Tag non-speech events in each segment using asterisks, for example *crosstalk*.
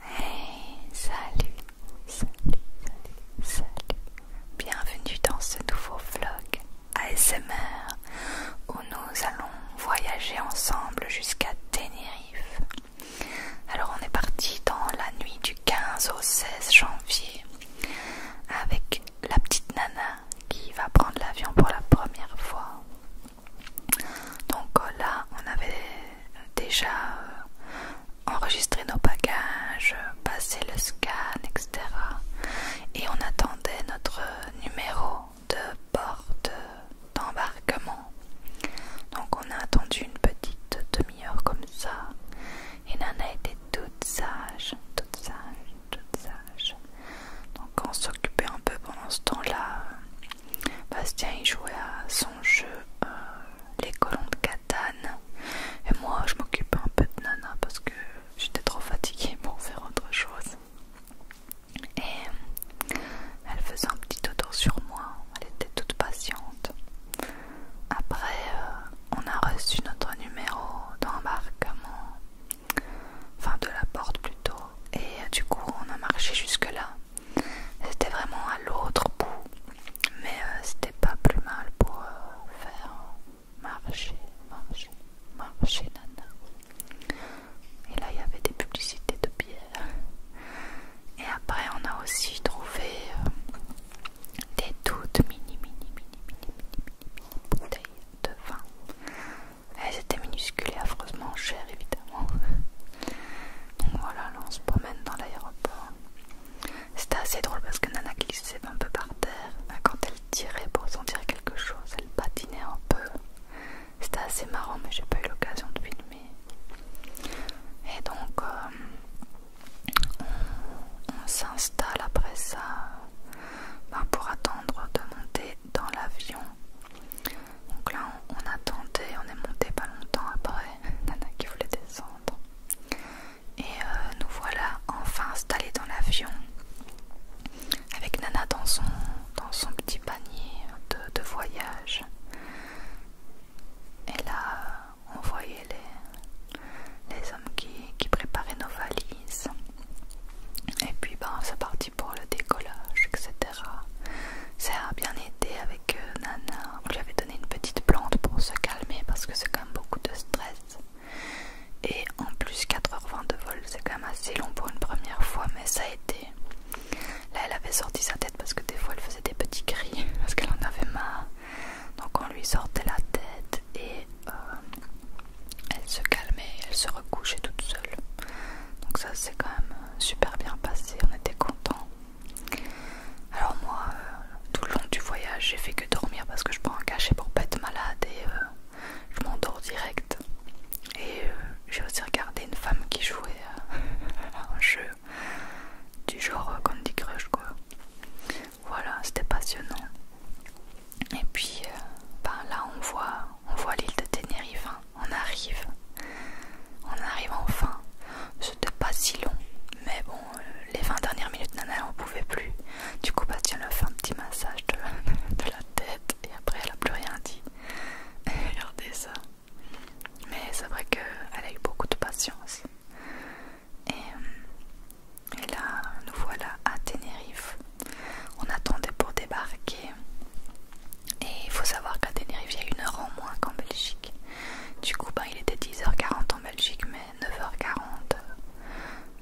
Hey, salut, salut, salut, salut. Bienvenue dans ce nouveau vlog ASMR où nous allons voyager ensemble jusqu'à Tenerife. Alors on est parti dans la nuit du 15 au 16 janvier avec la petite nana qui va prendre l'avion pour la première fois. Donc euh, là, on avait déjà euh, enregistré nos bagages, euh, passé le scan, etc. Et on attendait notre numéro de porte d'embarquement. Donc on a attendu une petite demi-heure comme ça. Et Nana était toute sage, toute sage, toute sage. Donc on s'occupait un peu pendant ce temps-là Bastien il jouait à son jeu euh, Les colons de Catane et moi je m'occupais un peu de Nana parce que j'étais trop fatiguée pour faire autre chose. Et elle faisait un petit auto sur moi, elle était toute patiente. Après, euh, on a reçu notre numéro d'embarquement, enfin de la porte plutôt, et du coup on a marché jusque-là. C'était vraiment à l'autre bout, mais euh, c'était pas plus mal pour euh, faire marcher, marcher, marcher, nana. Et là, il y avait des publicités de bière. Et après, on a aussi trouvé euh, des toutes mini, mini, mini, mini, mini, mini, bouteilles de vin. Elles étaient minuscules et affreusement chères, évidemment voilà, on se promène dans l'aéroport. C'était assez drôle parce que Nana glissait un peu par terre. Ben, quand elle tirait pour sentir quelque chose, elle patinait un peu. C'était assez marrant, mais j'ai pas eu l'occasion de filmer. Et donc, euh, on, s'installe après ça ben, pour attendre de monter dans l'avion. Donc là, on, a attendait, on est monté pas longtemps après. *laughs* Nana qui voulait descendre. Et euh, nous voilà enfin installés dans l'avion avec Nana dans son, petit panier de, voyage. Et là, euh, on voyait les, hommes qui, qui préparaient nos valises. Et puis, ben, c'est parti pour le décollage, etc ça a bien été avec euh, Nana. On lui avait donné une petite plante pour se calmer parce que c'est quand même beaucoup de stress. Et en plus 4h20 de vol, c'est quand même assez long pour une première fois, mais ça a été. Là, elle avait sorti sa tête parce que des fois elle faisait des petits cris *laughs* parce qu'elle en avait marre. Donc on lui sortait la tête et euh, elle se calmait, elle se recouchait toute seule. Donc ça c'est quand même super bien passé, on était contents. Alors moi, euh, tout le long du voyage, j'ai fait que dormir parce que je prends un cachet pour pas être malade et euh, je m'endors direct. Et euh, j'ai aussi regardé une femme qui jouait à *laughs* un jeu du genre Candy Crush quoi. Voilà, c'était passionnant. Et puis ben là on voit on voit l'île de Tenerife, hein. on arrive. On arrive enfin c'était pas si long, mais bon, euh, les 20 dernières minutes, Nana, on pouvait plus. Du coup, Bastien lui a fait un petit massage de, la tête et après, elle a plus rien dit. regardez ça. Mais c'est vrai qu'elle a eu beaucoup de patience. Et, euh, et là, nous voilà à Tenerife. On attendait pour débarquer. Et il faut savoir qu'à Tenerife, il y a une heure en moins qu'en Belgique. Du coup, ben, il était 10h40 en Belgique, mais 9h40 euh,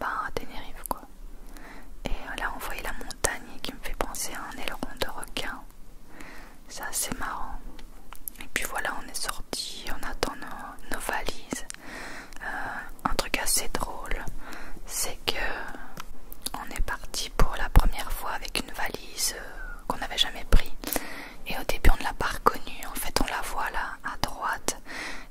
ben, à Tenerife, quoi. Et euh, là, on voyait la montagne qui me fait penser à un aileron de requin. C'est assez marrant. Et puis voilà, on est sorti on attend nos valises. Euh, un truc assez drôle, c'est que on est parti pour la première fois avec une valise qu'on n'avait jamais prise. Et au début, on ne l'a pas reconnue. En fait, on la voit là à droite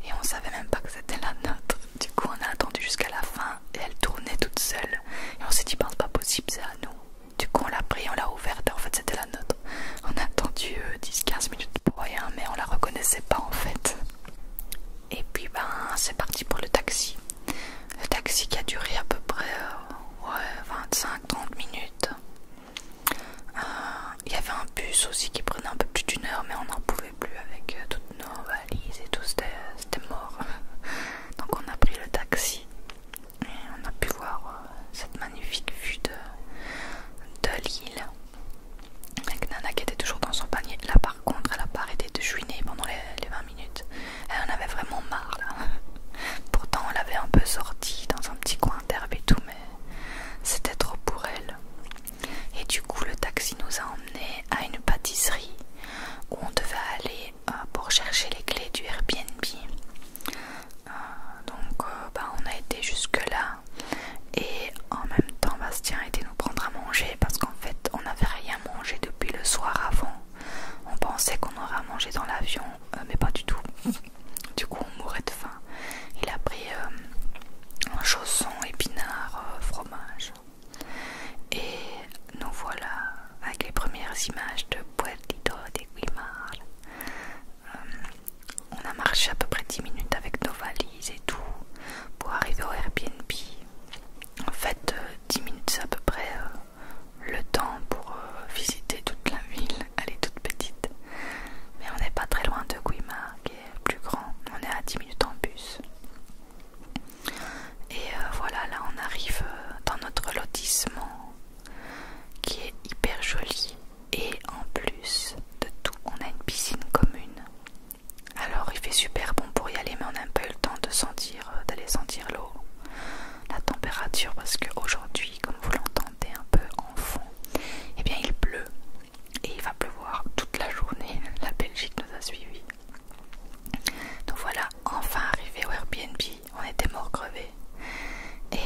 et on savait même pas que c'était la nôtre. Du coup, on a attendu jusqu'à la fin et elle tournait toute seule. Et on s'est dit, ben, c'est pas possible, c'est à nous. Du coup, on l'a pris, on l'a ouverte et en fait, c'était la nôtre. On a attendu 10-15 euh, minutes pour rien, mais on la reconnaissait pas en fait. Et puis, ben, c'est parti pour le taxi. Le taxi qui a duré à peu près euh, ouais, 25-30 minutes. Euh, il y avait un bus aussi qui prenait un peu plus d'une heure, mais on n'en pouvait plus avec euh, toutes nos valises et tout, c'était euh, mort. *laughs* Donc on a pris le taxi et on a pu voir cette magnifique vue de, l'île. Avec Nana qui était toujours dans son panier. Là par contre, elle a pas arrêté de juiner pendant les, les 20 minutes. Elle en avait vraiment marre Pourtant, on l'avait un peu sorti dans un petit coin d'herbe et tout, mais c'était trop pour elle. Et du coup, le taxi nous a emmené à une pâtisserie où on devait aller euh, pour chercher les clés du Airbnb. Euh, donc, euh, bah, on a été jusque-là et en même temps, Bastien a été nous prendre à manger parce qu'en fait, on n'avait rien mangé depuis le soir avant. On pensait qu'on aurait mangé dans l'avion, euh, mais pas du tout. Du coup, on mourait de faim. Il a pris euh, un chausson, épinard, euh, fromage. Et nous voilà avec les premières images de Puertito de Guimar. on a marché à peu près 10 minutes avec nos valises et tout pour arriver au Airbnb. En fait, 10 minutes à peu près le temps pour euh, visiter toute la ville. Elle est toute petite. Mais on n'est pas très loin de Guimard qui est plus grand. On est à 10 minutes en bus. Et euh, voilà, là on arrive euh, dans notre lotissement qui est hyper joli. Et en plus de tout, on a une piscine commune. Alors il fait super bon pour y aller mais on n'a pas eu le temps de d'aller sentir l'eau la température parce que aujourd'hui comme vous l'entendez un peu en fond, et eh bien il pleut et il va pleuvoir toute la journée. *laughs* La Belgique nous a suivis. Donc voilà, enfin arrivé au Airbnb, on était mort crevé. Et euh,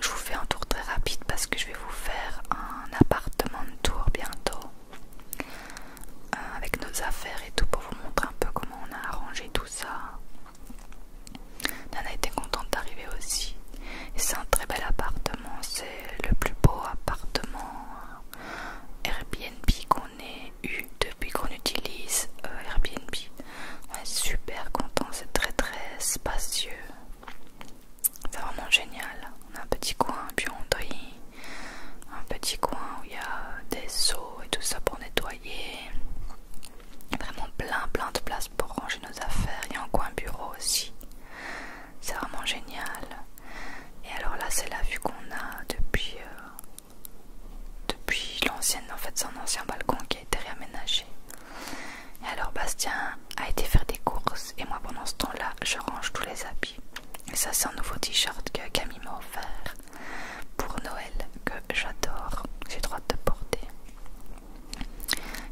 je vous fais un tour très rapide parce que je vais vous faire un appartement de tour bientôt euh, avec nos affaires et tout pour vous montrer un peu comment on a arrangé tout ça a été contente d'arriver aussi. C'est un très bel appartement, c'est le plus beau appartement Airbnb qu'on ait eu depuis qu'on utilise euh, Airbnb. On est super content, c'est très très spacieux. C'est vraiment génial. On a un petit coin, buanderie, un petit coin où il y a des seaux et tout ça pour nettoyer. Vraiment plein plein de place pour ranger nos affaires. Et y un coin bureau aussi. C'est vraiment génial. Et alors là, c'est la vue qu'on a depuis, euh, depuis l'ancienne. En fait, son ancien balcon qui a été réaménagé. Et alors, Bastien a été faire des courses. Et moi, pendant ce temps-là, je range tous les habits. Et ça, c'est un nouveau t-shirt que Camille m'a offert pour Noël que j'adore. J'ai droit de porter.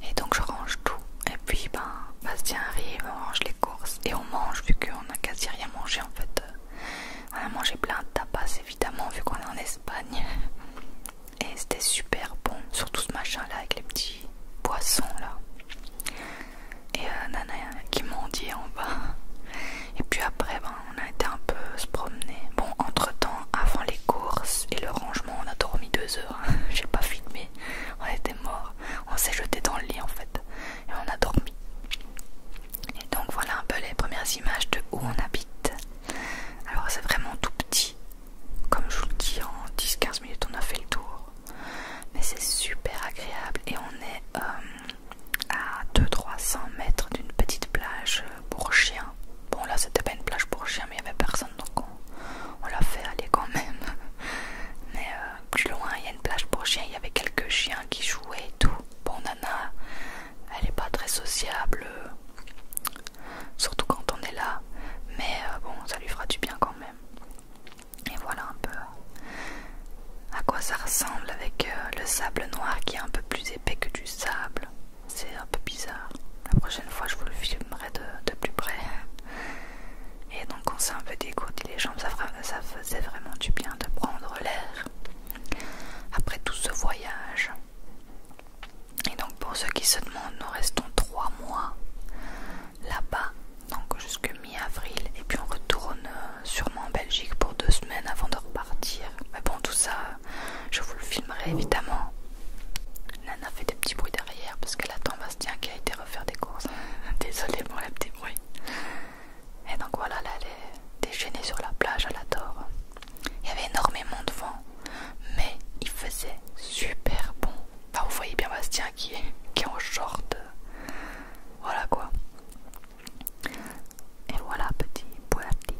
Et donc je range tout. Et puis ben Bastien arrive, on range les courses et on mange vu qu'on a quasi rien mangé en fait. Euh, on a mangé plein de tapas évidemment vu qu'on est en Espagne. Et c'était super bon, surtout ce machin là avec les petits poissons là. Et euh, Nana qui mendie en bas. Et puis après ben, on a été un peu se promener. Bon entre temps avant les courses et le rangement on a dormi deux heures, hein. *laughs* j'ai pas filmé, on était mort, on s'est jeté dans le lit en fait et on a dormi. Et donc voilà un peu les premières images de où on habite. Alors c'est vraiment tout petit, comme je vous le dis en 10-15 minutes on a fait le tour, mais c'est super agréable et on est euh, à 2 300 mètres d'une petite plage pour chien. Bon, là c'était pas une plage pour chiens, mais il y avait personne donc on, l'a fait aller quand même. *laughs* Mais euh, plus loin, il y a une plage pour chiens, il y avait quelques chiens qui jouaient et tout. Bon, Nana, elle est pas très sociable, euh, surtout quand on est là, mais euh, bon, ça lui fera du bien quand même. Et voilà un peu à quoi ça ressemble avec le sable noir qui est un peu plus épais que du sable. C'est un peu bizarre. La prochaine fois, je vous le filmerai de, plus près. *laughs* Et donc, on s'est un peu dégourdi les jambes. Ça, ça faisait vraiment du bien de prendre l'air après tout ce voyage. Et donc, pour ceux qui se demandent, nous restons trois mois là-bas, donc jusqu'à mi-avril. Et puis, on retourne euh, sûrement en Belgique pour deux semaines avant de repartir. Mais bon, tout ça je vous le filmerai évidemment. Nana fait des petits bruits derrière parce qu'elle attend Bastien qui a été refaire des courses. *laughs* Désolée pour les petits bruits. Et donc voilà, elle est déchaînée sur la plage, elle adore. Il y avait énormément de vent, mais il faisait super bon. Enfin, vous voyez bien Bastien qui est, en short. Voilà quoi. Et voilà, petit, voilà, petit,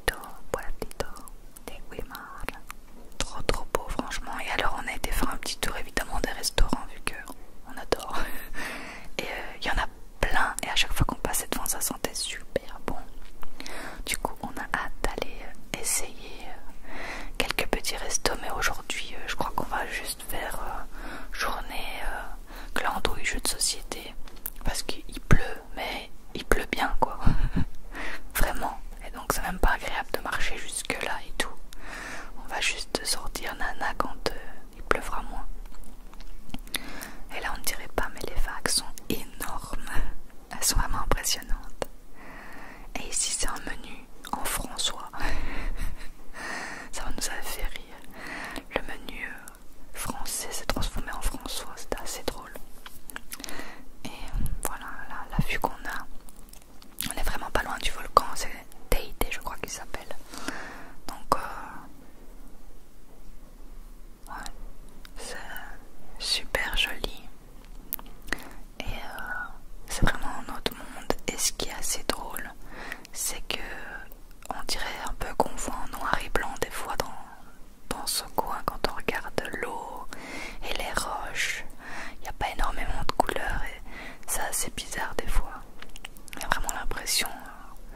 des Trop trop beau franchement. Et alors on a été faire un petit tour évidemment des restaurants vu que on adore. *laughs* Et il euh, y en a plein et à chaque fois qu'on passait devant ça sentait super bon. Du coup on a hâte d'aller euh, essayer euh, quelques petits restos mais aujourd'hui je crois qu'on va juste faire journée euh, glandouille jeu de société parce qu'il pleut mais il pleut bien quoi. *laughs* Vraiment et donc c'est même pas agréable de marcher jusque là et tout. On va juste sortir nana quand euh, il pleuvra moins. Et là on ne dirait pas mais les vagues sont énormes. Elles sont vraiment impressionnantes. Et ici c'est un menu en François. *laughs* Ça nous a fait rire. Le menu euh, français s'est transformé en François. C'était assez drôle. Et euh, voilà, la, vue qu'on a. On est vraiment pas loin du volcan, c'est Teide, je crois qu'il s'appelle. Donc, euh, c'est super joli. Et euh, c'est vraiment un autre monde. Et ce qui est assez drôle, c'est que on dirait un peu qu'on voit en noir et blanc des fois dans, dans ce coin quand on regarde l'eau et les roches. Il n'y a pas énormément de couleurs et ça c'est bizarre des fois. Il y a vraiment l'impression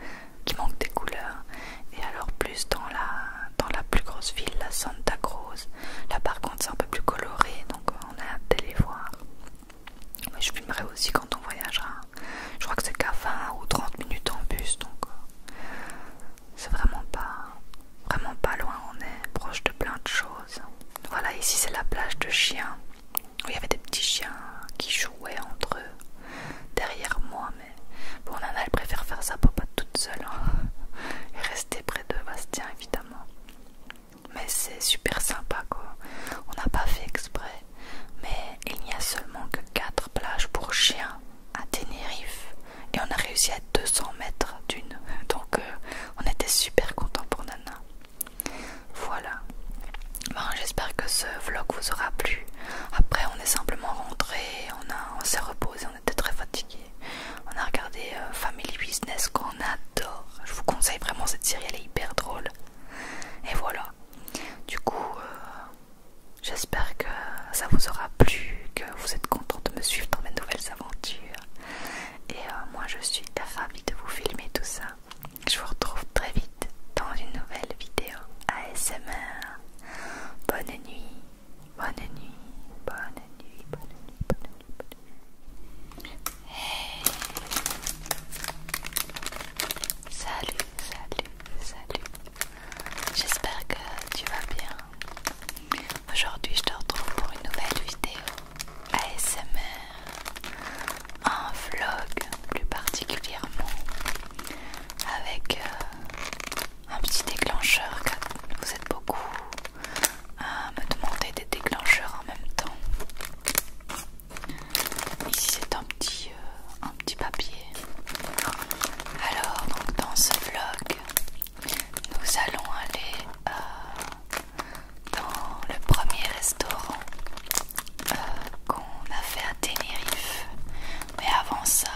euh, qu'il manque des couleurs. Et alors plus dans la, dans la plus grosse ville, la Santa Cruz. Là par contre c'est un peu plus coloré donc on a hâte de les voir. Mais je filmerai aussi quand on voyagera. Je crois que c'est qu'à 20 ou 30 minutes en bus donc euh, c'est vraiment pas vraiment pas loin, on est proche de plein de choses. Voilà, ici c'est la plage de chiens, où il y avait des petits chiens qui jouaient entre eux derrière moi, mais bon, elle préfère faire sa papa toute seule hein. et rester près de Bastien évidemment. Mais c'est super sympa quoi, on n'a pas fait exprès, mais il n'y a seulement que 4 plages pour chiens à Tenerife et on a réussi à 200 mètres d'une. Donc euh, on était super contents pour Nana. Voilà. J'espère que ce vlog vous aura plu. Après on est simplement rentré, on, s'est reposé, on était très fatigués On a regardé euh, Family Business qu'on adore. Je vous conseille vraiment cette série, elle est hyper drôle. Et voilà. Du coup, euh, j'espère que ça vous aura plu, que vous êtes content de me suivre dans mes nouvelles aventures. Et euh, moi je suis ravie de vous filmer tout ça. Je vous retrouve très vite dans une nouvelle vidéo ASMR. Bonne nuit, bonne nuit, bonne nuit, bonne nuit, bonne nuit, bonne nuit. Hey. Salut, salut, salut. J'espère que tu vas bien. Aujourd'hui, je te retrouve pour une nouvelle vidéo ASMR, un vlog plus particulièrement avec euh, un petit déclencheur. Vous êtes beaucoup à me demander des déclencheurs en même temps. Ici, c'est un petit, euh, un petit papier. Alors, donc dans ce vlog, nous allons aller euh, dans le premier restaurant euh, qu'on a fait à Tenerife. Mais avant ça,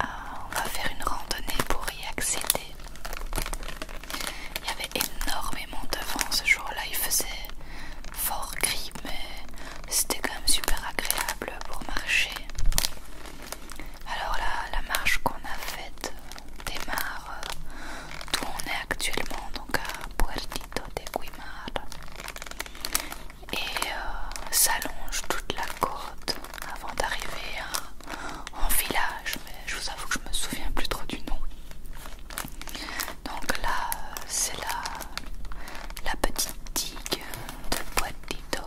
euh, on va faire une randonnée pour y accéder. Il y avait énormément de vent ce jour-là, il faisait fort gris, mais c'était quand même super agréable pour marcher. Alors la, la marche qu'on a faite euh, démarre euh, d'où on est actuellement, donc à Puertito de Guimar, et euh, s'allonge toute la côte avant d'arriver en village, mais je vous avoue que je me souviens plus trop du nom. Donc là, c'est la, la petite digue de Puertito,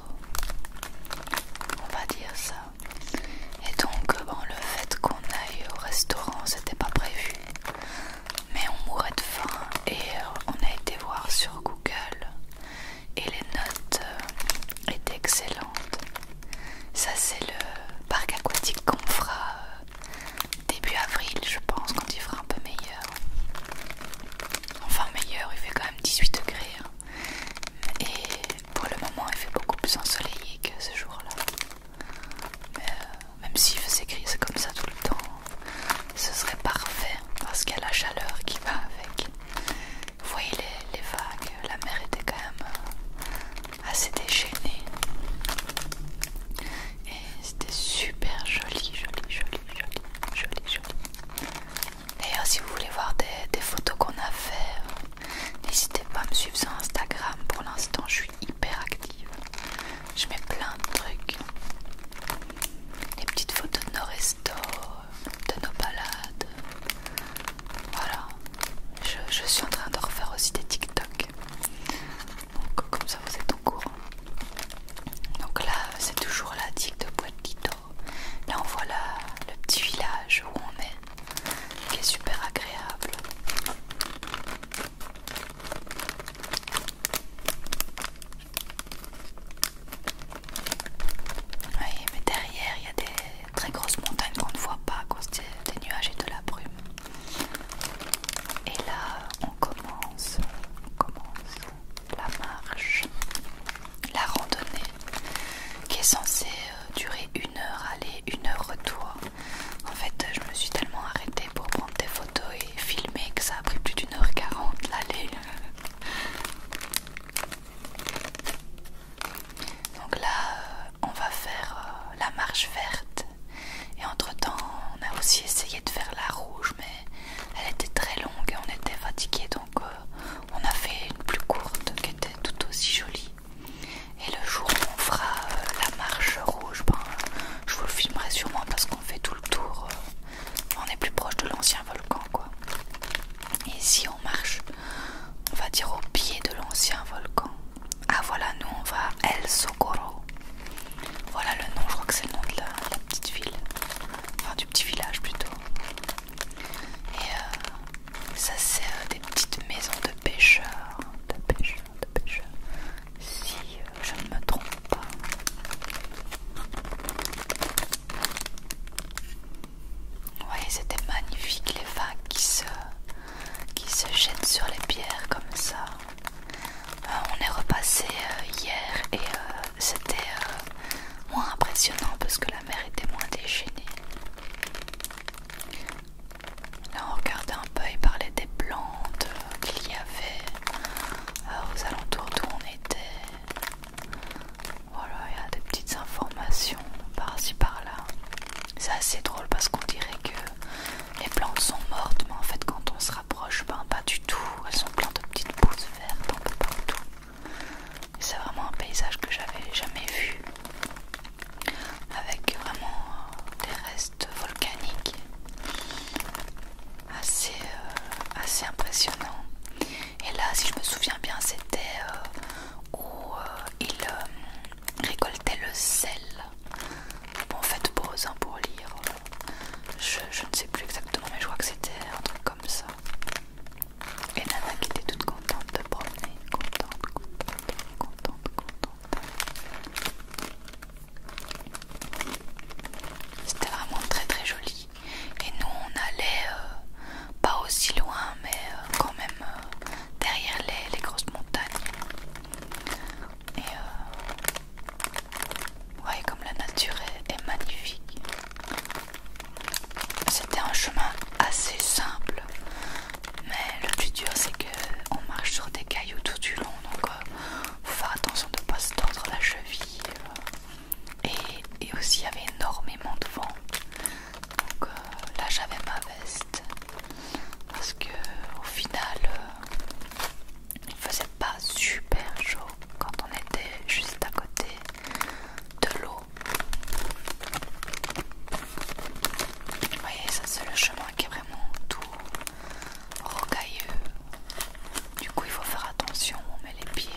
on va dire ça et donc euh, bon le fait qu'on aille au restaurant c'était pas prévu mais on mourait de faim et euh, on a été voir sur Google et les notes euh, étaient excellentes ça c'est le parc aquatique qu'on fera début avril je pense quand il fera un peu meilleur enfin meilleur il fait quand même 18 degrés hein. et pour le moment il fait beaucoup plus ensoleillé que ce jour-là. Mais euh, même s'il faisait grise comme ça tout le temps, ce serait parfait parce qu'il y a la chaleur qui va avec. Vous voyez les, vagues, la mer était quand même euh, assez déchaînée. Et c'était super joli, joli, joli, joli, joli, joli. D'ailleurs si vous voulez voir des, des photos qu'on a fait euh, N'hésitez pas à me suivre sur Instagram, pour l'instant je suis hyper active. Je mets plein de trucs. Les petites photos de nos restos, de nos balades. Voilà. Je, suis en train de refaire aussi des TikTok. Donc comme ça vous êtes au courant. Donc là c'est toujours la digue de Là on voit le petit village où on est qui est super agréable. Oui, mais derrière il y a des très grosses montagnes qu'on ne voit pas à cause des, nuages et de la brume. Et là, on commence, on commence la marche, la randonnée qui est censé euh, durer une heure aller, une heure retour. En fait, je me suis tellement arrêtée pour prendre des photos et filmer que ça a pris plus d'une heure quarante l'aller. *laughs* Donc là, euh, on va faire euh, la marche verte. Et entre temps, on a aussi essayé de faire la rouge, mais elle était très longue et on était fatigué, donc on a fait une plus courte qui était tout aussi jolie. Et le jour où on fera euh, la marche rouge, ben, je vous le filmerai sûrement parce qu'on fait tout le tour. Euh, on est plus proche de l'ancien volcan, quoi. Et si on marche, on va dire au pied de l'ancien volcan. Ah voilà, nous on va à El Socorro. Voilà le nom, je crois que c'est le nom de la, de la petite ville. Enfin, du petit village plutôt. Et euh, ça c'est euh, des petites maisons de pêcheurs, de pêcheurs, de pêcheurs. Si euh, je ne me trompe pas. Oui, c'était magnifique les vagues qui se, qui se jettent sur les pierres comme ça. Euh, on est repassé hier et c'était moins impressionnant parce que la mer était moins déchaînée. Là on regardait un peu, il parlait des plantes qu'il y avait euh, aux alentours d'où on était. Voilà, il y a des petites informations par-ci par-là. C'est assez drôle parce qu'on dirait que les plantes sont mortes, mais en fait quand on se rapproche, ben pas du tout. Elles sont pleines de petites pousses vertes un peu partout. C'est vraiment un paysage que j'avais jamais vu avec vraiment euh, des restes volcaniques assez, euh, assez impressionnants. Et là, si je me souviens bien, c'était euh, où il récoltait le sel. en fait, pause hein, pour lire. Je, ne sais plus exactement, mais je crois que c'était un truc comme ça. Et Nana qui était toute contente de promener, contente. C'était vraiment très très joli. Et nous on allait euh, pas aussi loin mais euh, quand même euh, derrière les, grosses montagnes. Et euh, ouais comme la nature est magnifique. C'était un chemin assez simple mais le plus dur c'est que on marche sur des cailloux tout du long donc euh, faut faire attention de ne pas se tordre la cheville euh, et, aussi il y avait énormément de vent donc euh, là j'avais ma veste parce que au final il ne faisait pas super chaud quand on était juste à côté de l'eau vous voyez, ça c'est le chemin qui est vraiment tout rocailleux. Du coup, il faut faire attention on met les pieds.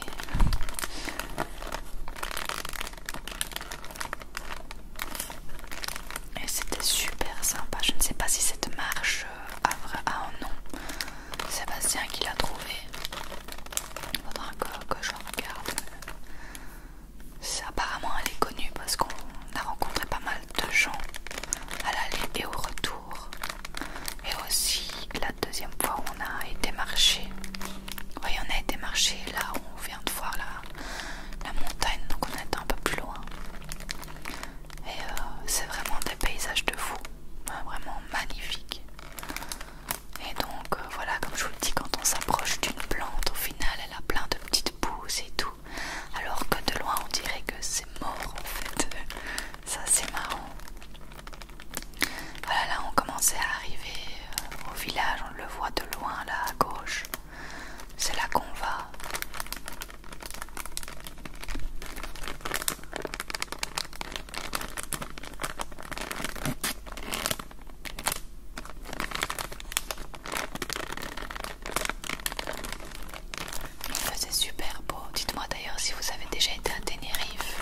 Et c'était super sympa. Je ne sais pas si cette marche euh, a, un nom. Sébastien qui l'a trouvé. Faudra encore que je regarde. Apparemment, elle est connue parce qu'on a rencontré pas mal de gens à l'aller et au retour. Et aussi, la deuxième fois, on a été marché. Oui, on a été marché là où on vient de voir la, montagne, donc on est un peu plus loin. Et euh, c'est vraiment des paysages de fou, vraiment magnifiques. Et donc, euh, voilà, comme je vous le dis, quand on s'approche d'une plante, au final, plein de petites pousses et tout. Alors que de loin on dirait que c'est mort en fait. *laughs* Ça c'est marrant. Voilà là on commençait à arriver euh, au village, on le voit de loin là à gauche. C'est là qu'on va. Il super beau. Dites-moi d'ailleurs si vous avez déjà été à Tenerife.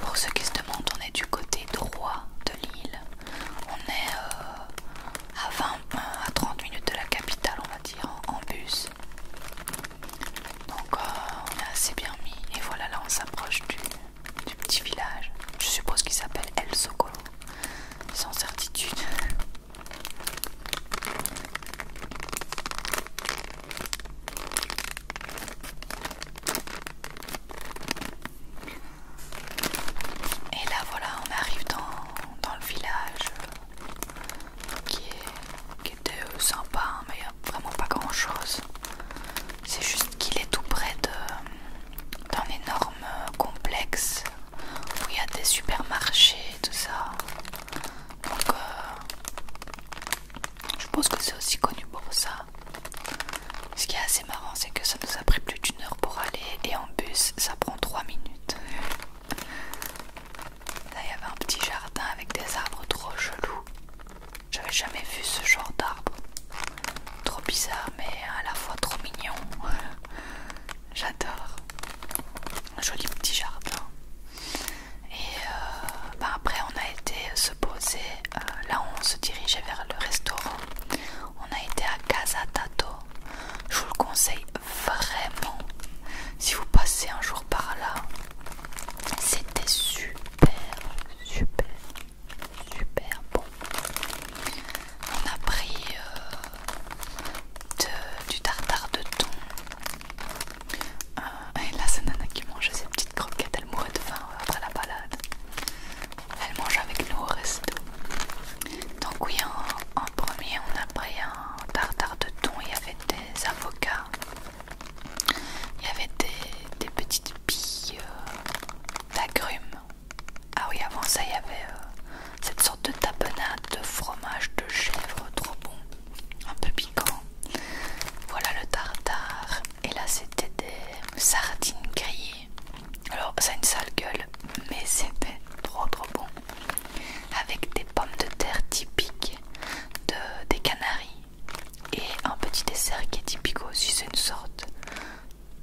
Pour ceux qui se demandent, on est du côté droit de l'île. On est euh, à 20 euh, à 30 minutes de la capitale, on va dire, en, bus. Donc euh, on est assez bien mis. Et voilà, là on s'approche du du petit village. Je suppose qu'il s'appelle El Soko, sans certitude. Et là voilà, on arrive dans, le village euh, qui, est, était euh, sympa, hein, mais il n'y a vraiment pas grand chose. C'est juste qu'il est tout près d'un énorme euh, complexe où il y a des supermarchés tout ça. Donc, euh, je pense que c'est aussi connu pour ça. Ce qui est assez marrant, c'est que ça nous a pris plus d'une heure pour aller et en bus, ça prend trois minutes. Là, il y avait un petit jardin avec des arbres trop chelous. J'avais jamais vu ce genre d'arbre trop bizarre mais à la fois trop mignon. *laughs* J'adore. Un joli petit jardin. Et euh, bah, après on a été se poser, euh, là là on se dirigeait vers le restaurant. On a été à Casa Tato. Je vous le conseille vraiment. Si vous passez un jour par là, c'était super, super super bon. On a pris euh, du tartare de thon. Euh, et là, c'est Nana qui mange ses petites croquettes. Elle mourait de faim euh, après la balade. Elle mange avec nous au resto. Donc, oui, en, premier, on a pris un tartare de thon. Il y avait des avocats. Il y avait des, petites billes d'agrumes ah oui, avant ça, il y avait euh, cette sorte de tapenade de fromage de chèvre trop bon, un peu piquant. Voilà le tartare. Et là, c'était des sardines grillées. Alors, ça a une sale gueule, mais c'était trop trop bon. Avec des pommes de terre typiques des Canaries. Et un petit dessert qui est typique aussi, c'est une sorte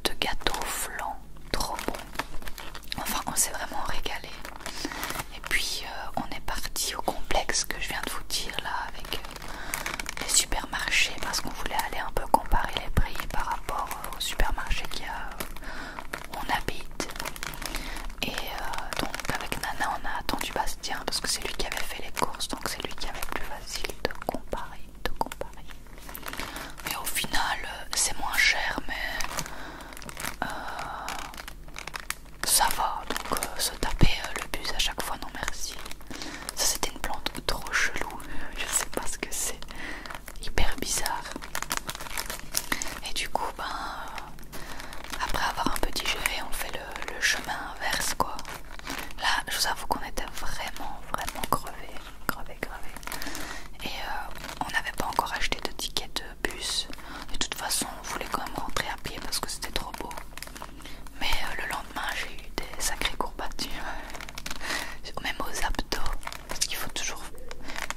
de gâteaux flancs trop bon Enfin, on s'est vraiment régalé. Et puis, euh, on est parti au complexe que je viens de vous dire là avec euh, les supermarchés parce qu'on voulait aller un peu comparer les prix par rapport euh, au supermarché qu'il on habite. Et donc, avec Nana, on a attendu Bastien parce que c'est lui qui avait fait les courses donc c'est lui qui avait plus facile de comparer, de comparer. Mais au final, euh, c'est moins cher, mais euh, ça va. Donc, euh, se taper le bus à chaque fois, non merci. Ça, c'était une plante trop chelou. *laughs* Je sais pas ce que c'est. Hyper bizarre. Et du coup, ben, après avoir un peu digéré, on fait le, le chemin inverse, quoi. Là, je vous avoue qu'on était vraiment, vraiment crevés gravé, gravé. Et euh, on n'avait pas encore acheté de tickets de bus. De toute façon, on voulait quand même rentrer à pied parce que c'était trop beau. Mais euh, le lendemain, j'ai eu des sacrées courbatures, *laughs* même aux abdos, parce qu'il faut toujours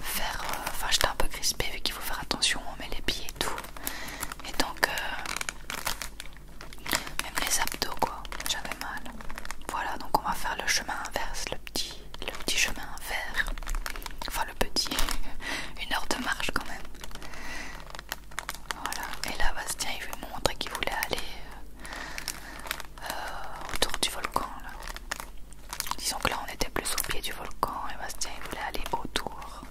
faire. Euh, enfin, j'étais un peu crispé vu qu'il faut faire attention, on met les pieds et tout. Et donc, même les abdos, quoi, j'avais mal. Voilà, donc on va faire le chemin inverse, le petit, chemin vert. Enfin le petit, *laughs* une heure de marche quand même. Voilà. Et là Bastien il veut montre montrer qu'il voulait aller euh, euh, autour du volcan. Disons que là on était plus au pied du volcan et Bastien il voulait aller autour.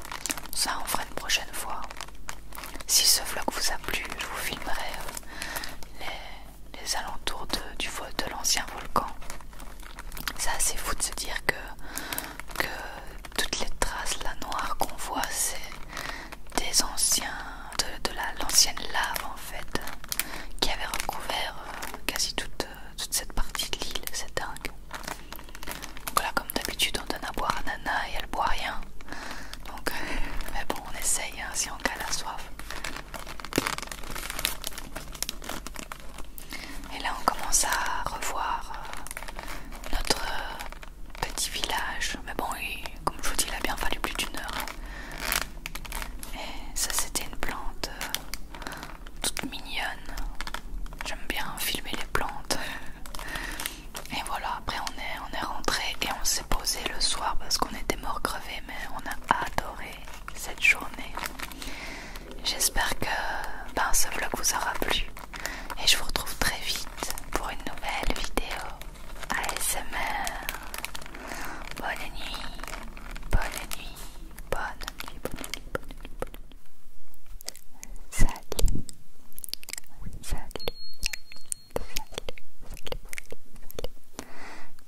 Ça on fera une prochaine fois. Si ce vlog vous a plu, je vous filmerai euh, les les alentours de, du, de l'ancien volcan. C'est assez fou de se dire que, toutes les traces la noires qu'on voit, c'est des anciens, de, l'ancienne lave en fait, qui avait recouvert euh, quasi toute, euh, toute cette partie de l'île. C'est dingue. Donc comme d'habitude, on donne à boire à Nana et elle boit rien. Donc, *laughs* mais bon, on essaye hein, si on a la soif. Et là, on commence à revoir euh, notre euh, petit village. Mais bon, comme je vous dis, il a bien fallu plus d'une heure. Hein. Et ça, c'était une plante euh, toute mignonne. J'aime bien filmer les plantes. *laughs* Et voilà, après, on est, on est rentré et on s'est poser posé le soir parce qu'on était mort crevé, mais on a adoré cette journée. J'espère que ben, ce vlog vous aura plu et je vous retrouve très vite pour une nouvelle vidéo ASMR. Bonne nuit, bonne nuit, bonne nuit, bonne nuit, bonne nuit, bonne nuit. Salut, salut, salut,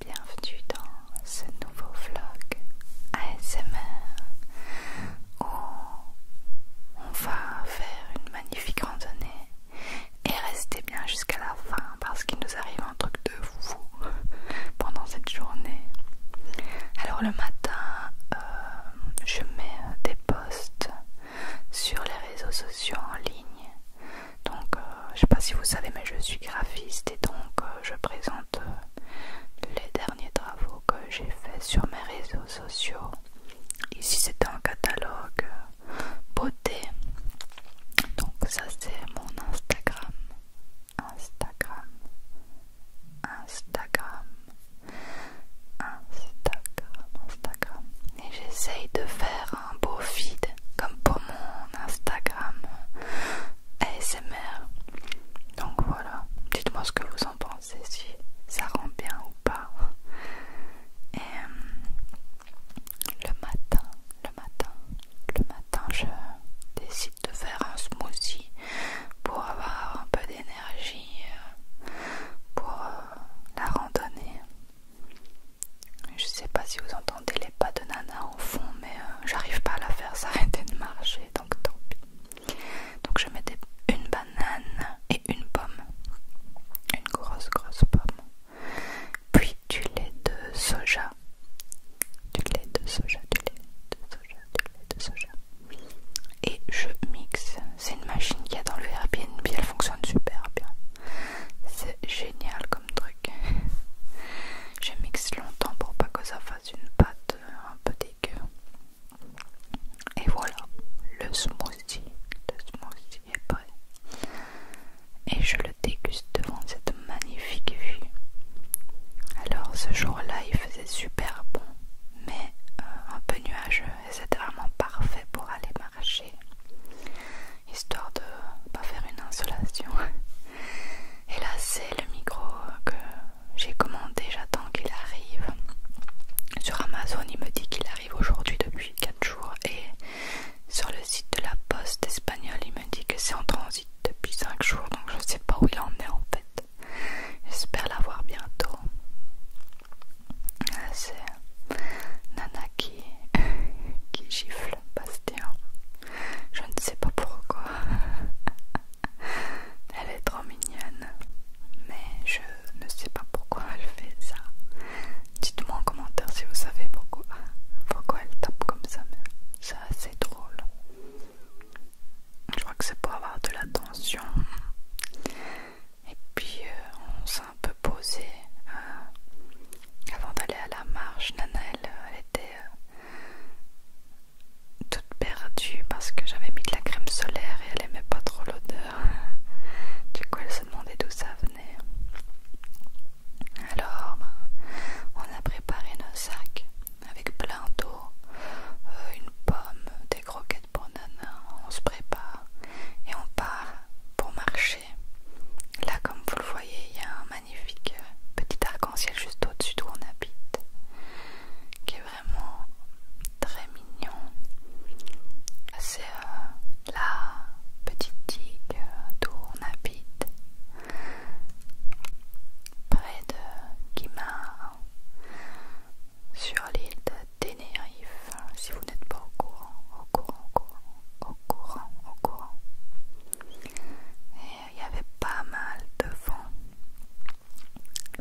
Bienvenue dans ce nouveau vlog ASMR où on va faire une magnifique randonnée et rester bien jusqu'à la fin parce qu'il nous arrive un truc de fou pendant cette journée. Alors le matin, euh, je mets des posts sur les réseaux sociaux en ligne donc, euh, je sais pas si vous savez, mais je suis graphiste et donc euh, je présente euh, les derniers travaux que j'ai fait sur mes réseaux sociaux. Ici, c'était un catalogue beauté. Donc, ça, c'est mon Instagram. Instagram. Instagram. Instagram. Instagram. Et j'essaye de faire un beau feed comme pour mon Instagram ASMR. Donc voilà, dites-moi ce que vous en pensez, si ça rend bien ou pas. Et euh, le matin, le matin, le matin, je décide de faire un smoothie pour avoir un peu d'énergie euh, pour euh, la randonnée. Je sais pas si vous entendez les pas de Nana au fond, mais euh, j'arrive pas à la faire s'arrêter de marcher, donc tant pis. Donc je mettais une banane et une pomme, une grosse grosse pomme, puis du lait de soja, du lait de soja, du lait de soja, du lait de soja, et je mixe. C'est une machine qu'il y a dans le Airbnb, elle fonctionne super bien, c'est génial truc. *laughs* je mixe longtemps pour pas que ça fasse une pâte euh, un peu dégueu. Et voilà, le smoothie. Le smoothie est prêt. Et je le déguste devant cette magnifique vue. Alors ce jour-là, il faisait super bon, mais euh, un peu nuageux et c'était vraiment parfait pour aller marcher histoire de pas faire une insolation. *laughs* Et là, c'est le micro que j'ai commandé, j'attends qu'il arrive. Sur Amazon, il me dit qu'il arrive aujourd'hui depuis 4 jours. Et sur le site de la poste espagnole, il me dit que c'est en transit depuis 5 jours. Donc je sais pas où il en est en fait. J'espère l'avoir bientôt. C'est Nana qui, *laughs* qui gifle. Bastien. Je ne sais pas pourquoi. *laughs* Elle est trop mignonne. Mais je ne sais pas pourquoi elle fait ça. Dites-moi en commentaire si vous savez pourquoi. Pourquoi elle tape comme ça. C'est assez drôle. Je crois que c'est pour avoir de l'attention. Et puis euh, on s'est un peu posé euh, avant d'aller à la marche. Nana, elle était euh, toute perdue parce que j'avais mis de la crème solaire et elle aimait pas trop l'odeur. Du coup, elle se demandait d'où ça venait. Alors, ben, on a préparé nos sacs avec plein d'eau, euh, une pomme, des croquettes pour nana. On se prépare et on part pour marcher. Là, comme vous le voyez, il y a un magnifique euh, petit arc-en-ciel juste au-dessus d'où on habite, qui est vraiment très mignon. C'est euh, la petite digue euh, d'où on habite, près de Guimard, sur l'île de Ténérife, si vous n'êtes pas au courant, au courant, au courant, au courant, au courant il y avait pas mal de vent.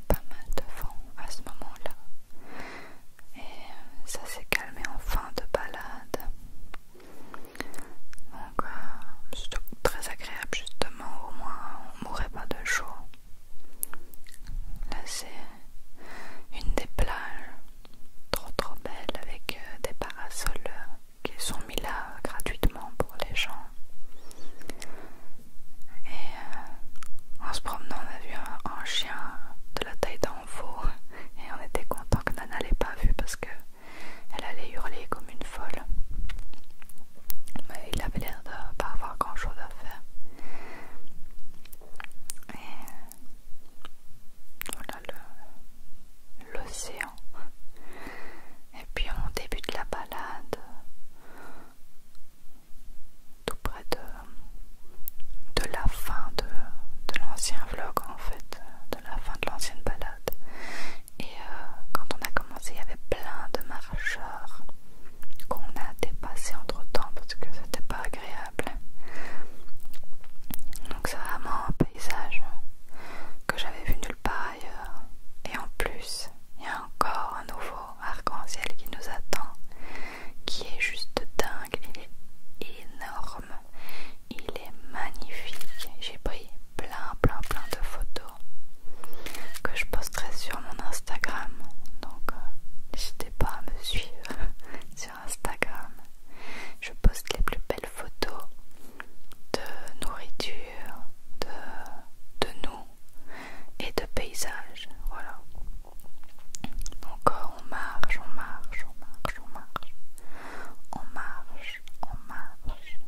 Pas mal de vent à ce moment-là. Et euh, ça s'est calmé en fin de balade. Donc euh, c'est très agréable justement, au moins on mourait pas de chaud. Là c'est une des plages trop trop belle avec euh, des parasols qui sont mis là gratuitement pour les gens. Et euh, en se promenant, on a vu un, chien de la taille d'un veau *laughs* et on était content que Nana l'ait pas vu parce que elle allait hurler comme une folle. Mais il avait l'air de pas avoir grand chose à faire. Et voilà l'océan et puis on débute la balade tout près de, de la fin de, l'ancien vlog en fait, de la fin de l'ancienne balade. Et euh, quand on a commencé, il y avait plein de marcheurs qu'on a dépassés entre temps parce que c'était pas agréable. Donc c'est vraiment un paysage que j'avais vu nulle ailleurs. Et en plus, il y a encore un nouveau arc-en-ciel qui nous attend, qui est juste dingue. Il est énorme, il est magnifique. J'ai pris plein, plein, plein de photos que je posterai sur mon Instagram. Donc, euh, n'hésitez pas à me suivre *laughs* sur Instagram. Je poste les plus photos de nourriture, de, nous et de paysages. Voilà. Donc on marche, on marche, on marche, on marche. On marche, on marche.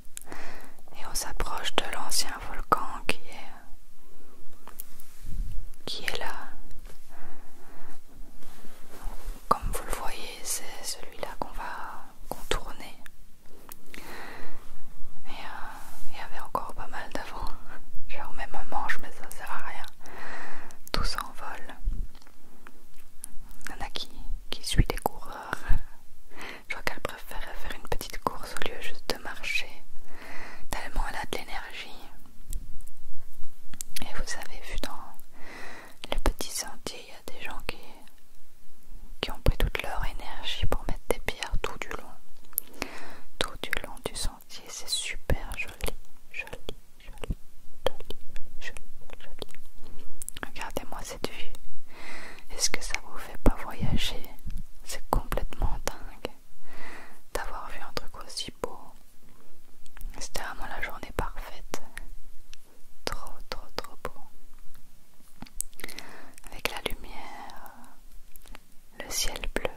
Et on s'approche de l'ancien volcan qui est, qui est là. Comme vous le voyez, c'est celui-là qu'on va contourner. Et euh, il y avait encore pas mal d'avant. Genre même un manche, mais ça sert à rien. Tout s'envole. Il y en a qui, suit des coureurs. Je crois qu'elle préfère faire une petite course au lieu juste de marcher. Tellement elle a de l'énergie. Et vous avez vu dans les petits sentiers, il y a des gens qui, ont pris toute leur énergie pour mettre des pierres tout du long. Tout du long du sentier, c'est super joli, joli, joli, joli, joli, joli. Regardez-moi cette vue. Est-ce que ça vous fait pas voyager C'est complètement dingue d'avoir vu un truc aussi beau. C'était vraiment la journée parfaite trop trop trop beau. Avec la lumière, le ciel bleu,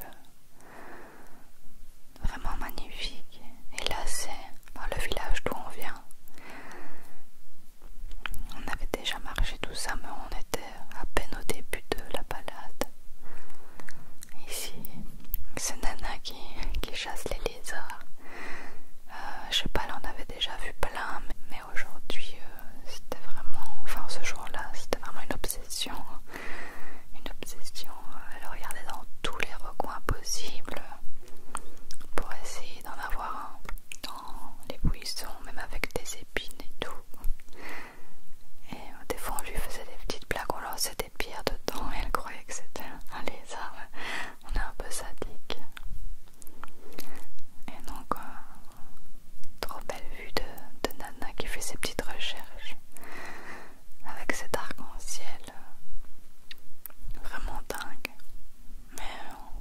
vraiment magnifique. Et là c'est le village d'où on vient. On avait déjà marché tout ça, mais on était à peine au début de la balade. Ici, c'est Nana qui, chasse les lézards. Euh, je sais pas, elle on avait déjà vu plein, mais, aujourd'hui euh, c'était vraiment, enfin ce jour-là c'était vraiment une obsession, une obsession. Euh, elle regardait dans tous les recoins possibles pour essayer d'en avoir un, dans les buissons, même avec des épines et tout. Et des fois on lui faisait des petites blagues, on lançait des pierres dedans et elle croyait que c'était un lézard on est un peu sadique. Et donc, euh, trop belle vue de, Nana qui fait ses petites recherches avec cet arc-en-ciel vraiment dingue. Mais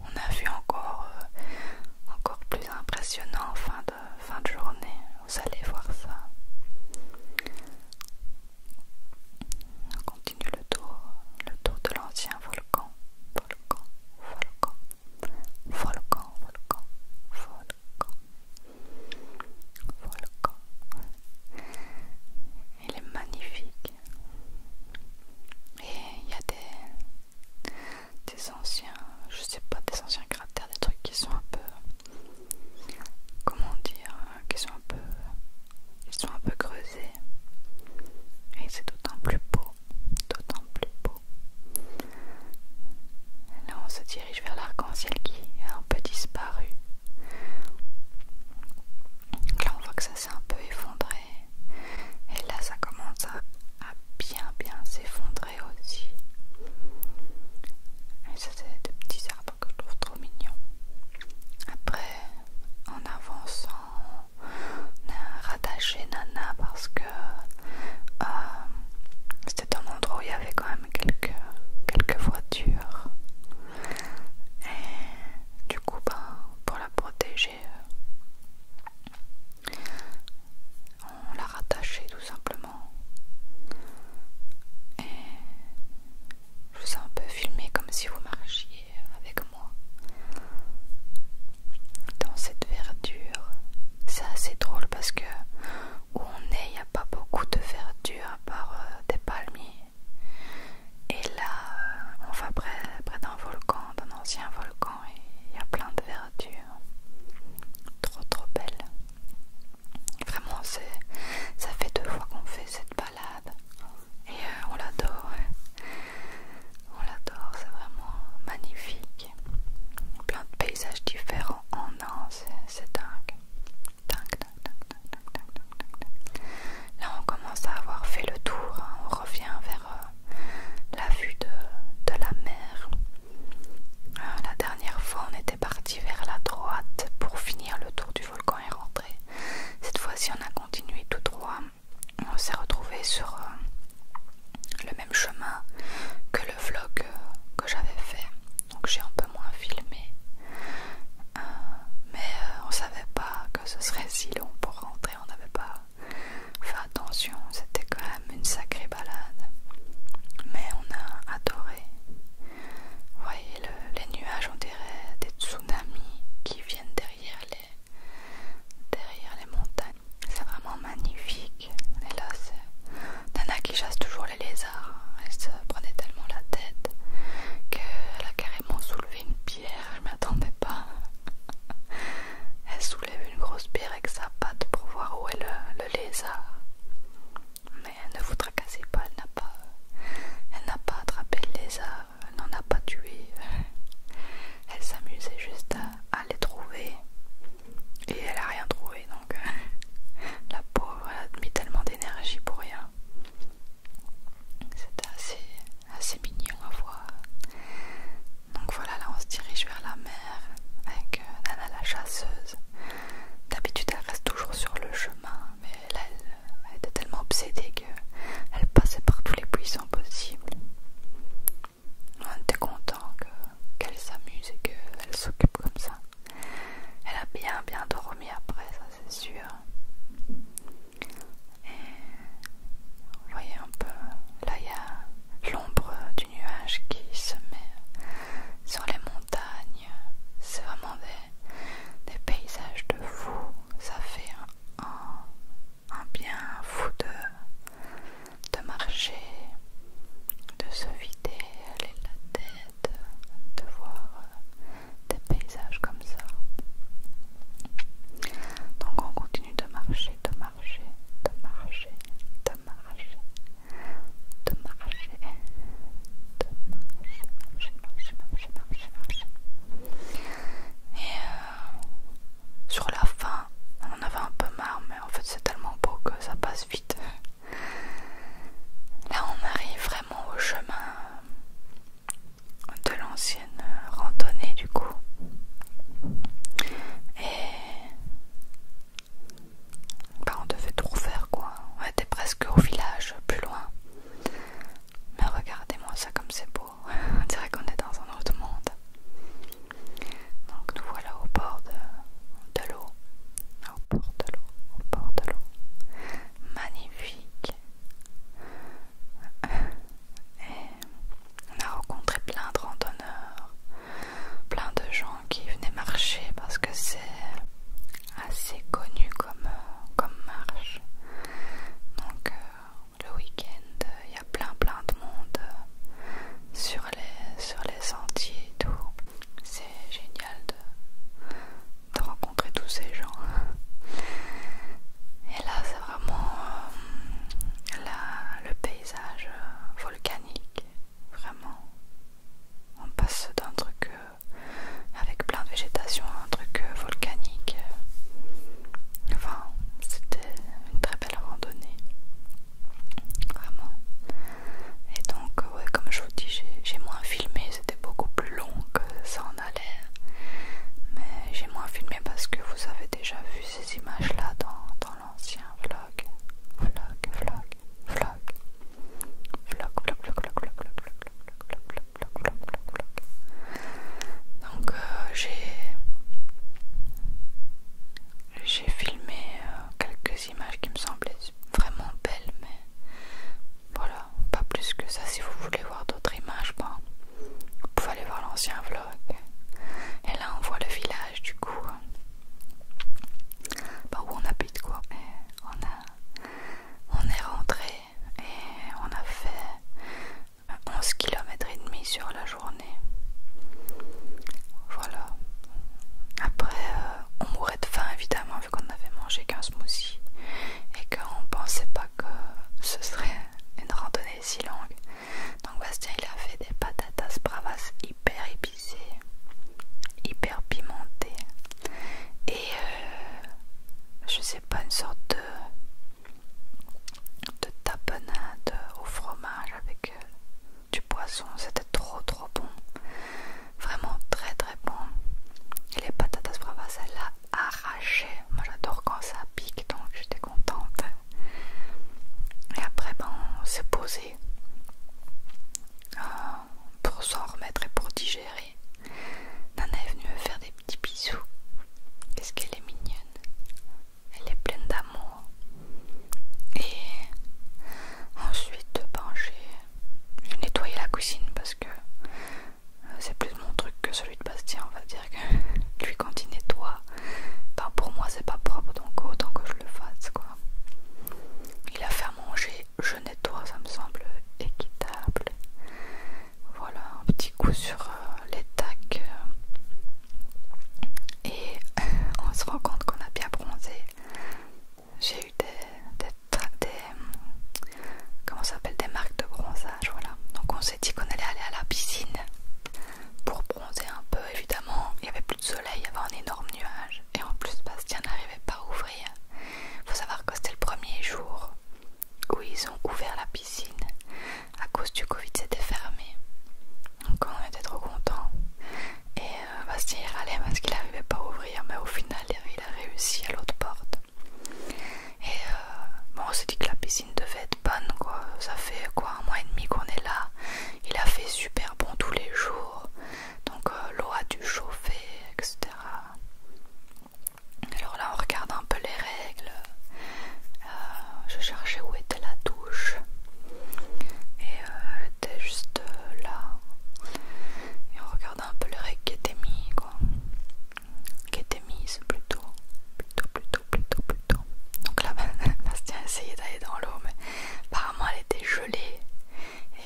on a vu encore, euh, encore plus impressionnant en fin de, fin de journée. Vous allez voir ça. On continue le tour, le tour de l'ancien volcan volcan, volcan, volcan, volcan, volcan, volcan. Il est magnifique. Et il y a des, des anciens, je sais pas, des anciens cratères, des trucs qui sont un peu, comment dire, qui sont un peu, ils sont un peu creusés et c'est d'autant plus beau, d'autant plus beau. Là, on se dirige vers l'arc-en-ciel qui a un peu disparu. là, on voit que ça s'est un peu effondré. Et là, ça commence à, à bien, bien s'effondrer aussi. Et ça, c'est des petits arbres que je trouve trop mignons. Après, en avançant, a euh, rattaché Nana parce que euh, c'était un endroit où il y avait quand même quelques, quelques voitures. Et du coup, ben, pour la protéger, on l'a rattaché tout simplement. Et je vous ai un peu filmé comme si vous marchiez avec moi dans cette verdure. C'est assez drôle parce que où on est, il n'y a pas beaucoup de verdure à part euh, des palmiers. Et là, euh, on va près, près d'un volcan, d'un ancien volcan, et il y a plein de verdure. Trop trop belle. Vraiment, ça fait deux fois qu'on fait cette balade et euh, on l'adore. On l'adore, c'est vraiment magnifique. Plein de paysages différents en un, c'est dingue. Dingue, dingue, dingue, dingue, dingue, dingue, Là, on commence à avoir fait le tour, hein. on revient vers euh, la vue de, la mer. Euh, la dernière fois, on était parti vers la droite pour finir le tour du volcan et rentrer. Cette fois-ci, on a continué tout droit on s'est retrouvé sur euh, le même chemin que le vlog euh, que j'avais fait. Donc j'ai un peu moins filmé. Euh, mais on on savait pas que ce serait si long pour rentrer, on n'avait pas fait attention, c'était quand même une sacrée balade. Mais on a adoré. Vous voyez, les nuages, on dirait des tsunamis qui viennent derrière les derrière les montagnes. C'est vraiment magnifique. Et là, c'est Nana qui chasse toujours les lézards. Elle se prenait tellement la tête qu'elle a carrément soulevé une pierre. Je m'attendais pas. *laughs* Elle soulève une grosse pierre avec sa patte pour voir où est le, lézard. Mais elle ne vous tracassez pas, elle n'a pas, elle n'a pas attrapé le lézard n'en a pas tué. *laughs* Elle s'amusait juste à, les trouver. Et elle a rien trouvé donc *laughs* la pauvre elle a mis tellement d'énergie pour rien. C'était assez, mignon à voir. Donc voilà, là on se dirige vers la mer avec euh, Nana la chasseuse. D'habitude elle reste toujours sur le chemin, mais là elle était tellement obsédée elle passait par tous les buissons possibles. On était content qu'elle s'amuse et qu'elle s'occupe comme ça. Elle a bien bien dormi après, ça c'est sûr. Et vous voyez un peu, là il y a l'ombre du nuage qui se met sur les montagnes. C'est vraiment des, paysages de fou. Ça fait un, un bien fou de, marcher, de se vider, aller la tête, de voir euh, des paysages comme ça. Donc on continue de marcher, de marcher, de marcher, de marcher, de marcher, de marcher, marcher, marcher, marcher, marcher, marcher. Et euh, sur la fin, on avait un peu marre, mais en fait c'est tellement beau que ça passe vite. Là, on arrive vraiment au chemin de l'ancienne randonnée du coup. Et bah, on devait tout refaire quoi. On était presque au village, plus loin. Mais regardez-moi ça comme c'est beau on dirait qu'on est dans un autre monde. Donc nous voilà au bord de, l'eau. Au bord de l'eau, au de Magnifique. Et on a rencontré plein de randonneurs, plein de gens qui venaient marcher parce que c'est assez connu comme, comme marche. Donc euh, le week-end, euh, il y a plein plein de monde euh, sur les, sur les sentiers et tout. C'est génial de, de rencontrer tous ces gens. Et là, c'est vraiment euh, le paysage volcanique, vraiment. On passe d'un truc avec plein de végétation à un truc volcanique. Enfin, c'était une très belle randonnée. Vraiment. Et donc, ouais, comme je vous dis, j'ai moins filmé. C'était beaucoup plus long que ça en l'air. Mais j'ai moins filmé parce que vous avez déjà vu ces images-là dans, dans l'ancien vlog, vlog, vlog, vlog, vlog, vlog, vlog, vlog, vlog. Donc euh, j'ai filmé euh, quelques images qui me semblaient vraiment belles, mais voilà, pas plus que ça. Si vous voulez voir d'autres images, ben, vous pouvez aller voir l'ancien vlog. Et là, on voit le village du coup. où on habite quoi. on, a, on est rentré et on a fait Onze 11 km et demi sur la journée. Voilà. Après, euh, on mourait de faim évidemment vu qu'on avait mangé qu'un smoothie et qu'on pensait pas que ce serait une randonnée si longue. Donc Bastien il a fait des patatas bravas hyper épicées, hyper pimentées et euh, je sais pas une sorte de de tapenade au fromage avec euh, du poisson. C'était trop trop bon. Vraiment très très bon. Et les patatas bravas, elle l'a arraché. Moi j'adore quand ça pique donc j'étais contente. Et après, bon on s'est posé euh, pour s'en remettre et pour digérer. Nana est venue me faire des petits bisous. Qu'est-ce qu'elle est mignonne! elle est pleine d'amour. Et ensuite, ben, j'ai nettoyé la cuisine parce que euh, c'est plus mon truc que celui de Bastien, on va dire que *laughs* lui quand il nettoie, ben, pour moi c'est pas propre donc autant que je le fasse quoi. Il a fait manger, je nettoie, ça me semble équitable. Voilà un petit coup sur euh, les tacs euh, et euh, on se rend compte qu'on a bien bronzé. J'ai eu des, comment des marques de bronzage, voilà. Donc on s'est dit qu'on allait aller à la piscine pour bronzer un peu, évidemment. Il n'y avait plus de soleil, il y avait un énorme nuage. Et en plus, Bastien n'arrivait pas à ouvrir. Il faut savoir que c'était le premier jour où ils ont ouvert la piscine à cause du Covid c'était fermé. Donc on était trop contents. Et euh, Bastien il allez, parce qu'il n'arrivait pas à ouvrir, mais au final il a réussi à l'autre porte. Et euh, bon, on s'est dit que la piscine devait être bonne quoi. Ça fait quoi un mois et demi qu'on est là. Il a fait super bon tous les jours. Donc euh, l'eau a dû chauffer, etc. Alors là on regarde un peu les règles. Euh, je cherchais où était la douche et euh, elle était juste euh, là et on regardait un peu le règles qui était mis, quoi qui était mis plutôt plutôt plutôt plutôt plutôt donc là *laughs* Bastien a essayé d'aller dans l'eau mais apparemment elle était gelée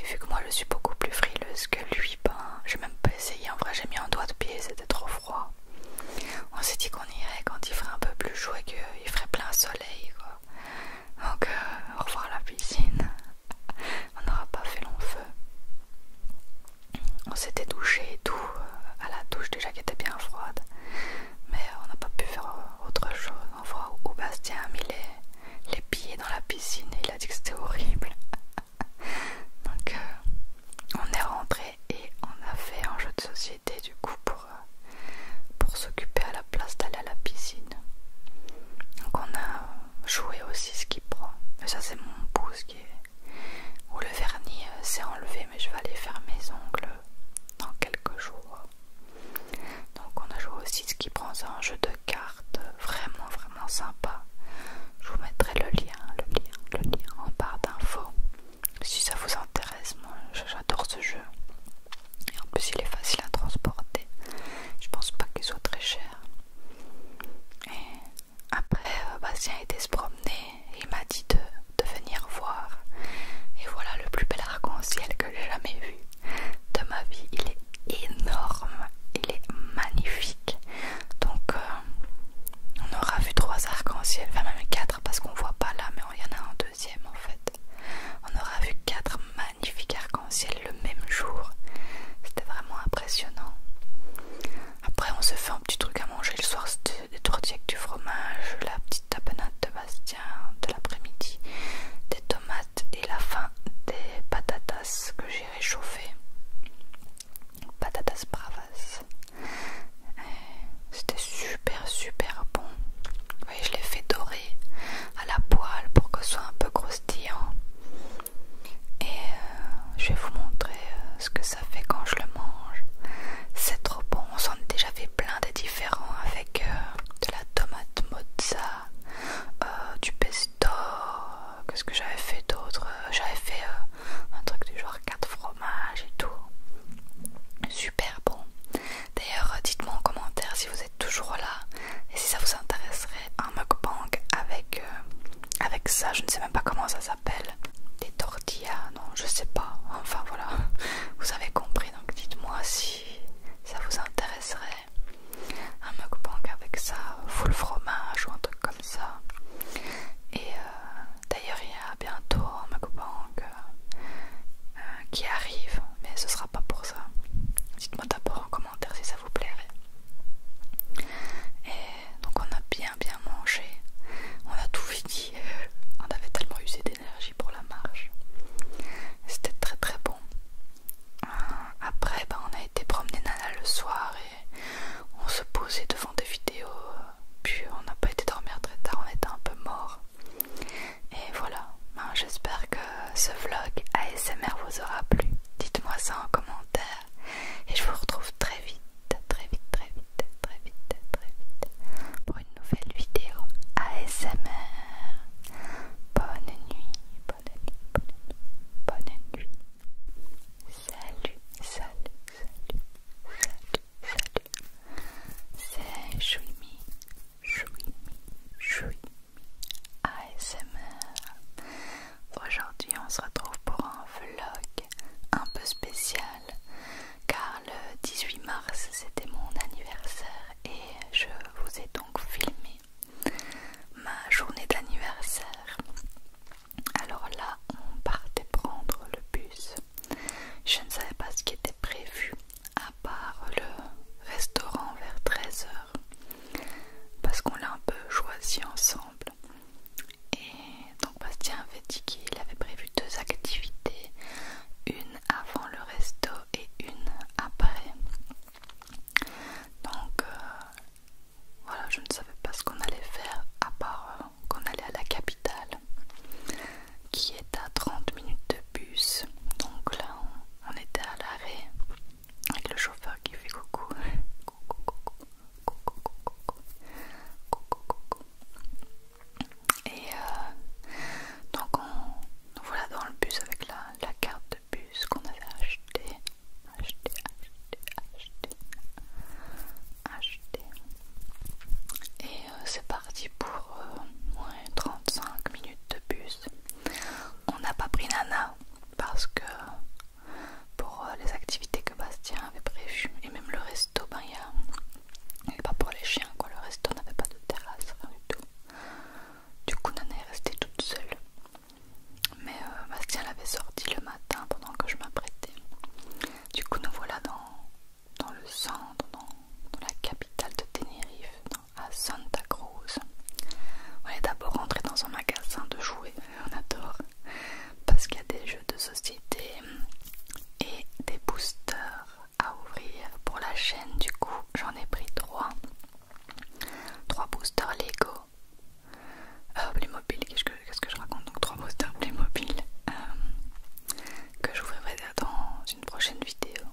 et vu que moi je suis beaucoup plus frileuse que lui pas ben, j'ai même pas essayé en vrai j'ai mis un doigt de pied c'était trop froid on s'est dit qu'on irait quand il ferait un peu plus chaud et qu'il ferait plein soleil. Quoi. Donc euh, au revoir la piscine. On n'aura pas fait long feu. On s'était douché et tout euh, à la douche déjà qui était bien froide. Mais on n'a pas pu faire autre chose. On voit où Bastien a mis les, pieds dans la piscine et il a dit que c'était horrible. *laughs* Donc euh, on est rentré et on a fait un jeu de société du coup euh, pour, s'occuper à la place d'aller à la piscine. Donc on a joué aussi ce qui prend. Mais ça c'est mon pouce qui où le vernis euh, s'est enlevé mais je vais aller faire mes ongles dans quelques jours. Donc on a joué aussi ce qui prend, c'est un jeu de cartes vraiment vraiment sympa. Je vous mettrai le lien, le lien, le lien en barre d'infos. Si ça vous intéresse, moi j'adore ce jeu. Et en plus il est facile à transporter. Je pense pas qu'il soit très cher. Et après euh, Bastien était se promener et il m'a dit de, venir voir. Et voilà le plus bel arc-en-ciel que j'ai jamais vu de ma vie. Il est énorme, il est magnifique. Donc euh, on aura vu trois arcs-en-ciel, enfin même quatre parce qu'on voit pas là, mais il y en a un, en fait. On aura vu quatre magnifiques arcs-en-ciel le même jour. C'était vraiment impressionnant. Après, on se fait un petit truc à manger le soir c'était des tortillas du fromage, la petite tapenade de Bastien de l'après-midi, des tomates et la fin des patatas que j'ai réchauffées. Patatas bravas. C'était super super bon. je l'ai fait dorer à la poêle pour que ce soit un peu croustillant. Et euh, je vais vous montrer euh, ce que ça fait quand je le mange. C'est trop bon. On s'en est déjà fait plein de différents avec euh, de la tomate mozza, du pesto. Qu'est-ce que j'avais fait d'autre J'avais fait un truc du genre 4 fromages et tout. Super bon. D'ailleurs, dites-moi en commentaire si vous êtes toujours là et si ça vous intéresserait un mukbang avec, euh, avec ça. Je ne sais même pas comment ça s'appelle. Des tortillas, non, je ne sais pas. Enfin voilà, *laughs* vous avez compris. Donc dites-moi si ça vous intéresserait un mukbang avec ça, full fromage ou un truc comme ça. Et euh, d'ailleurs, à a bientôt un mukbang euh, qui arrive, mais ce sera pas pour ça. Dites-moi d'abord en commentaire si ça vous plairait. Et donc on a bien bien mangé, on a tout fini, *laughs* on avait tellement usé d'énergie pour la marche. C'était très très bon. Euh, après ben, on a été promener Nana le soir et on se posait devant des vidéos, puis on n'a pas été dormir très tard, on était un peu mort. Et voilà, ben, j'espère que ce vlog ASMR vous aura plu. Dites-moi ça en commentaire et je vous retrouve très vite, très vite, très vite, très vite, très vite pour une nouvelle vidéo ASMR. Bonne nuit, bonne nuit, bonne nuit, bonne nuit. Salut, salut, salut, salut salut. C'est Shuimi, Chouimi Chouimi ASMR. Aujourd'hui, on se retrouve pour un vlog un peu spécial car le 18 mars c'était mon anniversaire et je vous ai donc filmé ma journée d'anniversaire. Alors là, on partait prendre le bus. Je ne savais pas ce qui était prévu à part le restaurant vers 13h parce qu'on l'a un peu choisi ensemble et donc Bastien avait dit qu'il avait prévu deux activités une avant le resto et une après donc euh, voilà je ne savais pas ce qu'on allait faire à part euh, qu'on allait à la capitale qui est à 30 minutes de bus. Donc là, on, était à l'arrêt avec le chauffeur qui fait coucou. coucou, coucou, coucou, coucou, coucou, Et euh, donc, on, nous voilà dans le bus avec la, carte de bus qu'on avait acheté Acheté, acheté, acheté, acheté. Et euh, c'est parti pour 35 euh, minutes de bus. On n'a pas pris Nana parce que pour euh, les activités que Bastien avait prévues et même le resto, ben il n'y a. pas pour les chiens quoi, le resto n'avait pas de terrasse, rien du tout. Du coup, Nana est restée toute seule. Mais Bastien l'avait sorti le matin pendant que je m'apprêtais. Du coup, nous voilà dans dans le centre, dans, la capitale de Tenerife, à Santa Cruz. On est d'abord rentré dans un magasin de jouets, on adore, parce qu'il y a des jeux de société et des boosters à ouvrir pour la chaîne. Du coup, j'en ai pris trois. Trois boosters Lego. Euh, Playmobil, qu'est-ce que, je raconte Donc trois boosters Playmobil euh, que j'ouvrirai dans une prochaine vidéo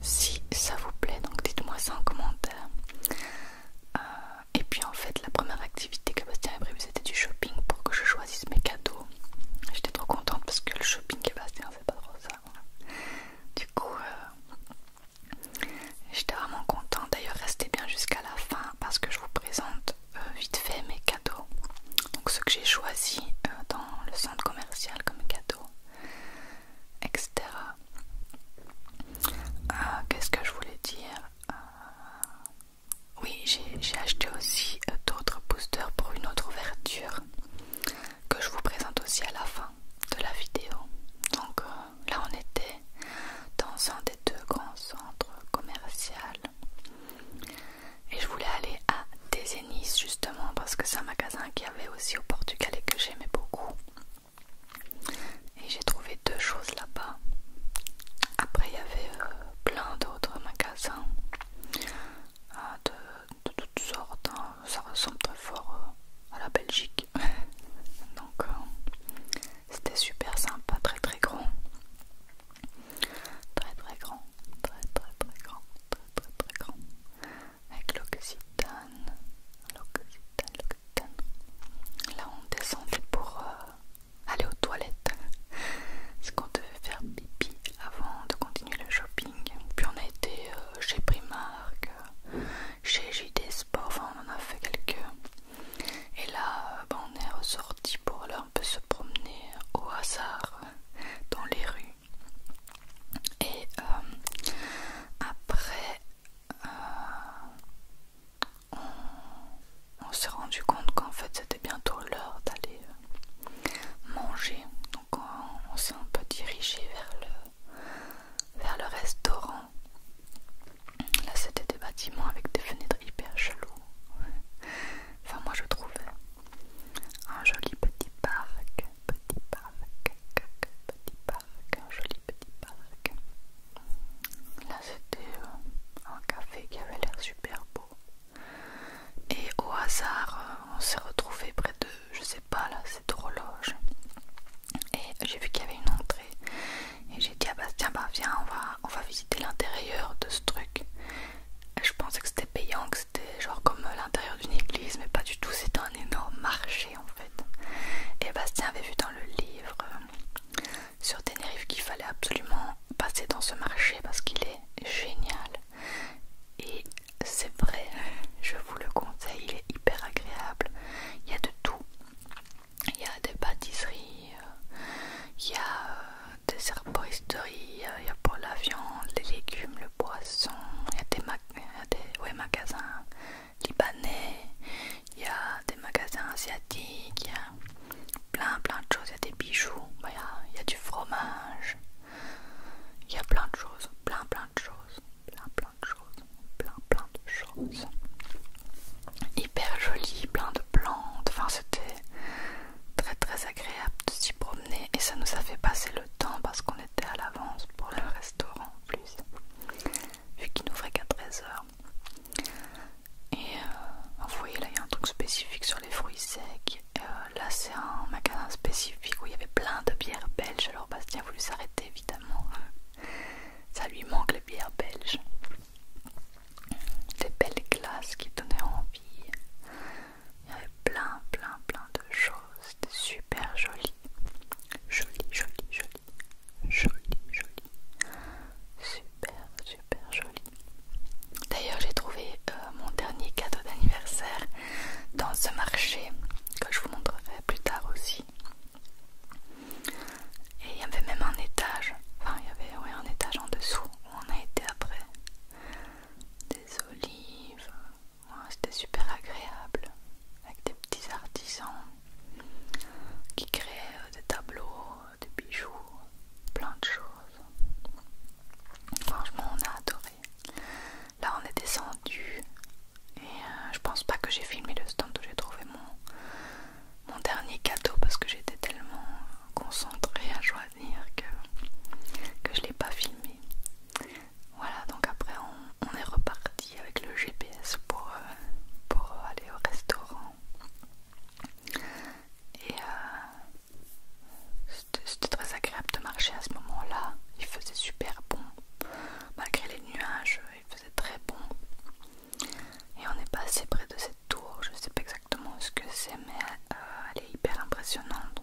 si ça vous plaît. Donc dites-moi ça en commentaire. Euh, et puis en fait, la première activité que Bastien avait prévue, c'était du shopping pour que je choisisse mes cadeaux. J'étais trop contente parce que le shopping Bastien, c'est pas trop ça. Du coup, euh, j'étais vraiment contente. D'ailleurs, restez bien jusqu'à la fin parce que je vous présente euh, vite fait mes cadeaux. Donc, ce que j'ai choisi dans le centre commercial comme cadeau etc. Euh, qu'est-ce que je voulais dire euh, Oui, j'ai acheté aussi euh, d'autres boosters pour une autre ouverture que je vous présente aussi à la fin de la vidéo. Donc là, on était dans un des deux grands centres commerciaux et je voulais aller à Desenis justement parce que c'est un magasin qu'il y avait aussi au Portugal et que j'aimais beaucoup et j'ai trouvé deux choses là-bas après il y avait euh, plein d'autres magasins euh, de, toutes sortes hein. ça ressemble très fort euh, à la Belgique *laughs* donc c'était super sympa très très grand très très grand très très très grand très très très grand avec l'occitane, l'occitane, l'occitane. Là, on descend pour euh, aller aux toilettes. Parce qu'on devait faire pipi avant de continuer le shopping. Puis on a été euh, chez Primark, euh, chez JD Sport, enfin on en a fait quelques. Et là, bah, on est ressorti pour aller un peu se promener au hasard dans les rues. Et euh, après, euh, on, s'est rendu compte qu'en fait c'était bientôt l'heure d'aller euh, manger. Donc on, s'est un peu dirigé vers le, vers le restaurant. Là c'était des bâtiments avec des fenêtres hyper cheloues. Enfin moi je trouvais un joli petit parc petit parc, petit parc, un joli petit parc. Là c'était euh, un café qui avait l'air super beau. Et au hasard, euh, on s'est retrouvé près de, je sais pas là, cette horloge. Et j'ai vu qu'il y avait une entrée. Et j'ai dit à ah Bastien bah viens on va on va visiter l'intérieur de ce truc. je pensais que c'était payant, c'était genre comme l'intérieur d'une église, mais pas du tout, c'était un énorme marché en fait. Et Bastien avait vu dans le livre euh, sur Tenerife qu'il fallait absolument passer dans ce marché parce qu'il est génial. Et c'est vrai, je vous le conseille, il est hyper agréable. Il y a de tout. Il y a des pâtisseries, euh, il y a euh, des herboristeries, il y a pour la viande, les légumes, le poisson, il y a des il y a des magasins libanais, il y a des magasins asiatiques, il y a plein plein de choses, il y a des bijoux, il y a, du fromage, il y a plein de choses, plein plein de choses, plein plein de choses, plein plein de choses. Hyper joli, plein de plantes, enfin c'était très très agréable de s'y promener et ça nous a fait passer le temps parce qu'on à l'avance pour le restaurant en plus, vu qu'il n'ouvrait qu'à 13h. Et euh, vous voyez là, il y a un truc spécifique sur les fruits secs. Euh, là, c'est un magasin spécifique où il y avait plein de bières belges. Alors, Bastien a voulu s'arrêter évidemment. Euh, ça lui manque les bières belges. Des belles glaces qui donnaient envie. Il y avait plein, plein, plein de choses. C'était super joli. Joli, joli, joli. Joli, Super, super joli. D'ailleurs, j'ai trouvé euh, mon dernier cadeau d'anniversaire dans ce marché que je vous montrerai plus tard aussi. Et il y avait même un étage, enfin il y avait un étage en dessous où on a été après. Des olives, c'était super agréable avec des petits artisans qui créaient euh, des tableaux, euh, des bijoux, plein de choses. Franchement, on a adoré. Là, on est descendu et euh, je pense pas que j'ai filmé le stand où j'ai trouvé mon, mon dernier cadeau parce que j'étais tellement concentrée à choisir que, que je l'ai pas filmé. Voilà, donc après on, est reparti avec le GPS euh, pour, aller au restaurant. Et euh, c'était très agréable de marcher à ce moment-là. Il faisait super bon. Malgré les nuages, il faisait très bon. Et on est passé près de cette tour. Je ne sais pas exactement ce que c'est, mais euh, elle est hyper impressionnante.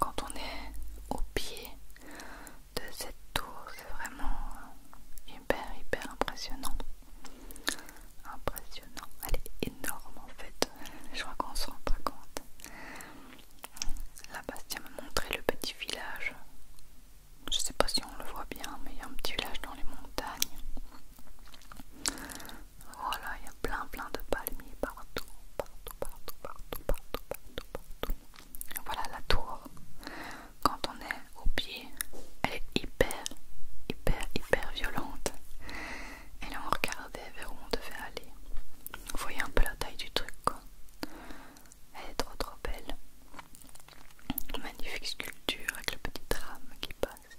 Quand on est au pied de cette tour, c'est vraiment hyper hyper impressionnant. Impressionnant. Elle est énorme en fait. Je crois qu'on se rend pas compte. Là, Bastien m'a montré le petit village. Je sais pas si on le voit bien, mais il y a un petit village dans les montagnes. Voilà, il y a plein plein de palmiers partout, partout, partout, partout, partout, partout, Voilà la tour. Quand on est au pied, elle est hyper, hyper, hyper violente. Et là on regardait vers où on devait aller. Vous voyez un peu la taille du truc quoi. Elle est trop trop belle. Magnifique sculpture avec le petit drame qui passe.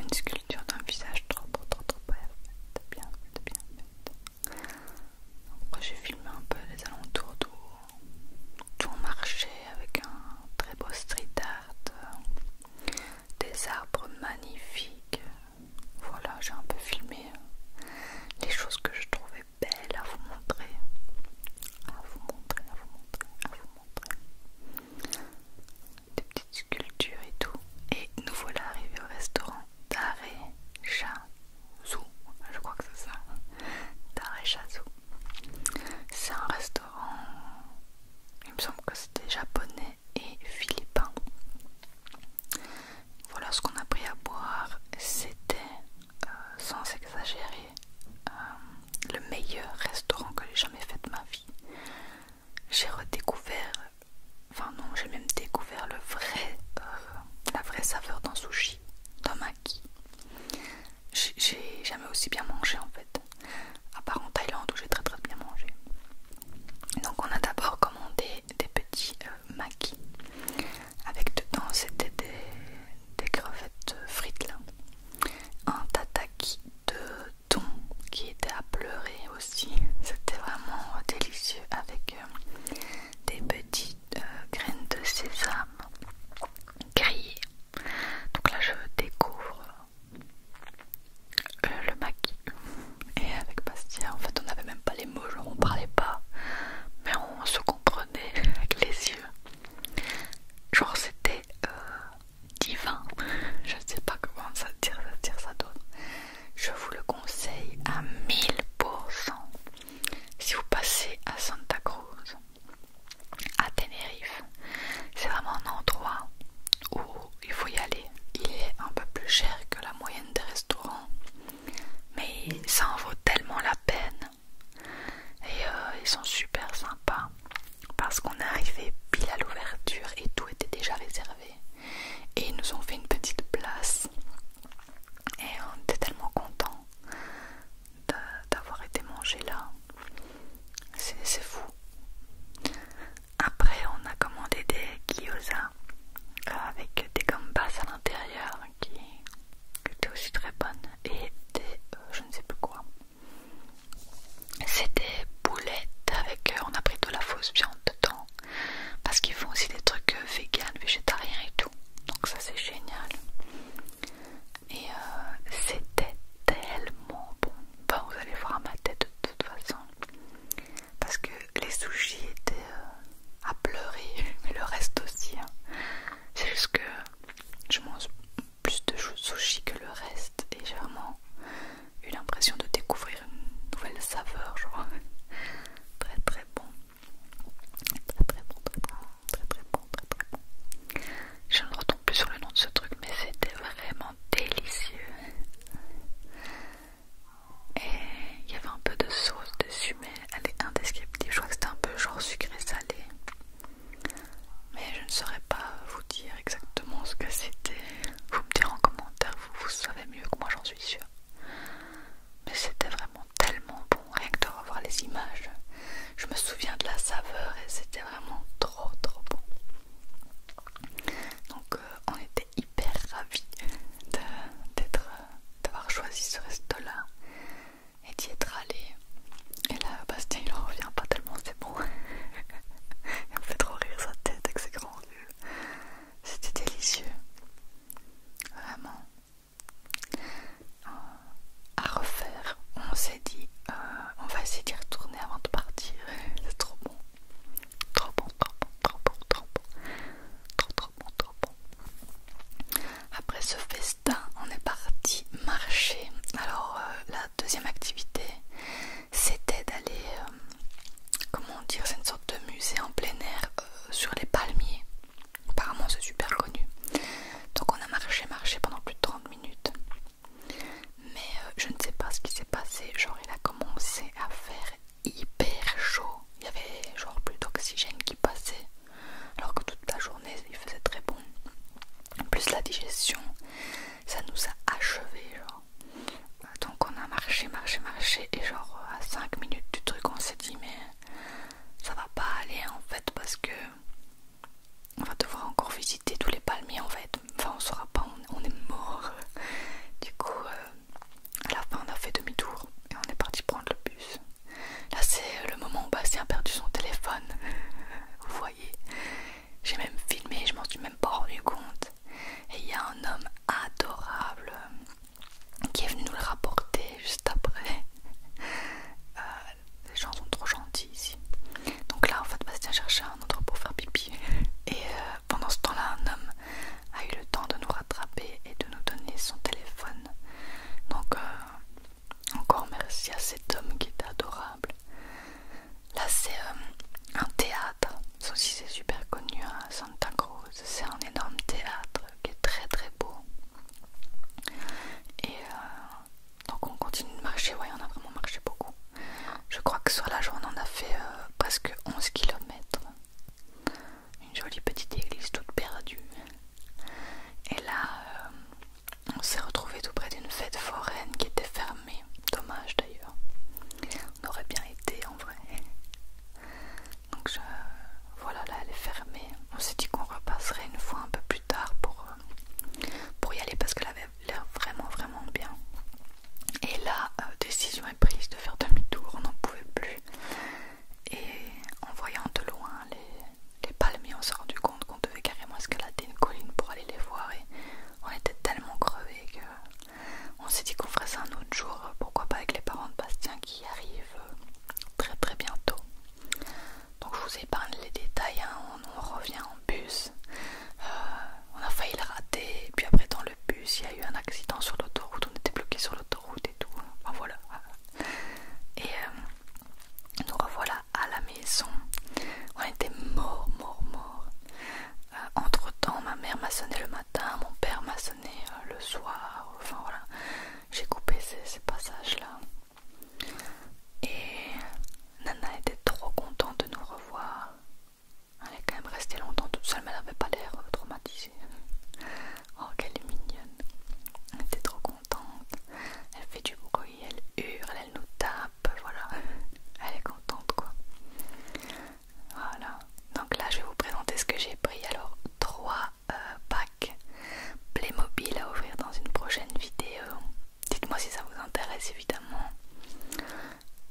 Une sculpture d'un visage trop trop trop trop bien fait bien bien fait j'ai filmé un peu les alentours d'où on marchait avec un très beau street art, euh, des arbres magnifiques. Voilà, j'ai un peu filmé euh, les choses que je trouvais belles à vous montrer. À vous montrer, à vous montrer, à vous montrer. Des petites sculptures et tout. Et nous voilà arrivés au restaurant je crois que c'est ça. C'est un restaurant, il me semble que c'était japonais et philippin. Voilà ce qu'on a pris à boire, c'était euh, sans exagérer euh, le meilleur restaurant que j'ai jamais fait de ma vie j'ai redécouvert, enfin non, j'ai même découvert le vrai, euh, la vraie saveur d'un sushi, d'un maki. J'ai jamais aussi bien mangé en fait, à part en Thaïlande où j'ai très très bien mangé. Donc on a d'abord commandé des petits euh, maquis avec dedans c'était des, des crevettes frites là, un tataki de thon qui était à pleurer c'était vraiment délicieux avec euh, des petites euh, graines de sésame grillées. Donc là, je découvre euh, le maquis. Et avec Bastia, en fait, on n'avait même pas les mots, genre on parlait pas, mais on se comprenait *laughs* avec les yeux. Genre, c'était divin. Je sais pas comment ça dire, ça dire ça donne je vous le conseille à 1000%. Si vous passez à Santa Cruz, à Tenerife, c'est vraiment un endroit où il faut y aller. Il est un peu plus cher que la moyenne des restaurants, mais ça en vaut tellement la peine. Et euh, ils sont super sympas parce qu'on est arrivé pile à l'ouverture et tout était déjà réservé. Et ils nous ont fait une petite place. Et on était tellement content d'avoir été mangé là. C'est fou. Après, on a commandé des gyoza euh, avec des gambas à l'intérieur qui, étaient aussi très bonnes. Et des, euh, je ne sais plus quoi. C'était boulettes avec, euh, on a pris de la fausse viande dedans parce qu'ils font aussi des trucs euh, vegan, végétariens et tout. Donc ça c'est génial. Et euh, c'était tellement bon. Enfin vous allez voir ma tête de toute façon. Parce que les sushis étaient euh, à pleurer, *laughs* mais le reste aussi. Hein. C'est juste que je mange plus de sushis que le reste et j'ai vraiment eu l'impression de découvrir une nouvelle saveur, crois Très très bon. Très très bon, très très bon, Je ne retombe plus sur le nom de ce truc, mais c'était vraiment délicieux. Et il y avait un peu de sauce dessus, mais elle est indescriptible. Je crois que c'était un peu genre sucré-salé. Mais je ne saurais pas vous dire exactement ce que c'était. Vous me direz en commentaire, vous savez mieux que moi, j'en suis sûre. Mais c'était vraiment tellement bon, rien que de revoir les images. Je me souviens de la saveur et c'était vraiment trop trop bon. Donc euh, on était hyper ravis d'avoir choisi ce resto-là et d'y être allé. Et là, Bastien il en revient pas tellement, c'est bon. *laughs* il me fait trop rire sa tête avec ses grands yeux. C'était délicieux. Vraiment. Euh, à refaire, on s'est dit, euh, on va essayer d'y retourner avant de partir. *laughs* C'est trop bon. Trop bon, trop bon, trop bon, trop bon. Trop, bon, Après ce festin, on est parti marcher. Alors, euh, la deuxième activité, c'était d'aller comment dire, c'est une sorte de musée en plein air euh, sur les palmiers. Apparemment, c'est super connu. Donc, on a marché, marché pendant plus de 30 minutes. Mais euh, je ne sais pas ce qui s'est passé. Genre, il a commencé à faire hyper chaud. Il y avait genre plus d'oxygène qui passait. Alors que toute la journée, il faisait très bon. plus, la digestion, ça nous a achevé. Genre donc on a marché, marché, marché et genre euh, à 5 minutes du truc on s'est dit mais ça va pas aller en fait parce que on va devoir encore visiter tous les palmiers en fait. Enfin on saura pas, on, est mort. *laughs* Du coup euh, à la fin on a fait demi-tour et on est parti prendre le bus. Là c'est le moment où Bastien a perdu son téléphone. *laughs* Vous voyez, j'ai même filmé, je m'en suis même pas rendu compte. Et il y a un homme adorable qui est venu nous le rapporter juste après. *laughs* Euh, les gens sont trop gentils ici. Donc là, en fait, Bastien cherchait un endroit pour faire pipi. *laughs* Et euh, pendant ce temps-là, un homme a eu le temps de nous rattraper et de nous donner son téléphone. Donc, euh, encore merci à cet homme qui est adorable. Là, c'est un théâtre. Ça aussi, c'est super connu. Hein, c'est un énorme théâtre qui est très très beau. Et euh, donc on continue de marcher, ouais on a vraiment marché beaucoup. Je crois que sur la journée on a fait euh, presque 11 km. Une jolie petite église toute perdue. Et là euh, on s'est retrouvé tout près d'une fête foraine qui était fermée. Dommage d'ailleurs. On aurait bien été en vrai. Donc voilà, là elle est fermée. On s'est dit qu'on repasserait une fois un peu plus tard pour, euh, pour y aller parce qu'elle avait l'air vraiment vraiment bien. Et là, euh, décision est prise de faire demi-tour, on n'en pouvait plus. Et en voyant de loin les, les palmiers, on s'est rendu compte qu'on devait carrément escalader une colline pour aller les voir. Et on était tellement crevés que on s'est dit qu'on ferait ça un autre jour, pourquoi pas avec les parents de Bastien qui arrivent euh, très très bientôt. Donc je vous épargne les détails, hein. on, revient en bus. Euh, on a failli le rater, puis après dans le bus il y a eu un accident sur l'autoroute, on était bloqué sur l'autoroute et tout. Enfin voilà. Et euh, nous revoilà à la maison. On était mort, mort, mort. entre temps, ma mère m'a sonné le matin, mon père m'a sonné euh, le soir, enfin voilà, j'ai coupé ces, passages-là. Et Nana était trop contente de nous revoir. Elle est quand même restée longtemps toute seule, mais elle n'avait pas l'air euh, traumatisée. Oh, qu'elle est mignonne! Elle était trop contente. Elle fait du bruit, elle hurle, elle nous tape, voilà. Elle est contente quoi. Voilà. Donc là, je vais vous présenter ce que j'ai pris. Alors, trois euh, packs Playmobil à ouvrir dans une prochaine vidéo. Dites-moi si ça vous intéresse, évidemment.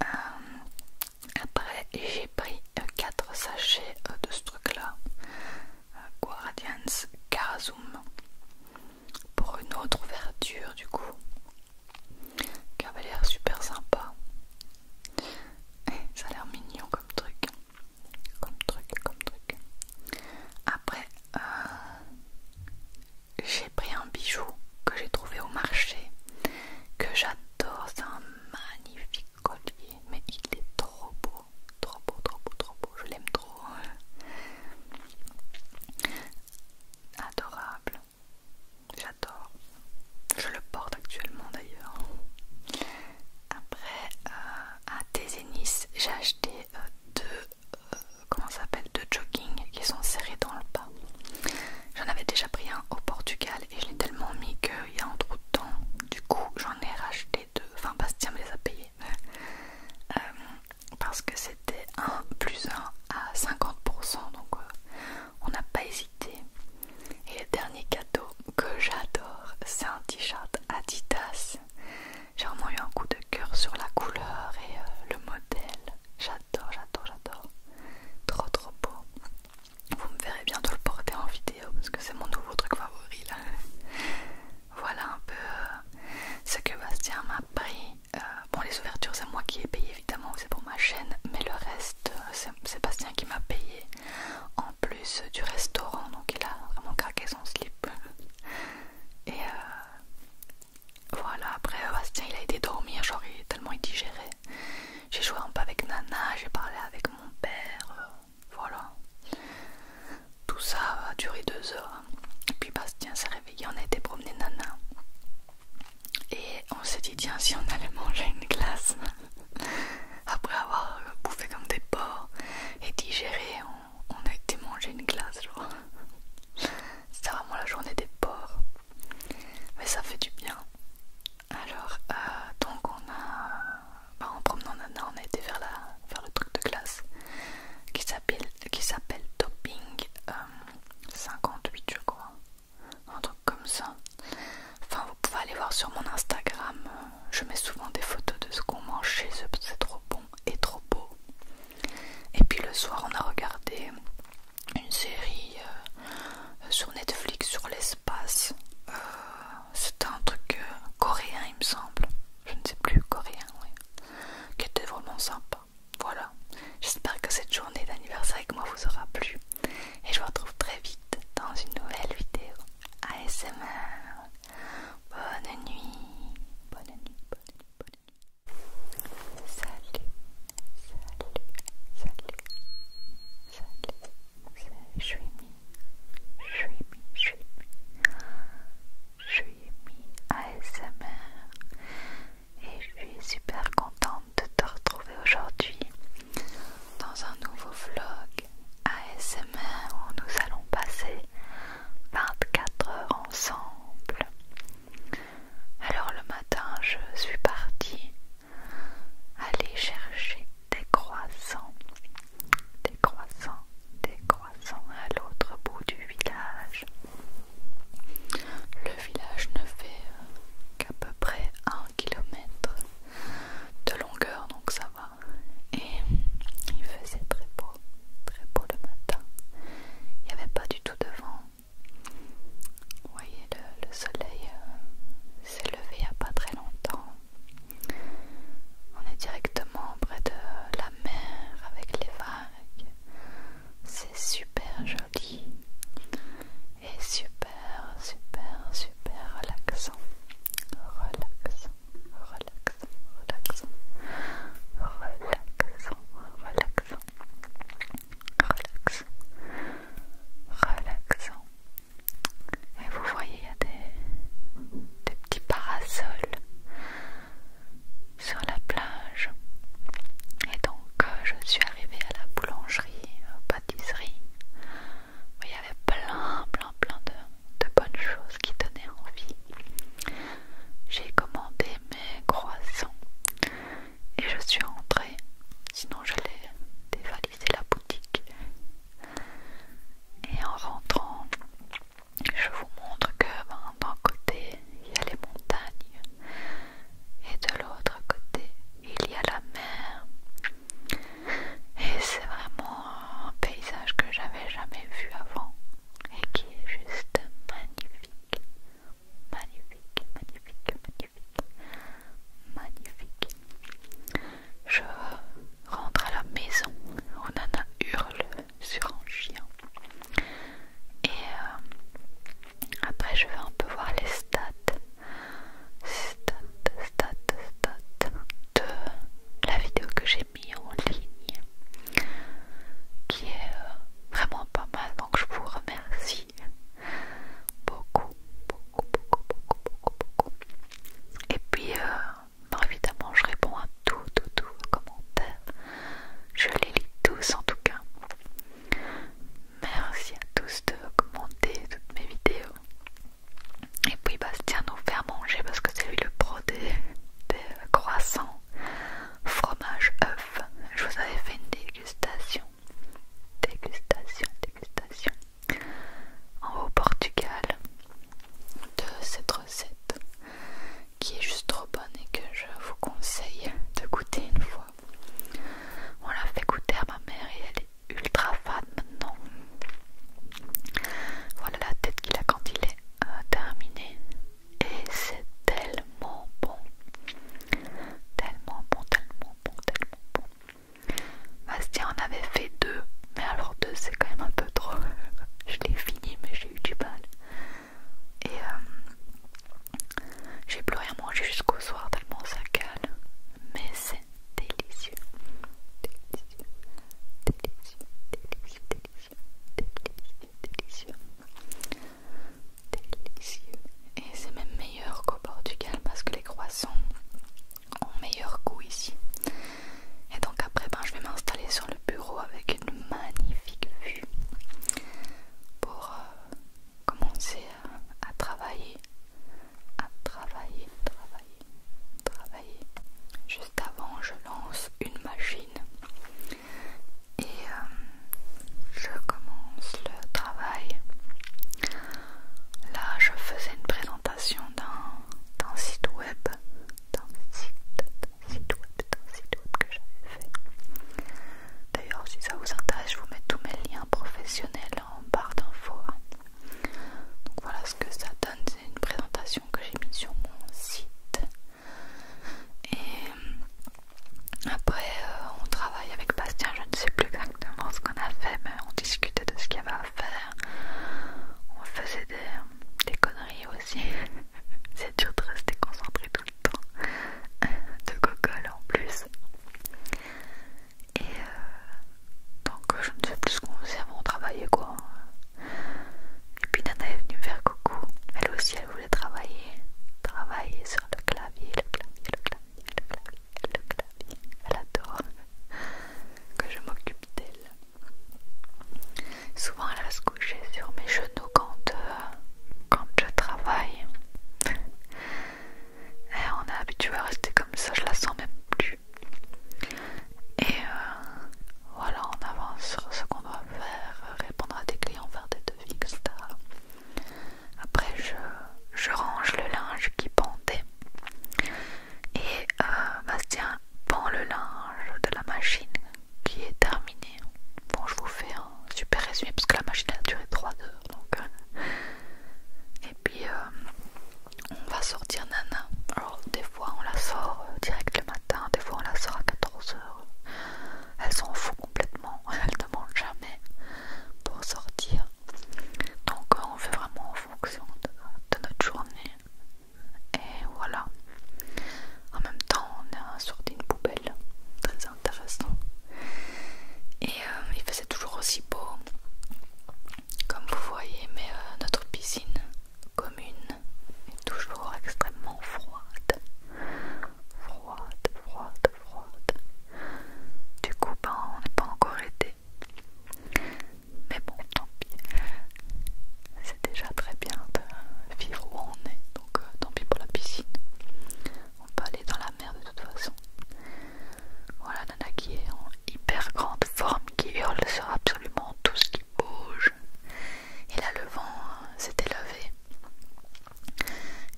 Euh, après, j'ai pris 4 euh, sachets de ce truc-là. Guardians Karazum. Pour une autre ouverture, du coup. Qui avait l'air super sympa. Eh, ça a l'air mignon comme truc. Comme truc, comme truc. Après, euh, j'ai pris un bijou que j'ai trouvé au marché. Que j'adore. C'est un magnifique collier. Mais il est trop beau. Trop beau, trop beau, trop beau. Je l'aime trop. Hein. Adorable. J'adore. Je le porte actuellement d'ailleurs. Après, euh, à Tézénis, j'ai acheté euh, deux, euh, comment jogging qui sont serrés dans le bas J'en avais déjà pris un au Portugal et je l'ai tellement mis qu'il y a un trou de temps. Du coup, j'en ai racheté deux. Enfin, Bastien me les a payés. parce que c'était 1 plus 1 à 50%. Donc, on n'a pas hésité. Et le dernier cadeau que j'adore, c'est un t-shirt Adidas. J'ai vraiment eu un coup de cœur sur la couleur et euh, le modèle. J'adore, j'adore, j'adore. Trop, trop beau. Vous me verrez bientôt le porter en vidéo parce que c'est mon nouveau truc favori là. voilà un peu euh, ce que Bastien m'a pris. Euh, bon, les ouvertures, c'est moi qui ai payé évidemment, c'est pour ma chaîne, mais le reste, c'est Bastien qui m'a payé plus du restaurant, donc il a vraiment craqué son slip. Et euh, voilà, après Bastien il a été dormir, genre il, tellement digéré. J'ai joué un peu avec Nana, j'ai parlé avec mon père, euh, voilà. Tout ça a duré deux heures. Hein. puis Bastien s'est réveillé, on a été promener Nana. Et on s'est dit, tiens, si on allait manger une glace. *laughs* après avoir euh, bouffé comme des porcs et digéré, on, a été manger une glace, genre. *laughs* C'était vraiment la journée des porcs. Mais ça fait du bien. Alors, euh, donc on a... Bah, en promenant Nana, on a été vers, la, le truc de glace qui s'appelle Topping 58, euh, je crois. Un truc comme ça. Enfin, vous pouvez aller voir sur mon Instagram. Je mets souvent des photos de ce qu'on mange chez eux, c'est trop bon et trop beau. Et puis le soir, on a regardé une série euh, sur Netflix sur l'espace. Euh, c'était un truc euh, coréen, il me semble. Je ne sais plus, coréen, oui. Qui était vraiment sympa. Voilà. J'espère que cette journée d'anniversaire avec moi vous aura plu. Et je vous retrouve très vite dans une nouvelle vidéo ASMR. Bonne nuit. Bonne nuit. Bonne nuit. Salut. Salut. Salut. Salut. Je suis mi Je Je suis ASMR. Et je suis super contente de te retrouver aujourd'hui dans un nouveau vlog ASMR où nous allons passer 24 heures ensemble. Alors le matin, je suis partie aller chercher des croissants, des croissants, des croissants à l'autre bout du village. Le village ne fait euh, qu'à peu près un kilomètre de longueur, donc ça va et il faisait très beau, très beau le matin. Il n'y avait pas du tout de vent. Vous voyez, le, soleil euh, s'est levé il n'y a pas très longtemps. On est directement près de la mer avec les vagues. C'est super joli et super super, super, super relaxant. Relaxant, relaxant, relaxant. Relaxant, relaxant. Relax. Relaxant. Et vous voyez, il y a des, des petits parasols sur la plage. Et donc, euh, je suis arrivée à la boulangerie, euh, pâtisserie, il y avait plein, plein, plein de, bonnes choses qui donnaient envie. J'ai commandé mes croissants et je suis rentrée, sinon je l'ai dévalisé la boutique. Et en rentrant, je vous montre que ben, d'un côté il y a les montagnes et de l'autre côté il y a la mer. Et c'est vraiment un paysage que j'avais jamais vu avant et qui est juste magnifique. Magnifique, magnifique, magnifique, magnifique. Je rentre à la maison où Nana hurle sur un chien. Et euh, après, je vais un peu voir les stats. Stats, stats, stats de la vidéo que j'ai mis en ligne qui est euh, vraiment pas mal donc je vous remercie beaucoup beaucoup beaucoup beaucoup beaucoup beaucoup et puis euh, évidemment je réponds à tout tout tout vos commentaires je les lis tous en tout cas merci à tous de commenter toutes mes vidéos et puis Bastien nous fait manger parce que c'est lui le pro des, croissants fromage œuf. Je vous avais fait une dégustation, dégustation, dégustation en, au Portugal de cette recette qui est juste trop bonne et que je vous conseille de goûter une fois. On l'a fait goûter à ma mère et elle ultra fan maintenant. Voilà la tête qu'il a quand il est euh, terminé. Et c'est tellement bon. Tellement bon, tellement bon, tellement bon. Bastien en avait fait deux. Mais alors deux c'est quand même un peu trop. *laughs* je l'ai fini mais j'ai eu du mal. Et euh, j'ai plus rien mangé jusqu'au soir tellement ça calme, Mais c'est délicieux, délicieux, délicieux, délicieux, délicieux, délicieux, délicieux. Et c'est même meilleur qu'au Portugal parce que les croissants ont meilleur goût ici. Et donc après, ben, je vais m'installer sur le bureau avec une magnifique vue pour euh, commencer à travailler à travailler, travailler, travailler. Juste avant, je lance une machine et euh, je commence le travail. Là, je faisais une présentation d'un site web, d'un site, web, d'un site web que j'avais fait. D'ailleurs, si ça vous intéresse, je vous mets tous mes liens professionnels en barre d'infos. Donc voilà ce que ça donne, c'est une présentation que j'ai mise sur mon site. Et après euh, on travaille avec Bastien, je ne sais plus exactement ce qu'on a fait, mais on discutait de ce qu'il y avait à faire. On faisait des, conneries aussi. *laughs* c'est dur de rester concentré tout le temps. *laughs* de cocolle en plus. Et, euh, donc euh, je ne sais plus ce qu'on faisait avant, on quoi. Et puis Nana est venue me faire coucou. Elle aussi, elle voulait travailler. Travailler sur le clavier, le clavier, le clavier, le clavier, Elle adore que je m'occupe d'elle. Souvent, elle se coucher sur mes genoux quand, euh, quand je travaille. on est habitué à rester comme ça, je la sens même plus. Et euh, voilà, on avance sur ce qu'on doit faire, répondre à des clients, faire des devis, etc. Après, je, range le linge qui pendait. Et euh, Bastien pend le linge de la machine qui est terminée. Bon, je vous fais un super résumé parce que la machine a duré 3 heures. Donc, euh. et puis, on va sortir Nana. Alors des fois on la sort euh, direct le matin, des fois on la sort à 14h. Elle s'en fout complètement, *laughs* elle demande jamais pour sortir. Donc euh, on fait vraiment en fonction de, notre journée. Et voilà. En même temps on a sorti une poubelle, très intéressant. Et euh, il faisait toujours aussi beau comme vous voyez, mais euh, notre piscine commune est toujours extrêmement froide. Froide, froide, froide. Du coup, ben, on n'est pas encore été. Mais bon, tant pis. C'est déjà très bien de vivre où on est, donc euh, tant pis pour la piscine. On peut aller dans la mer de toute façon. Voilà Nana qui est en hyper grande forme qui hurle sur absolument tout ce qui bouge. Et là, le vent euh, s'était levé.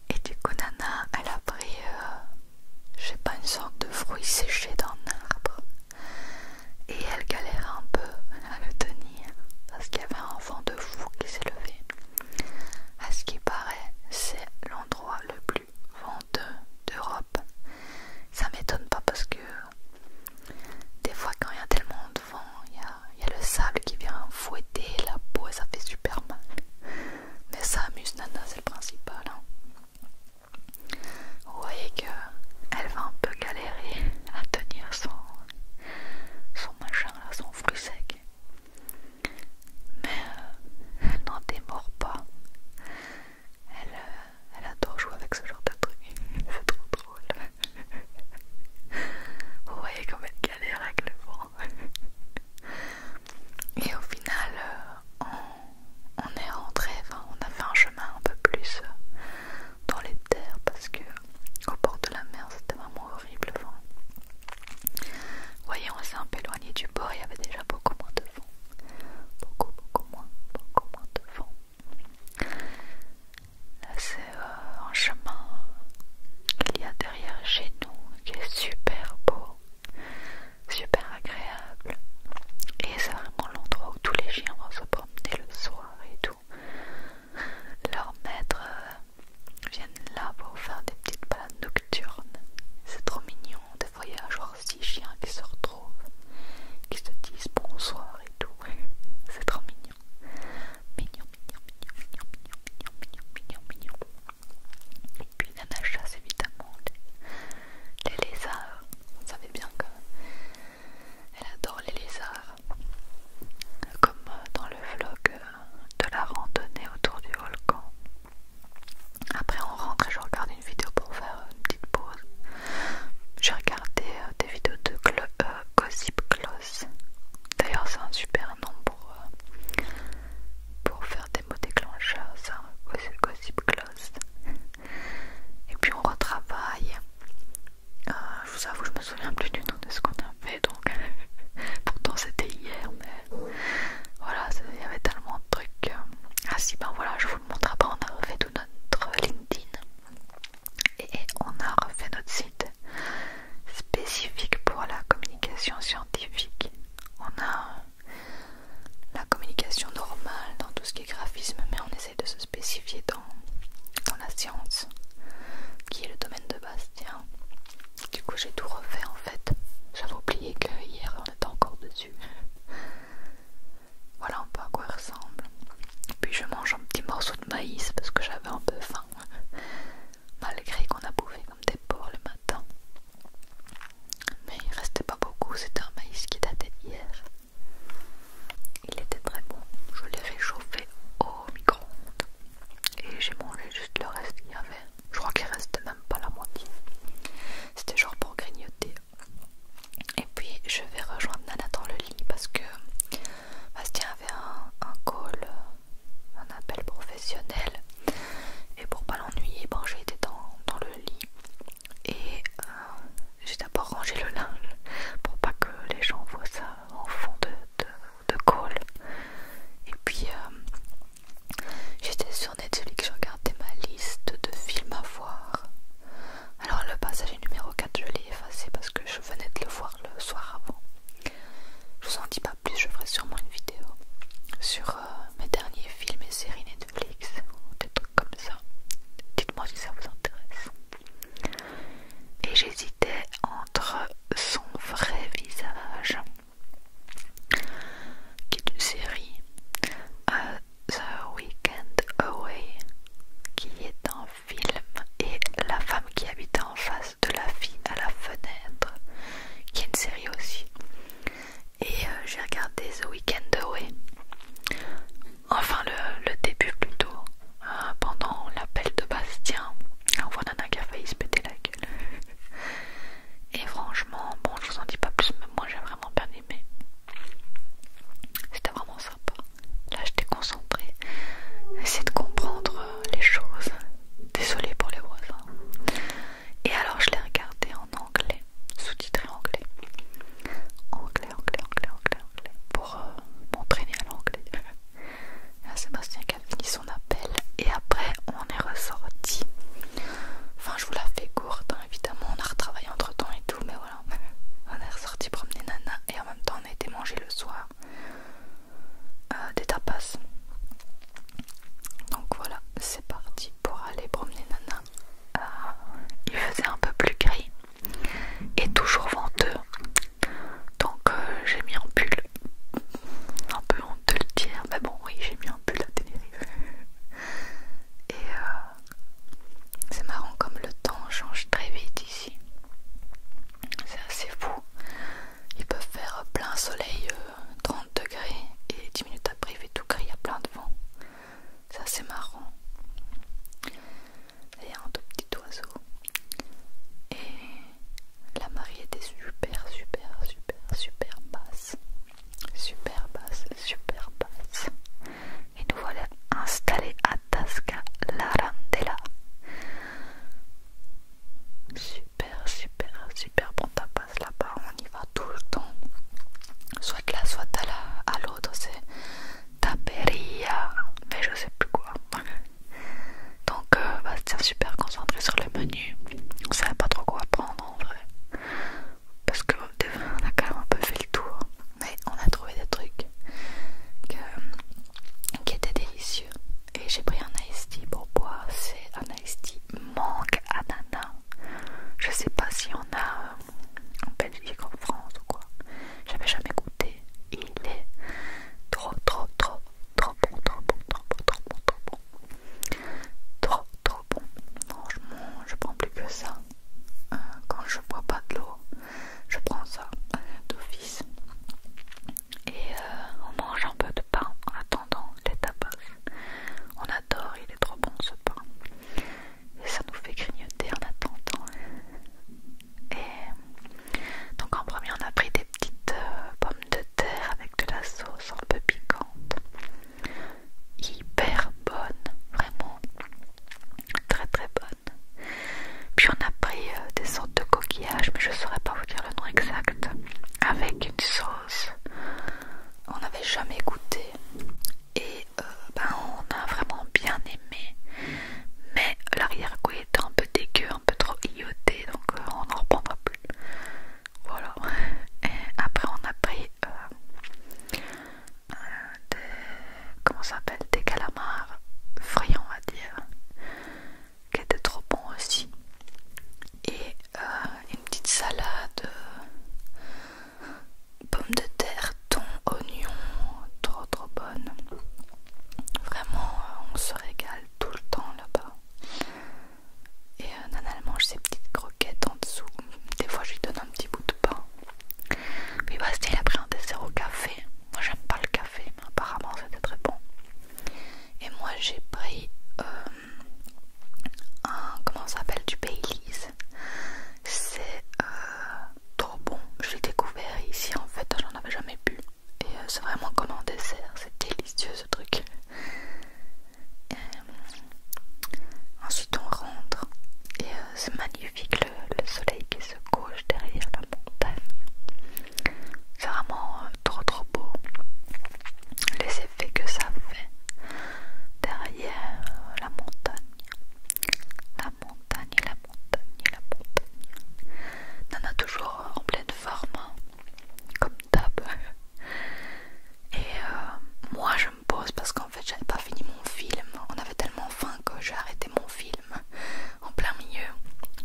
Et du coup, Nana, elle a pris, euh, je sais pas, une sorte de fruit séché d'un arbre. Et elle galère un peu à le tenir parce qu'il y avait un vent de fou qui s'est levé. À ce qui paraît, c'est l'endroit le plus venteux d'Europe. Ça m'étonne pas parce que des fois quand il y a tellement de vent, il y, a le sable qui vient fouetter la peau et ça fait super mal. Mais ça amuse Nana, c'est le principal. Hein. Vous voyez qu'elle va un peu galérer à tenir son, son machin, son fruit sec. Mais elle euh, n'en démord pas. Euh, elle, adore jouer avec ce genre de trucs. *laughs* C'est trop drôle. *laughs* Vous voyez comme elle galère avec le vent. *laughs* Et au final, euh, on, est rentré, on a fait un chemin un peu plus euh, dans les terres parce que bord de la mer c'était vraiment horrible vent. Vous voyez, on s'est un peu éloigné du bord, il y avait déjà beaucoup moins de vent. Beaucoup, beaucoup moins, beaucoup moins de vent. C'est un euh, chemin qu'il y a derrière chez nous qui est super beau, super agréable. Et c'est vraiment l'endroit où tous les chiens vont se promener le soir et tout. Leurs maîtres euh, viennent là pour faire des petites balades nocturnes. C'est trop mignon. Des voyageurs chiens qui qui se disent bonsoir et tout. *laughs* C'est trop mignon. Mignon, mignon, mignon, mignon, mignon, mignon, mignon, mignon. Et puis Nana chasse évidemment les, lézards. Vous savez bien qu'elle adore les lézards. Comme euh, dans le vlog euh, de la randonnée autour du volcan. Après on rentre et je regarde une vidéo pour faire une petite pause. J'ai regardé euh, des vidéos de euh, Gossip Close. D'ailleurs, c'est un super nom euh, pour, faire des mots déclencheurs, ça, Gossip Close. Et puis on retravaille. je vous avoue, je me souviens plus du nom de ce qu'on a fait, donc *laughs* pourtant c'était hier, mais voilà, il y avait tellement de trucs. Ah si, ben voilà, je vous le montre pas, on a refait tout notre LinkedIn. Et on a refait notre site spécifique pour la communication scientifique. On a la communication normale dans tout ce qui est graphisme, mais on essaye de se spécifier dans, la science, qui est le domaine de Bastien. du coup j'ai tout refait en fait. J'avais oublié que hier on était encore dessus. Voilà un peu à quoi il ressemble. Puis je mange un petit morceau de maïs parce que j'avais un peu faim. *laughs* Malgré qu'on a bouffé comme des porcs le matin. Mais il restait pas beaucoup, c'était un maïs qui datait d'hier. Il était très bon. Je l'ai réchauffé au micro-ondes. Et j'ai mangé juste le reste qu'il y avait. Je crois qu'il restait même pas la moitié. C'était genre pour grignoter et puis je vais rejoindre Nana dans le lit parce que Bastien avait un, call, un appel professionnel. Et pour pas l'ennuyer, bon, j'ai été dans, le lit. Et euh, j'ai d'abord rangé le linge pour pas que les gens voient ça en fond de, call. Et puis euh, j'étais sur Netflix, je regardais ma liste de films à voir. Alors le passager numéro 4 je l'ai effacé parce que je venais de le voir le soir avant. Je vous en dis pas plus, je ferai sûrement une vidéo sur euh, mes derniers films et séries Netflix ou des trucs comme ça. Dites-moi si ça vous intéresse. Et j'hésitais entre son vrai visage, qui est une série, euh, The Weekend Away, qui est en film et La femme qui habitait en face de la fille à la fenêtre, qui est une série aussi. Et euh, j'ai regardé The Weekend Away, enfin le, début plutôt, hein, pendant l'appel de Bastien. On voit Nana qui a failli se péter la gueule. Et franchement, bon, je vous en dis pas plus, mais moi j'ai vraiment bien aimé. C'était vraiment sympa. Là, j'étais concentrée. Essayer de comprendre euh, les choses. Désolée pour les voisins. Et alors, je l'ai regardé en anglais, sous-titré anglais. Anglais, anglais, anglais, anglais, anglais. Pour euh, m'entraîner à l'anglais. Là, *laughs* Sébastien qui a fini son appel. Et après, on est ressorti. Enfin, je vous la fais courte, hein, évidemment. On a retravaillé entre temps et tout, mais on est ressorti promener Nana et en même temps on a été manger le soir euh, des tapas. Donc voilà, c'est parti pour aller promener Nana. Euh, il faisait un peu plus gris et toujours venteux. Donc euh, j'ai mis un pull. Un peu en deux le mais bon oui j'ai mis un pull à Tenerife. Et c'est marrant comme le temps change très vite ici. C'est assez fou. Ils peuvent faire plein soleil, 30 euh, degrés, et 10 minutes après il fait tout gris, il y a plein de vent. C'est assez marrant. Et il y a un tout petit oiseau. Et la marée était super, super, super, super basse. Super basse, super basse et nous voilà installés à Tasca Larandela. Super, super, super bon tapas là-bas, on y va tout le temps. Soit là, soit à l'autre, c'est Taperia, mais je sais plus quoi. *laughs* Donc, va euh, bah, super concentré sur le menu. On savait pas trop quoi prendre en vrai. Parce que on a quand même un peu fait le tour. Mais on a trouvé des trucs qui était délicieux. Et j'ai pris un iced pour boire. C'est un iced manque ananas. Je sais pas si on a euh, en Belgique, en France ou quoi. J'avais jamais goûté. Il est trop, trop, trop, trop bon, trop bon, trop trop bon, trop bon. Trop, trop bon. Franchement, je prends plus que ça. Euh, quand je bois pas de l'eau, je prends ça euh, d'office et euh, on mange un peu de pain en attendant les tapas. On adore, il est trop bon ce pain et ça nous fait grignoter en attendant. Et donc en premier on a pris des petites euh, pommes de terre avec de la sauce un peu piquante, hyper bonne, vraiment. Très très bonne. Puis on a pris euh, des sortes de coquillages, mais je ne saurais pas vous dire le nom exact. Avec une sauce. On n'avait jamais goûté. Et euh, ben, on a vraiment bien aimé. Mais l'arrière-goût était un peu dégueu, un peu trop ioté, donc euh, on n'en reprendra plus. Voilà. Et après on a pris des, comment s'appelle, des calamars friands on dire, qui étaient trop bons aussi, et euh, une petite salade, euh, pommes de terre, thon, oignon, trop trop bonne. Vraiment, euh, on se régale tout le temps là-bas. Et nanal Nana, mange ses petites croquettes en dessous. Des fois, je lui donne un petit bout de pain. Puis Bastien il a pris un dessert au café. Moi j'aime pas le café, mais apparemment c'était très bon. Et moi j'ai pris euh, un comment ça s'appelle du Baileys. C'est euh, trop bon. J'ai découvert ici en fait, j'en avais jamais bu. Et euh, c'est vraiment comme un dessert, c'est délicieux ce truc. ensuite on rentre et c'est magnifique le, soleil qui se couche derrière la montagne. C'est vraiment euh, trop trop beau. Les effets que ça fait derrière la montagne. La montagne, la montagne, la montagne. a toujours euh, en pleine forme, hein, comme d'hab. Et euh, moi je me pose parce qu'en fait j'avais pas fini mon film. On avait tellement faim que j'ai arrêté mon film en plein milieu.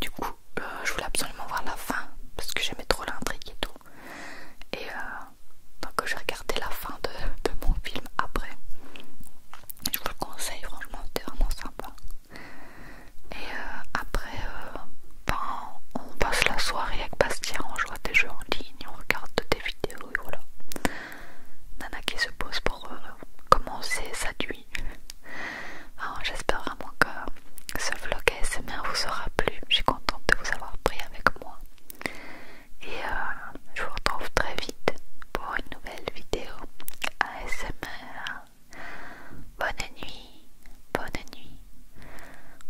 Du coup, euh, je voulais absolument voir la fin parce que j'aimais trop l'intrigue et tout. Et euh, donc, j'ai regardé la fin de, mon film après. Je vous le conseille, franchement, c'était vraiment sympa. Et euh, après, ben, on passe la soirée avec Bastien, on joue à des jeux en ligne, on regarde des vidéos et voilà. Nana qui se pose pour euh, commencer sa nuit. Hein, j'espère vraiment que ce vlog ASMR vous aura plu. Je suis contente de vous avoir pris avec moi. Et euh, je vous retrouve très vite pour une nouvelle vidéo ASMR. Bonne nuit, bonne nuit,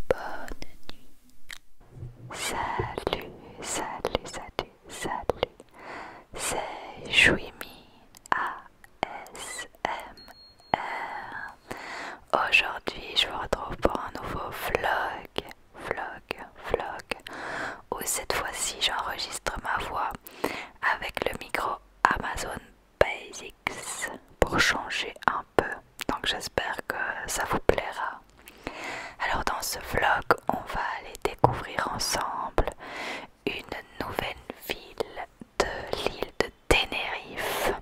bonne nuit. Salut, salut, salut salut. C'est Jouimi ASMR. Aujourd'hui, je vous retrouve pour un nouveau vlog, vlog, vlog, où cette fois-ci j'enregistre ma voix avec le micro Amazon Basics pour changer un peu. Donc j'espère que ça vous plaira. Alors dans ce vlog, on va aller découvrir ensemble une nouvelle ville de l'île de Tenerife.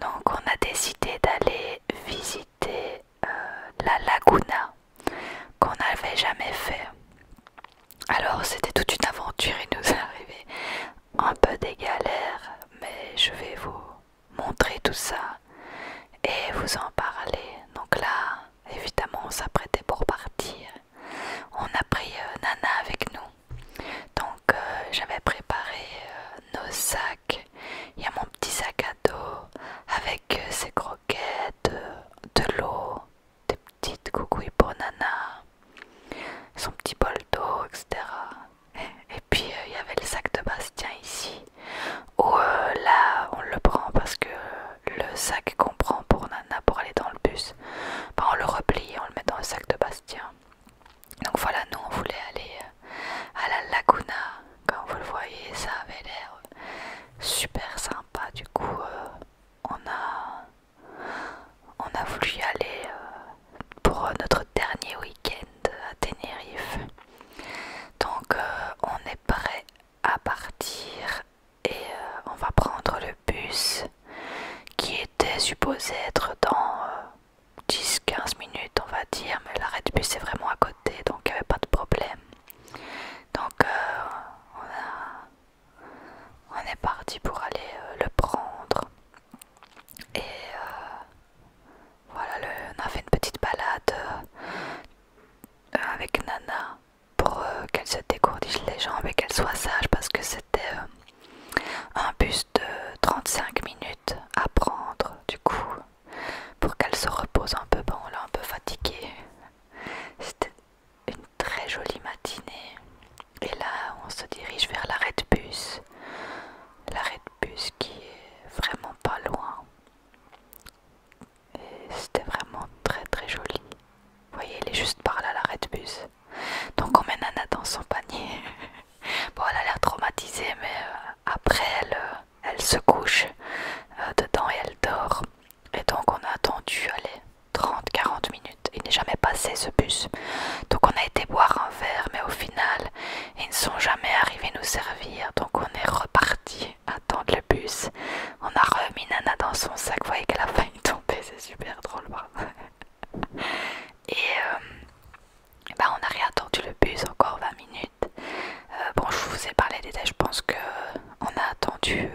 Donc on a décidé d'aller visiter euh, la Laguna qu'on n'avait jamais fait. Alors c'était toute une aventure, et nous est *laughs* arrivé un peu des galères, mais je vais vous montrer tout ça et vous en parler. Donc là, évidemment on s'apprêtait pour partir. On a pris euh, Nana avec nous. Donc euh, j'avais préparé euh, nos sacs. Il y a mon petit sac à dos avec ses croquettes, de, l'eau, des petites coucouilles pour Nana, son petit bol d'eau, etc. Et puis il y avait le sac de Bastien ici, où là on le prend parce que le sac qu'on prend pour Nana pour aller dans le bus, on le replie, on le met dans le sac de Bastien. Donc voilà, nous on voulait aller euh, à la Laguna, comme vous le voyez, ça avait l'air super sympa. Du coup, euh, on a on a voulu aller euh, pour notre dernier week-end à Tenerife. Donc on est prêt à partir et euh, on va prendre le bus qui était supposé être dans 10-15 euh, minutes on va dire mais l'arrêt de bus est vraiment à côté donc il n'y avait pas de problème donc euh, on, on est parti pour aller le prendre et voilà on a fait une petite balade avec Nana pour euh, qu'elle se décourdisse les jambes et qu'elle soit sage parce que c'était euh, un bus de 35 minutes à prendre du coup pour qu'elle se repose un peu bon là un peu fatiguée c'était une très jolie matinée et là on se dirige vers l'arrêt de bus l'arrêt de bus qui est vraiment pas loin et c'était vraiment très très joli. Vous voyez, il est juste par là, l'arrêt de bus. Donc on met Nana dans son panier. *laughs* bon, elle a l'air traumatisée, mais euh, après elle, euh, elle se couche euh, dedans et elle dort. Et donc on a attendu, allez, 30-40 minutes. Il n'est jamais passé ce bus. Donc on a été boire un verre, mais au final, ils ne sont jamais arrivés nous servir. Donc on est reparti attendre le bus. On a remis Nana dans son sac. voyez qu'elle a faim est *laughs* tombé, c'est super drôle. *laughs* et, euh, bah on a réattendu le bus encore 20 minutes. Euh, bon, je vous ai parlé des je pense que euh, on a attendu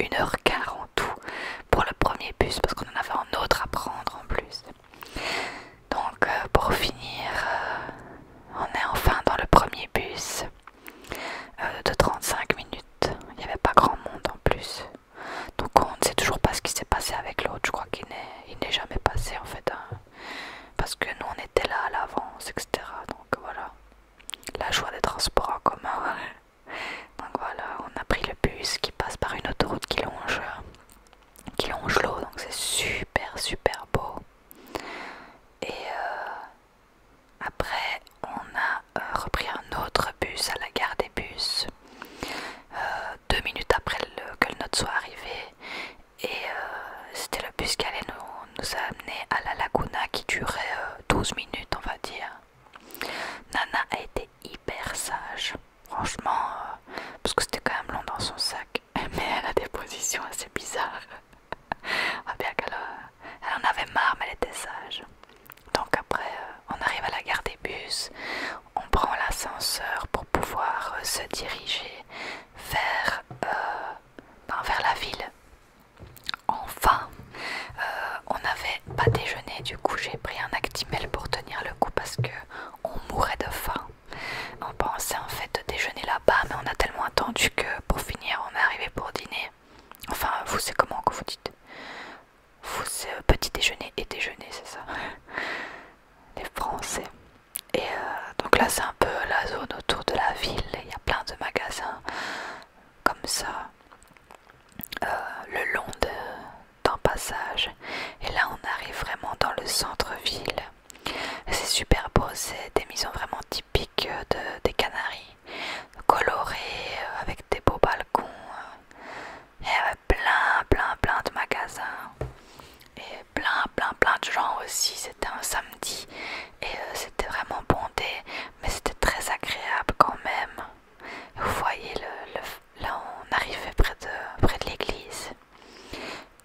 1 h 40 en tout pour le premier bus parce qu'on en avait un autre à prendre en plus. Donc, pour finir, on est enfin dans le premier bus. Euh, de 35 minutes. Il n'y avait pas grand monde en plus. Donc on ne sait toujours pas ce qui s'est passé avec l'autre. Je crois qu'il n'est jamais passé en fait. Hein. Parce que nous on était là à l'avance, etc. Donc voilà. La joie des transports en commun. donc voilà, on a pris le bus qui passe par une autoroute qui longe, qui longe l'eau. Donc c'est super super beau. Et euh, après, on a euh, repris un autre bus à la gare des bus, euh, deux minutes après que le nôtre soit arrivé. Et euh, c'était le bus qui allait nous, amener à la Laguna qui durait 12 minutes, on va dire. Nana a été hyper sage, franchement, parce que c'était quand même long dans son sac. *laughs* Mais elle a des positions assez bizarres. *laughs* elle bien en avait marre, mais elle était sage. Donc après, euh, on arrive à la gare des bus, on prend l'ascenseur pour pouvoir euh, se diriger euh, ben, vers, la ville. Enfin, on n'avait pas déjeuné, du coup j'ai pris un Actimel pour tenir le coup parce que on mourait de faim. On pensait en fait déjeuner là-bas, mais on a tellement attendu que pour finir on est arrivé pour dîner. Enfin, vous savez comment que vous dites c'est euh, petit déjeuner et déjeuner, c'est ça. *laughs* Les Français. Et euh, donc là, c'est un peu la zone autour de la ville. Il y a plein de magasins comme ça, euh, le long d'un passage. Et là, on arrive vraiment dans le centre-ville. C'est super beau, c'est des maisons vraiment typiques de, des Canaries coloré euh, avec des beaux balcons. Euh, et plein, plein, plein de magasins. Et plein, plein, plein de gens aussi. C'était un samedi. Et euh, c'était vraiment bondé. Mais c'était très agréable quand même. Vous voyez, le, là on arrivait près de, près de l'église.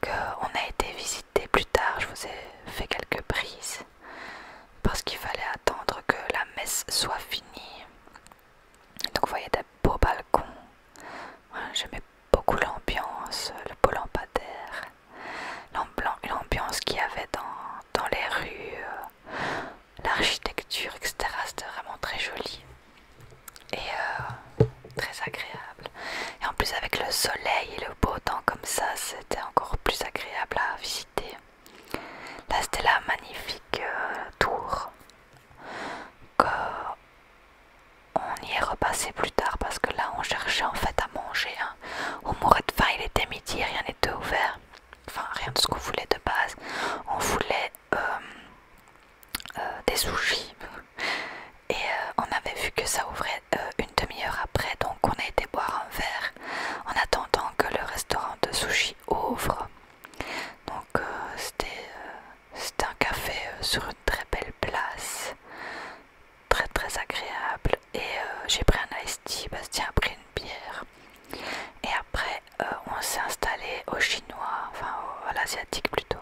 Qu'on a été visiter plus tard. Je vous ai fait quelques prises parce qu'il fallait attendre que la messe soit finie. Donc vous voyez des beaux balcons. Hein, J'aimais beaucoup l'ambiance, le beau lampadaire, l'ambiance qu'il y avait dans, les rues, euh, l'architecture, etc. C'était vraiment très joli et euh, très agréable. Et en plus avec le soleil et le beau temps comme ça, c'était encore plus agréable à visiter. Là c'était la magnifique euh, tour que on y est repassé plus tard parce que là on cherchait en fait à manger. On hein. mourait de faim, il était midi, rien n'était ouvert. Enfin rien de ce qu'on voulait de base. On voulait euh, euh, des sushis et on avait vu que ça ouvrait une demi-heure après donc on a été boire un verre en attendant que le restaurant de sushi ouvre. Donc euh, euh, c'était un café euh, sur une très belle place, très très agréable. Et j'ai pris un iced Bastien a pris une bière. Et après on s'est installé au chinois, enfin à l'asiatique plutôt.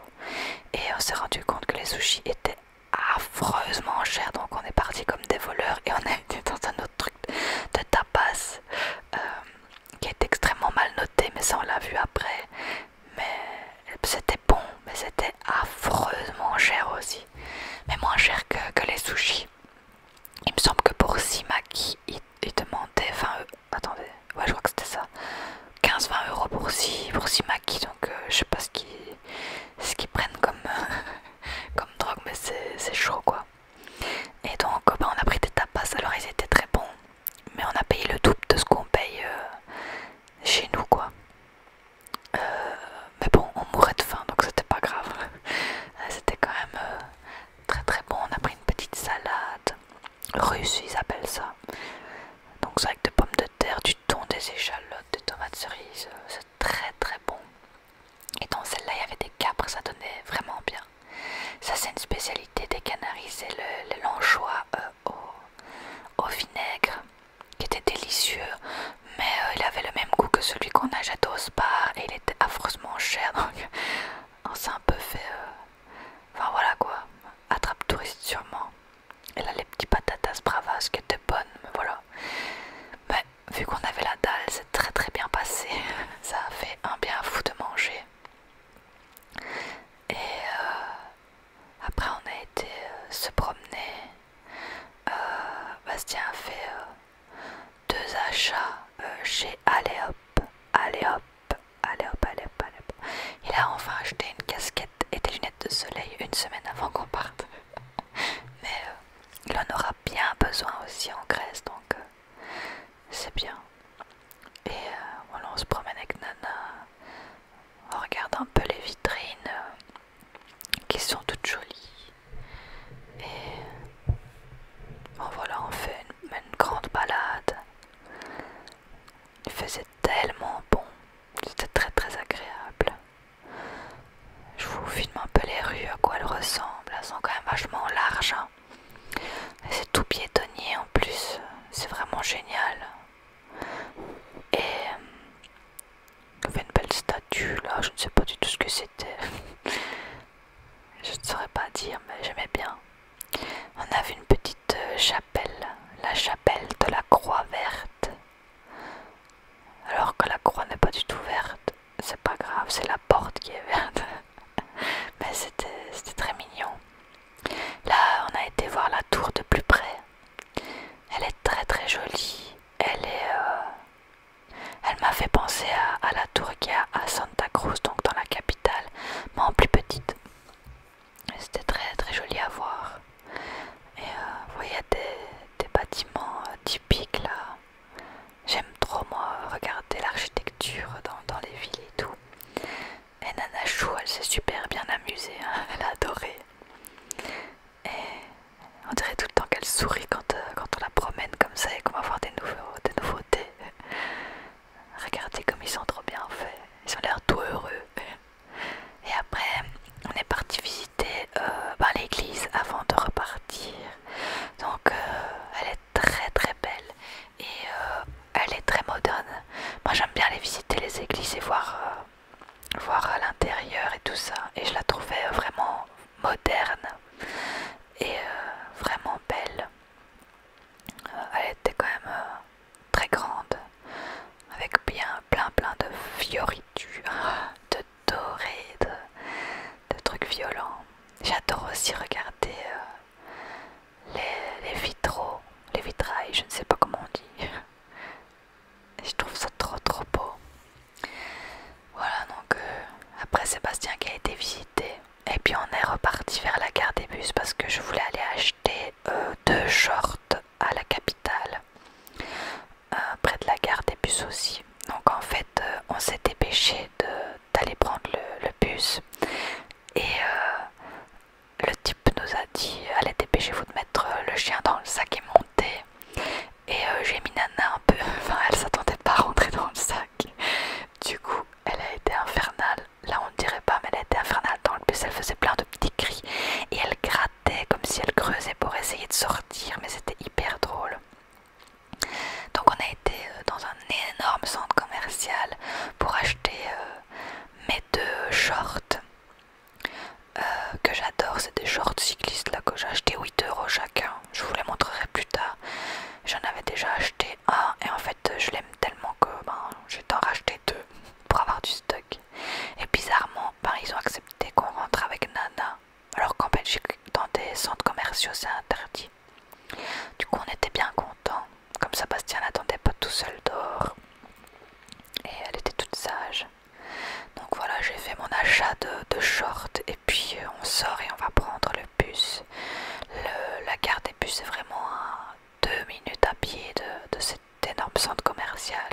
Et on s'est rendu compte que les sushis étaient affreusement chers, donc on est parti comme des voleurs et on est venu dans un autre de tapas euh, qui est extrêmement mal noté, mais ça on l'a vu après. Mais c'était bon, mais c'était affreusement cher aussi. Mais moins cher que, les sushis. Il me semble que pour Simaki, il, il demandait 20 euros. Attendez, ouais, je crois que c'était ça. 15-20 euros pour, six pour Simaki, donc euh, je sais pas ce qu'ils prennent comme, *laughs* comme drogue, mais c'est chaud quoi. Et donc ben, on a pris des tapas, alors ils étaient très bons, mais on a payé le double de ce qu'on paye euh, chez nous quoi. Euh, mais bon, on mourait de faim, donc c'était pas grave. *laughs* Euh, c'était quand même très très bon. On a pris une petite salade russe, ils appellent ça. Donc c'est avec des pommes de terre, du thon, des échalotes, des tomates cerises. C'est très très bon. Et dans celle-là, il y avait des capres, ça donnait vraiment bien. Ça, c'est une spécialité des Canaries, c'est le, l'anchois euh, au, vinaigre, qui était délicieux, mais euh, il avait le même goût que celui qu'on a au spa, et il était affreusement cher, *laughs* donc on s'est un peu fait... Euh, enfin voilà quoi, attrape touriste sûrement. Et là, les petits patatas bravas qui étaient bonnes, mais voilà. Mais vu qu'on avait la dalle, très très bien passé. *laughs* Ça a fait un bien fou de manger. Et euh, après on a été euh, se promener. Euh, Bastien a fait deux achats chez Aléop. Aléop. Aléop, Il a enfin acheté une casquette et des lunettes de soleil une semaine avant qu'on parte. *laughs* Mais il en aura bien besoin aussi en Grèce, donc c'est bien. Et euh, on se promène avec Nana, on regarde un peu les vitrines euh, qui sont toutes jolies. Et voilà, on fait une, grande balade. Il faisait tellement bon, c'était très très agréable. Je vous filme un peu les rues, à quoi elles ressemblent. Elles sont quand même vachement larges. Hein. C'est tout piétonnier en plus, c'est vraiment génial. Et on euh, avait une belle statue là, je ne sais pas du tout ce que c'était. *laughs* je ne saurais pas dire, mais j'aimais bien. On avait une petite euh, chapelle, la chapelle de la croix verte. Alors que la croix n'est pas du tout verte c'est pas grave, c'est la porte qui est verte. *laughs* Mais c'était très mignon. Là, on a été voir la tour de plus près. Elle est très très jolie. Elle est... Euh, elle m'a fait penser à, la tour qui à Santa Cruz, donc dans la capitale, mais en plus petite. C'était très très joli à voir. Et euh, vous voyez des, bâtiments euh, typiques là. J'aime trop, moi, regarder l'architecture dans, les villes et tout. Et Nana Chou, elle s'est super bien amusée, hein. *laughs* elle a adoré. Et on dirait tout le temps qu'elle sourit quand, euh, on la promène comme ça et qu'on va voir des, nouveautés. *laughs* Regardez comme ils sont trop bien faits, ils ont l'air tout heureux. Et après, on est parti visiter euh, ben, l'église avant de repartir. Donc, euh, elle est très très belle et euh, elle est très moderne. Moi j'aime bien aller visiter les églises et voir, euh, voir l'intérieur et tout ça. Et je la trouvais vraiment moderne et euh, vraiment belle. elle était quand même très grande, avec bien plein plein de fioritures, *laughs* de dorés, de, trucs violents. J'adore aussi regarder les, vitraux, les vitrailles, je ne sais pas comment on dit. *laughs* je trouve ça trop trop beau. Voilà donc euh, après Sébastien qui a été visité et puis on est reparti vers la gare des bus parce que je voulais aller acheter euh, deux shorts à la capitale euh, près de la gare des bus aussi. Donc en fait on s'est dépêché de d'aller prendre le, bus et euh, le type nous a dit allez dépêchez-vous de mettre euh, le chien dans le sac et monter et euh, j'ai mis Nana un peu, *laughs* enfin elle s'attendait pas à rentrer dans le sac du coup elle a été infernale, là on ne dirait pas mais elle a été infernale dans le bus, elle faisait plein de petits cris et elle grattait comme si elle creusait pour essayer de sortir mais c'était hyper drôle donc on a été euh, dans un énorme centre commercial pour acheter euh, mes deux shorts euh, que j'adore. C'est des shorts cyclistes là que j'ai acheté 8 euros chacun. Je vous les montrerai plus tard. J'en avais déjà acheté un et en fait je l'aime tellement que ben, j'ai en racheter deux pour avoir du stock. Et bizarrement, ben, ils ont accepté qu'on rentre avec Nana alors qu'en Belgique dans des centres commerciaux c'est interdit. Du coup, on était bien content, Comme ça, n'attendait pas tout seul dehors. Et elle était toute sage. Donc voilà, j'ai fait mon achat de, shorts. Et puis, euh, on sort et on va prendre le bus. la gare des bus est vraiment à deux minutes à pied de, cet énorme centre commercial.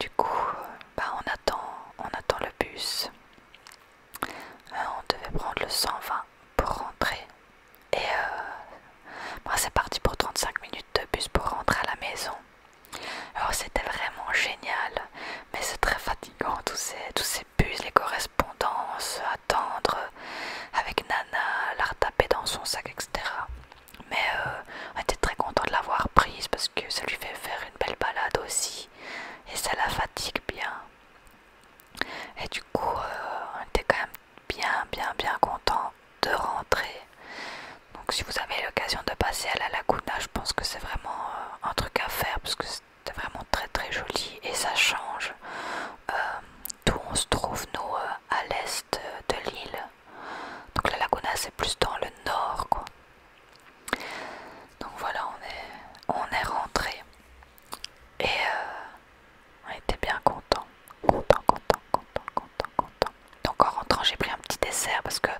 Du coup, euh, bah, on attend, on attend le bus. Euh, on devait prendre le 120 pour rentrer. Et euh, c'est parti pour 35 minutes de bus pour rentrer à la maison. Alors c'était vraiment génial, mais c'est très fatigant tous ces, tous ces bus, les correspondances, attendre avec Nana, la retaper dans son sac, etc. Mais euh, on était très content de l'avoir prise parce que ça lui fait faire une belle balade aussi. Et ça la fatigue bien. Et du coup, euh, on était quand même bien, bien, bien content de rentrer. Donc, si vous avez l'occasion de passer à la Laguna, je pense que c'est vraiment euh, un truc à faire parce que c'était vraiment très, très joli et ça change tout euh, d'où on se trouve, nous, à l'est de l'île. Donc, la Laguna, c'est plus dans le nord, quoi. Donc, voilà, on est rentré. Et euh, on était bien content, content, content, content, content, content. Donc en rentrant, j'ai pris un petit dessert parce que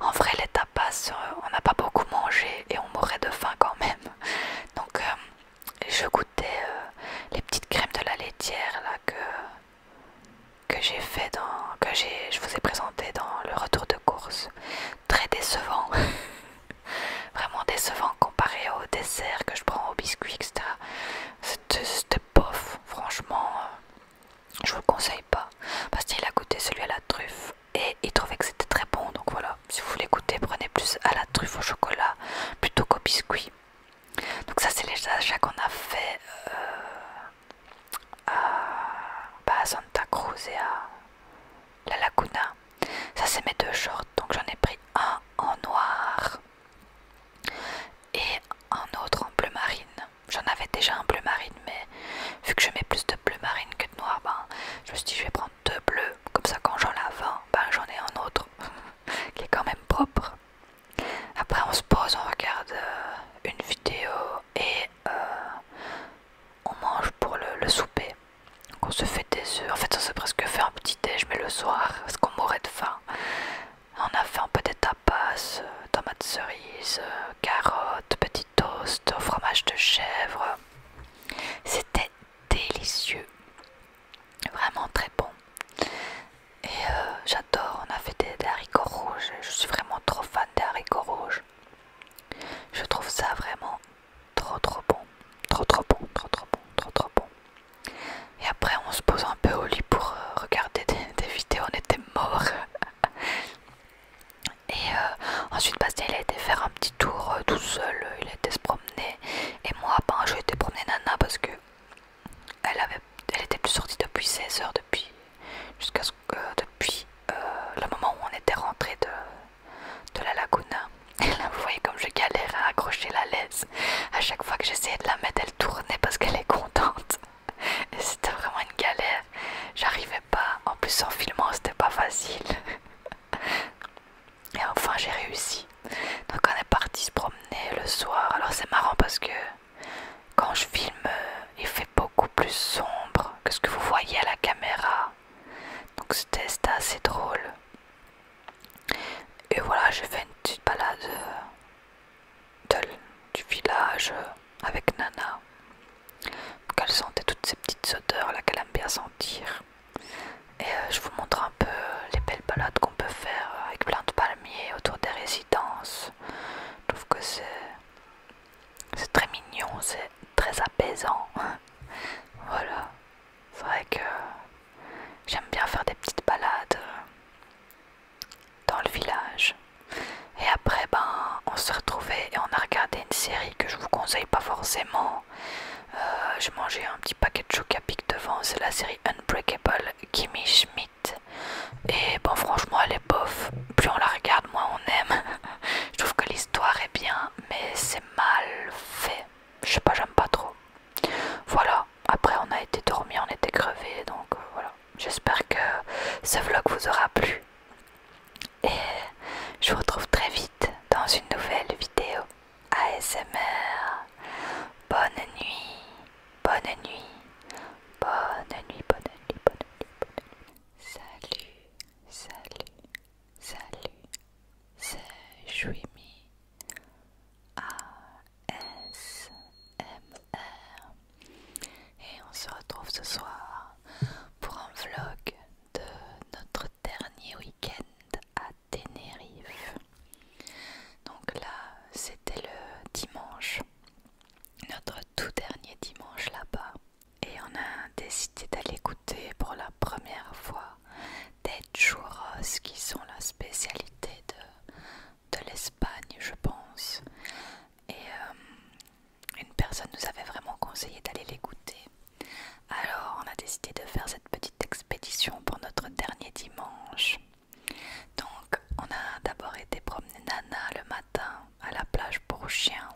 en vrai, les tapas, euh, on n'a pas beaucoup mangé et on mourait de faim quand même. *laughs* Donc euh, je goûtais les petites crèmes de la laitière là que que j'ai fait dans que j'ai je vous ai présenté dans le retour de course. Très décevant. *laughs* Vraiment décevant comparé au dessert que je prends, au biscuit, etc. C'était bof, franchement, euh, je vous le conseille pas. Parce qu'il a goûté celui à la truffe et il trouvait que c'était très bon. Donc voilà, si vous voulez goûter, prenez plus à la truffe au chocolat plutôt qu'au biscuit. Donc ça c'est les achats qu'on a fait euh, bah, à Santa Cruz et à La Laguna. Ça c'est mes deux shorts, donc j'en ai pris un en noir et un autre en bleu marine. J'en avais déjà un bleu marine, mais vu que je mets plus de bleu marine que de noir, ben, je me suis dit je vais prendre deux bleus, comme ça quand j'en lave un, ben, j'en ai un autre *laughs* qui est quand même propre. Après on se pose, on regarde euh, une vidéo et euh, on mange pour le souper. On se fait des œufs. En fait, on s'est presque fait un petit déj, mais le soir, parce qu'on mourait de faim. On a fait un peu des tapas, euh, tomates cerises, euh, carottes, petit toast, fromage de chèvre. C'était délicieux, vraiment très bon. Et euh, j'adore, on a fait des haricots rouges, je suis vraiment trop fan des haricots rouges. Je trouve ça vraiment Trop trop bon, trop trop bon, trop trop bon, trop trop bon. Et après on se pose un peu au lit pour euh, regarder *laughs* des, vidéos, on était morts. *laughs* Et euh, ensuite Bastien il a été faire un petit tour euh, tout seul, il a été se promener. Et moi ben j'ai été promener Nana parce que elle avait elle était plus sortie depuis 16h depuis jusqu'à ce que depuis le moment où on était rentré de de la laguna. *laughs* vous voyez comme je galère à accrocher la laisse. À chaque fois que j'essayais de la mettre, elle tournait parce qu'elle est contente. *laughs* Et c'était vraiment une galère. J'arrivais pas. En plus, en filmant, c'était pas facile. *laughs* Et enfin, j'ai réussi. Donc, on est parti se promener le soir. Alors, c'est marrant parce que quand je filme, euh, il fait beaucoup plus sombre que ce que vous voyez à la caméra. Donc, c'était assez drôle. Et voilà, j'ai fait une petite balade euh, du village euh, avec Nana. qu'elle sentait toutes ces petites odeurs là qu'elle aime bien sentir. Et euh, je vous montre un peu les belles balades qu'on peut faire avec plein de palmiers autour des résidences. Je trouve que c'est très mignon, c'est très apaisant. *laughs* voilà. C'est vrai que j'aime bien faire des petites balades euh, dans le village. Et après, ben, on se retrouvait et on a regardé une série que je vous conseille pas forcément. Euh, j'ai mangé un petit paquet de pic devant, c'est la série Unbreakable Kimmy Schmidt. Et bon, franchement, elle est bof. Plus on la regarde, moins on aime. *laughs* je trouve que l'histoire est bien, mais c'est mal fait je sais pas, j'aime pas trop. Voilà, après on a été dormi, on était crevé, donc euh, voilà. J'espère que ce vlog vous aura plu. Et je vous retrouve très vite dans une nouvelle vidéo ASMR. Bonne nuit, bonne nuit, bonne nuit, bonne nuit, bonne nuit, bonne nuit. Salut, salut, salut, c'est Jouimi. ASMR et on se retrouve ce soir pour un vlog de notre dernier week-end à Tenerife. Donc là c'était le dimanche, notre tout dernier dimanche là-bas et on a décidé d'aller écouter pour la première fois des churros qui sont la spécialité de, l'Espagne, je pense. Et euh, une personne nous avait vraiment conseillé d'aller les Alors on a décidé de faire cette petite expédition pour notre dernier dimanche. Donc on a d'abord été promener Nana le matin à la plage pour chiens.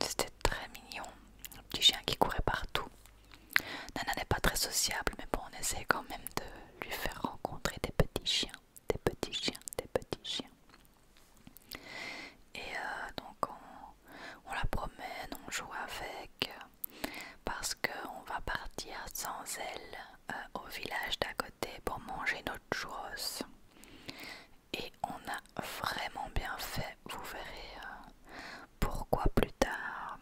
C'était très mignon, le petit chien qui courait partout. Nana n'est pas très sociable, mais bon, on essaie quand même de lui faire rencontrer des petits chiens, des petits chiens, des petits chiens. Et euh, donc on, la promène, on joue avec, parce qu'on va partir sans elle euh, au village d'à côté pour manger notre chose Et on a vraiment bien fait, vous verrez. Euh, pourquoi plus tard.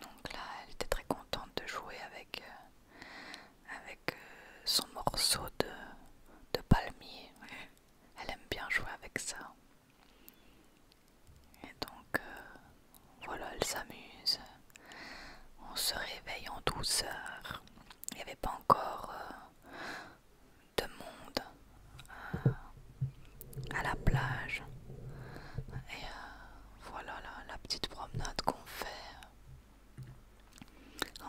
Donc là, elle était très contente de jouer avec, euh, avec euh, son morceau de, palmier. Elle aime bien jouer avec ça. Et donc, euh, voilà, elle s'amuse. On se réveille en douceur. Il n'y avait pas encore de monde euh, à la plage. Et euh, voilà la, petite promenade qu'on fait.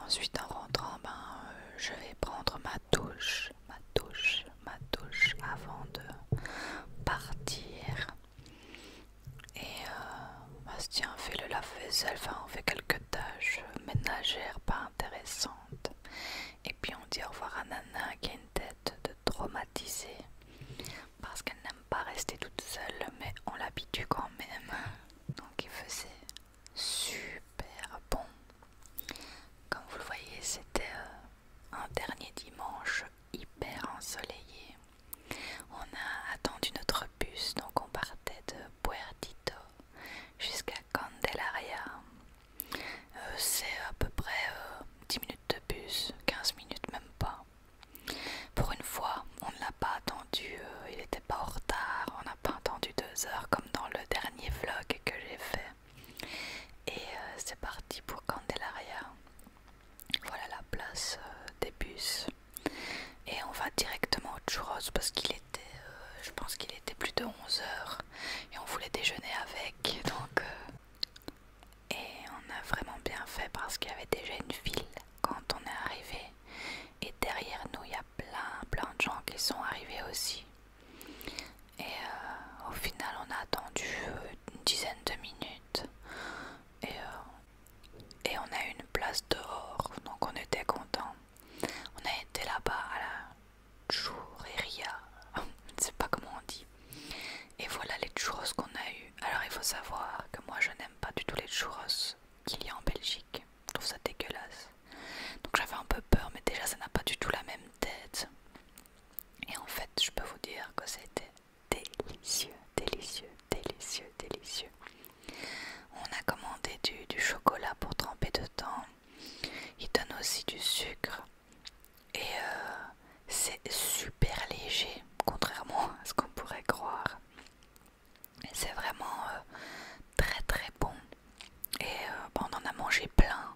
Ensuite, en rentrant, ben, euh, je vais prendre ma touche ma touche ma touche avant de partir. Et Bastien fait le lave-vaisselle, enfin on fait quelques tâches ménagères pas intéressantes. Et puis on dit au revoir à Nana qui a une tête de traumatisée parce qu'elle n'aime pas rester toute seule, mais on l'habitue quand même. Donc il faisait super bon. Comme vous le voyez, c'était euh, un dernier dimanche hyper ensoleillé. On a attendu notre bus, donc on partait de Puertito jusqu'à Candelaria. Euh, c'est à peu près 10 euh, minutes de bus, 15 minutes même pas. Pour une fois, on ne l'a pas attendu, euh, il n'était pas en retard, on n'a pas attendu 2 heures comme dans le dernier vlog que j'ai fait. Et c'est parti pour Candelaria. Voilà la place des bus. Et on va directement au Churros parce qu'il était, je pense qu'il était plus de 11 heures et on voulait déjeuner avec. *laughs* Donc et on a vraiment bien fait parce qu'il y avait déjà une file quand on est arrivé. Et derrière nous, il y a plein, plein de gens qui sont arrivés aussi. Et euh, au final, on a attendu une dizaine de minutes. Et, euh, on a eu une place dehors, donc on était content. On a été là-bas à la churreria, *laughs* je ne sais pas comment on dit. Et voilà les churros qu'on a eu. Alors il faut savoir que moi je n'aime pas du tout les churros qu'il y a en Belgique. Je trouve ça dégueulasse. Donc j'avais un peu peur, mais déjà ça n'a pas du tout la même tête. Et en fait, je peux vous dire que c'était délicieux, délicieux, délicieux, délicieux. On a commandé du, chocolat pour tremper dedans. Il donne aussi du sucre. Et euh, c'est super léger, contrairement à ce qu'on pourrait croire. C'est vraiment euh, très très bon. Et euh, bah, on en a mangé plein,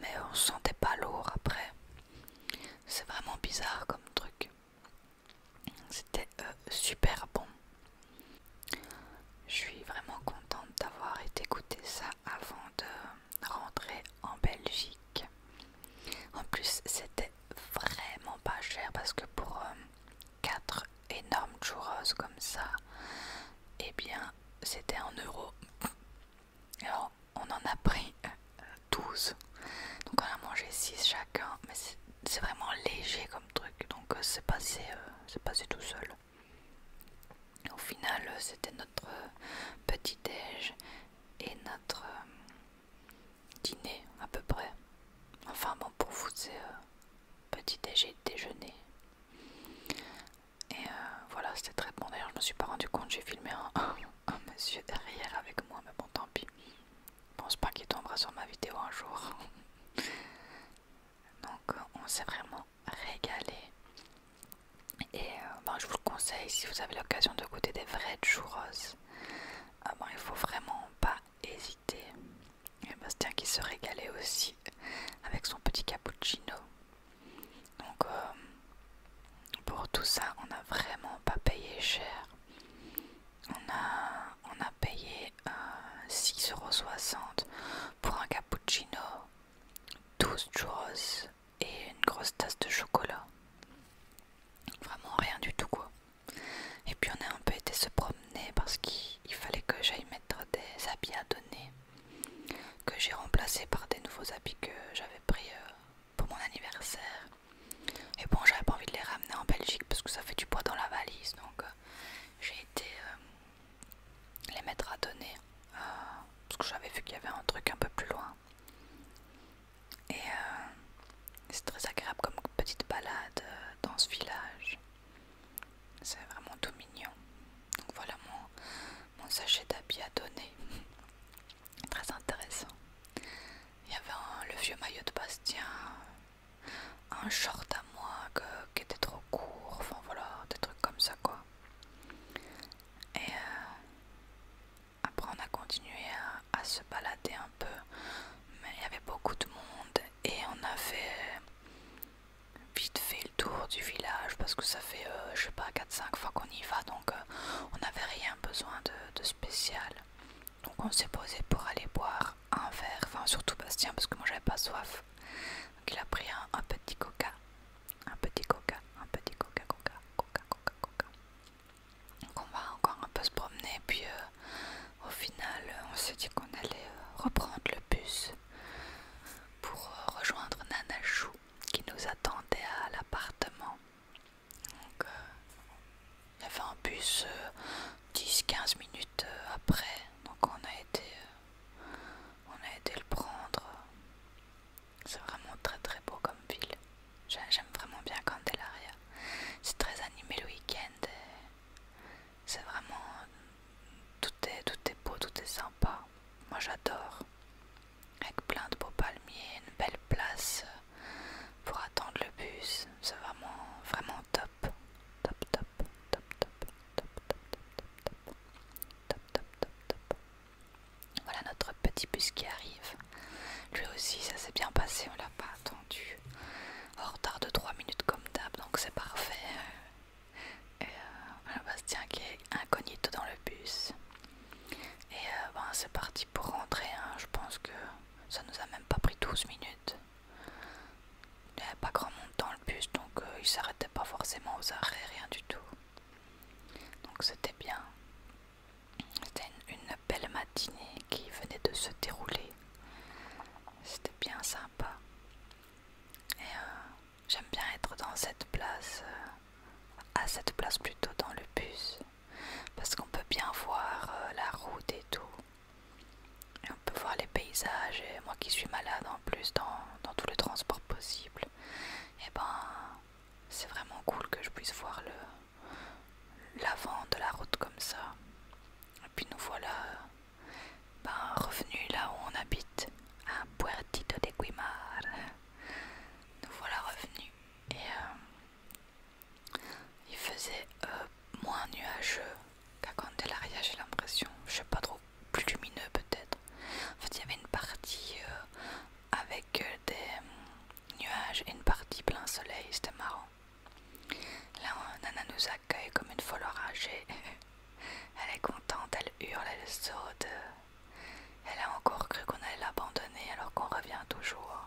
mais on sentait pas lourd après. C'est vraiment bizarre comme truc. C'était super bon. Je suis vraiment contente d'avoir été goûter ça avant de rentrer en Belgique. En plus, c'était vraiment pas cher parce que pour euh, quatre 4 énormes churros comme ça, et eh bien, c'était en euros. Alors, on en a pris 12. Donc, on a mangé 6 chacun, mais c'est vraiment léger comme truc. Donc, euh, c'est passé, euh, passé tout seul. Au final, euh, c'était notre euh, petit déj et notre euh, dîner à peu près. Enfin bon, pour vous, c'est petit déj et déjeuner. Et voilà, c'était très bon. D'ailleurs, je me suis pas rendu compte, j'ai filmé *laughs* un, monsieur derrière avec moi, mais bon, tant pis. Je pense pas qu'il tombera sur ma vidéo un jour. *laughs* Donc, on sait vraiment régalé. Et euh, ben, je vous le conseille, si vous avez l'occasion de goûter des vrais churros, ah ben, il faut vraiment pas hésiter. Et Bastien qui se régalait aussi avec son petit cappuccino. Donc euh, pour tout ça, on n'a vraiment pas payé cher. On a, on a payé euh, euros 6,60€ pour un cappuccino, 12 churros et une grosse tasse de chocolat. Vraiment rien du tout quoi. Et puis on a un peu été se promener parce qu'il fallait que j'aille mettre des habits à donner que j'ai remplacé par des nouveaux habits que j'avais pris euh, pour mon anniversaire. Et bon j'avais pas envie de les ramener en Belgique parce que ça fait du poids dans la valise donc euh, j'ai été euh, les mettre à donner parce que j'avais vu qu'il y avait un truc un peu plus loin. Et euh, c'est très agréable comme petite balade euh, dans ce village. C'est vraiment tout mignon. Donc voilà mon, mon sachet d'habits à donner. *laughs* très intéressant. Il y avait le vieux maillot de Bastien, euh, un short à moi qui était trop court, enfin voilà, des trucs comme ça quoi. Et euh, après on a continué à, se balader un peu, mais il y avait beaucoup de monde et on a fait vite fait le tour du village parce que ça fait euh, je sais pas 4-5 fois qu'on y va donc euh, on n'avait rien besoin de, spécial. Donc on s'est posé pour aller boire un verre, enfin surtout Bastien parce que moi j'avais pas soif. Donc il a pris un petit coca un petit coca, un petit coca, coca, coca, coca, coca. Donc on va encore un peu se promener, puis euh, au final euh, on s'est dit qu'on allait euh, reprendre le bus pour rejoindre Nanachou qui nous attendait à l'appartement. Donc il y avait un bus 10-15 minutes après, donc on a été, on a été le prendre. C'est vraiment très très beau comme ville. J'aime vraiment bien Candelaria. C'est très animé le week-end. C'est vraiment... Tout est, tout est beau, tout est sympa. Moi j'adore. Avec plein de beaux palmiers, une belle place pour attendre le bus. C'est vraiment, vraiment top, top, top, top, top, top, top, top, top, top, top, top, top, voilà notre petit bus qui arrive. Lui aussi, ça s'est bien passé, on l'a pas attendu. En retard de 3 minutes comme d'hab, donc c'est parfait. Et euh, voilà Bastien qui est incognito dans le bus. Et euh, ben, c'est parti pour rentrer. Hein. Je pense que ça nous a même pas pris 12 minutes. Il n'y avait pas grand monde dans le bus, donc euh, il s'arrêtait pas forcément aux arrêts, rien du tout. Donc c'était bien. C'était une, belle matinée qui venait de se dérouler. C'était bien sympa. Et euh, j'aime bien être dans cette place, euh, à cette place plutôt dans le bus, parce qu'on peut bien voir euh, la route et tout. Et on peut voir les paysages. Et moi qui suis malade en plus dans, dans tout le transport possible, et eh ben c'est vraiment cool que je puisse voir le l'avant de la route comme ça. Et puis nous voilà ben, revenus là où on habite, à Puertito de Guimar. Nous voilà revenus et euh, il faisait euh, moins nuageux qu'à Candelaria, j'ai l'impression. Je sais pas trop, plus lumineux peut-être. En fait, il y avait une partie euh, avec euh, des hum, nuages et une partie plein soleil, c'était marrant. Là, Nana nous accueille comme une folle âgée. *laughs* elle est contente, elle hurle, elle saute. Elle a encore cru qu'on allait l'abandonner alors qu'on revient toujours.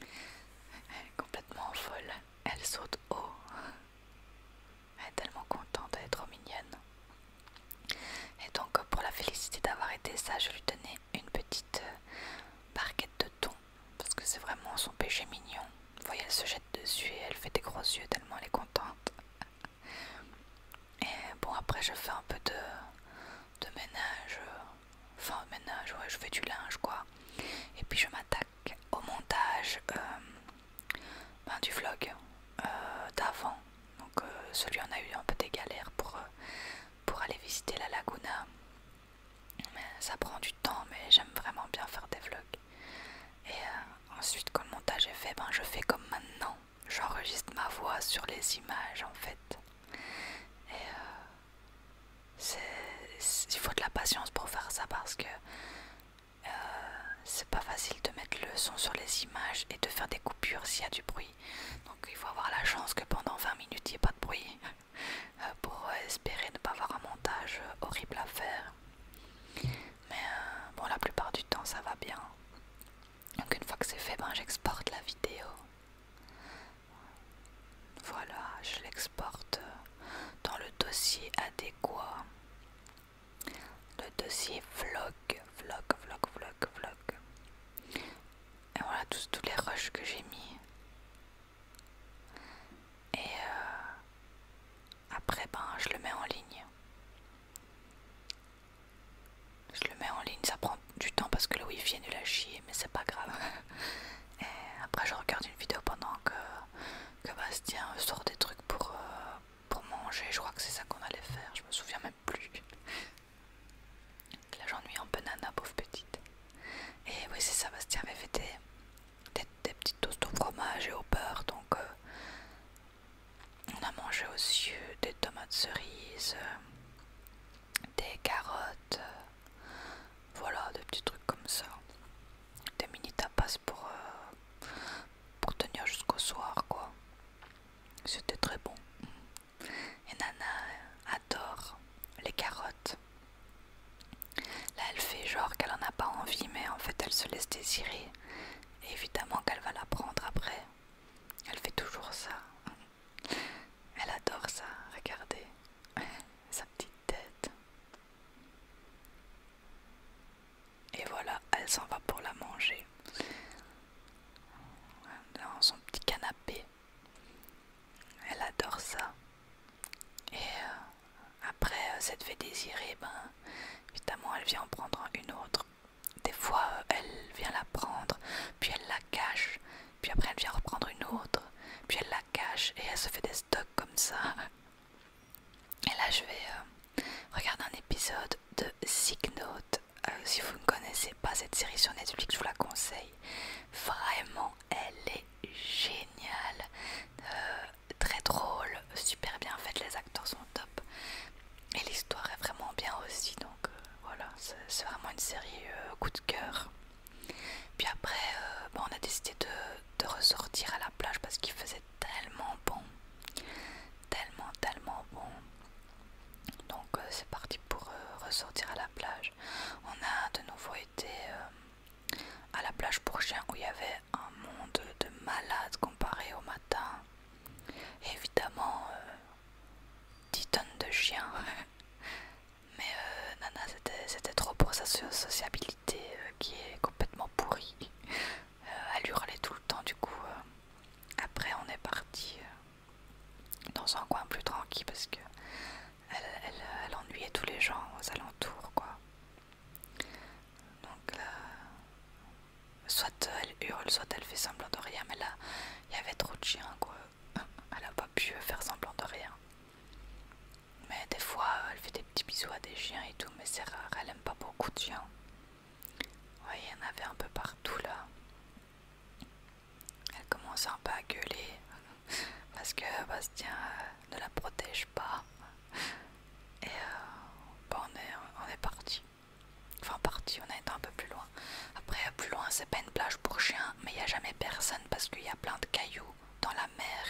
Elle *laughs* est complètement folle. Elle saute haut. Elle est tellement contente, d'être est trop et donc pour la féliciter d'avoir été ça, je lui donnais une petite euh, barquette de thon parce que c'est vraiment son péché mignon. Vous voyez, elle se jette dessus et elle fait des gros yeux tellement elle est contente. Et bon après je fais un peu de, ménage, euh, enfin ménage, ouais je fais du linge quoi. Et puis je m'attaque au montage euh, ben, du vlog d'avant donc euh, celui on a eu un peu des galères euh, pour, aller visiter la laguna mais ça prend du temps mais j'aime vraiment bien faire des vlogs et euh, ensuite quand le montage est fait ben je fais comme maintenant j'enregistre ma voix sur les images en fait et il faut de la patience pour faire ça parce que c'est pas facile de mettre le son sur les images et de faire des coupures s'il y a du bruit donc il faut avoir la chance que pendant 20 minutes il n'y ait pas de bruit euh, pour euh, espérer ne pas avoir un montage euh, horrible à faire. Mais bon, la plupart du temps ça va bien. Donc une fois que c'est fait, ben, j'exporte la vidéo. Voilà, je l'exporte dans le dossier adéquat. Le dossier vlog, vlog, vlog, vlog, vlog. Et voilà tous, tous les rushs que j'ai mis. Et euh, après, ben, je le mets en ligne. Je le mets en ligne, ça prend du temps parce que le wifi est nul à chier, mais c'est pas grave. *laughs* Et après, je regarde une vidéo pendant que, Bastien sort des trucs pour, euh, pour manger. Je crois que c'est ça qu'on allait faire, je me souviens même plus. là j'ennuie un peu pauvre petite. Et oui c'est ça, Bastien avait fait des, petites toasts au fromage et au beurre, donc euh, on a mangé aussi des tomates cerises, euh, des carottes, euh, voilà des petits trucs comme ça. Des mini tapas pour, pour tenir jusqu'au soir quoi. C'était très bon. Et Nana euh, adore les carottes. Là, elle fait genre qu'elle en a pas envie, mais en fait, elle se laisse désirer. Et évidemment qu'elle va la prendre après. Elle fait toujours ça. Elle adore ça, regardez. *laughs* Sa petite tête. Et voilà, elle s'en va pour la manger. Dans son petit canapé. Elle adore ça. Et euh, après euh, cette fait désirée, ben, évidemment, elle vient en prendre une autre. Des fois, euh, elle vient la prendre, puis elle la cache, puis après, elle vient reprendre une autre, puis elle la cache, et elle se fait des stocks comme ça. Et là, je vais regarder un épisode de Sick Note euh, si vous ne connaissez pas cette série sur Netflix, je vous la conseille. Vraiment, elle est géniale. Euh, très drôle, super bien faite, les acteurs sont top. Et l'histoire est vraiment bien aussi. Donc euh, voilà, c'est vraiment une série coup de cœur. Puis après, on a décidé de ressortir à la plage parce qu'il faisait tellement bon. Tellement, tellement bon. Donc euh, c'est parti pour euh, ressortir à la plage. On a de nouveau été euh, à la plage pour chiens où il y avait un monde de malades comparé au matin. évidemment, 10 tonnes de chiens. *laughs* Mais Nana, c'était trop pour sa sociabilité qui est complètement pourrie. elle hurlait tout le temps, du coup, après on est parti dans un coin plus tranquille parce que elle, ennuyait tous les gens aux alentours quoi. Donc là, euh, soit elle hurle, soit elle fait semblant de rien, mais là il y avait trop de chiens quoi. *laughs* Elle a pas pu faire semblant de rien. Mais des fois elle fait des petits bisous à des chiens et tout, mais c'est rare, elle aime pas beaucoup de chiens. Oui, il y en avait un peu partout là. Elle commence un peu à gueuler *laughs* parce que Bastien euh, ne la protège pas. Et euh, on est, on parti. Enfin parti, on a été un peu plus loin. Après plus loin c'est pas une plage pour chiens, mais il n'y a jamais personne parce qu'il y a plein de cailloux dans la mer.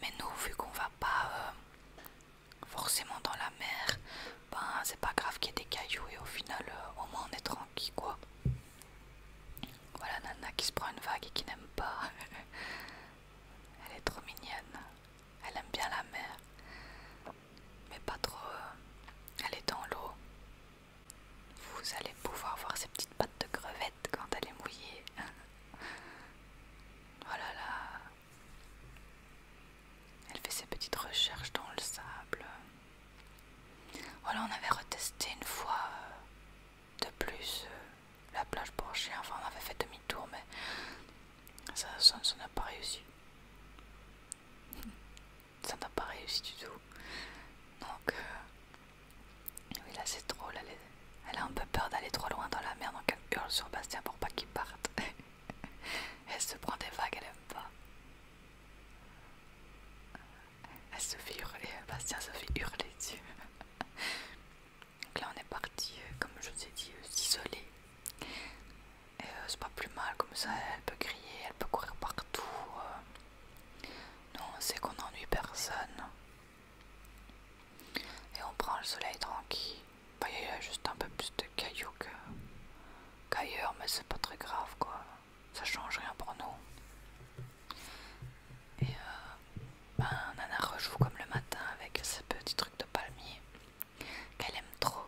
Mais nous vu qu'on va pas euh, forcément dans la mer, ben c'est pas grave qu'il y ait des cailloux et au final au moins on est tranquille quoi. Voilà Nana qui se prend une vague et qui n'aime pas. *laughs* Elle est trop mignonne. Elle aime bien la mer. Mais pas trop. Euh, elle est dans l'eau. Vous allez pouvoir voir ses petites pattes de crevette quand elle est mouillée. Voilà *laughs* oh là. Elle fait ses petites recherches dans le sable. Voilà, on avait retesté une fois euh, de plus euh, la plage pour chien. Enfin, on avait fait demi-tour, mais ça n'a pas réussi. *laughs* Ça n'a pas réussi du tout. Donc, euh, oui, là c'est drôle. Elle, elle a un peu peur d'aller trop loin dans la mer, donc elle hurle sur Bastien pour pas qu'il parte. *laughs* elle se prend des vagues, elle aime pas elle se fait hurler, euh, Bastien se fait hurler dessus. Donc là on est parti, euh, comme je vous ai dit, euh, s'isoler. c'est pas plus mal, comme ça elle peut crier, elle peut courir partout. Nous Non, c'est qu'on n'ennuie personne. Et on prend le soleil tranquille. Bah, il y a juste un peu plus de cailloux qu'ailleurs, mais c'est pas très grave quoi ça change rien pour nous. Et euh, ben, Nana rejoue comme le matin avec ce petit truc de palmier qu'elle aime trop.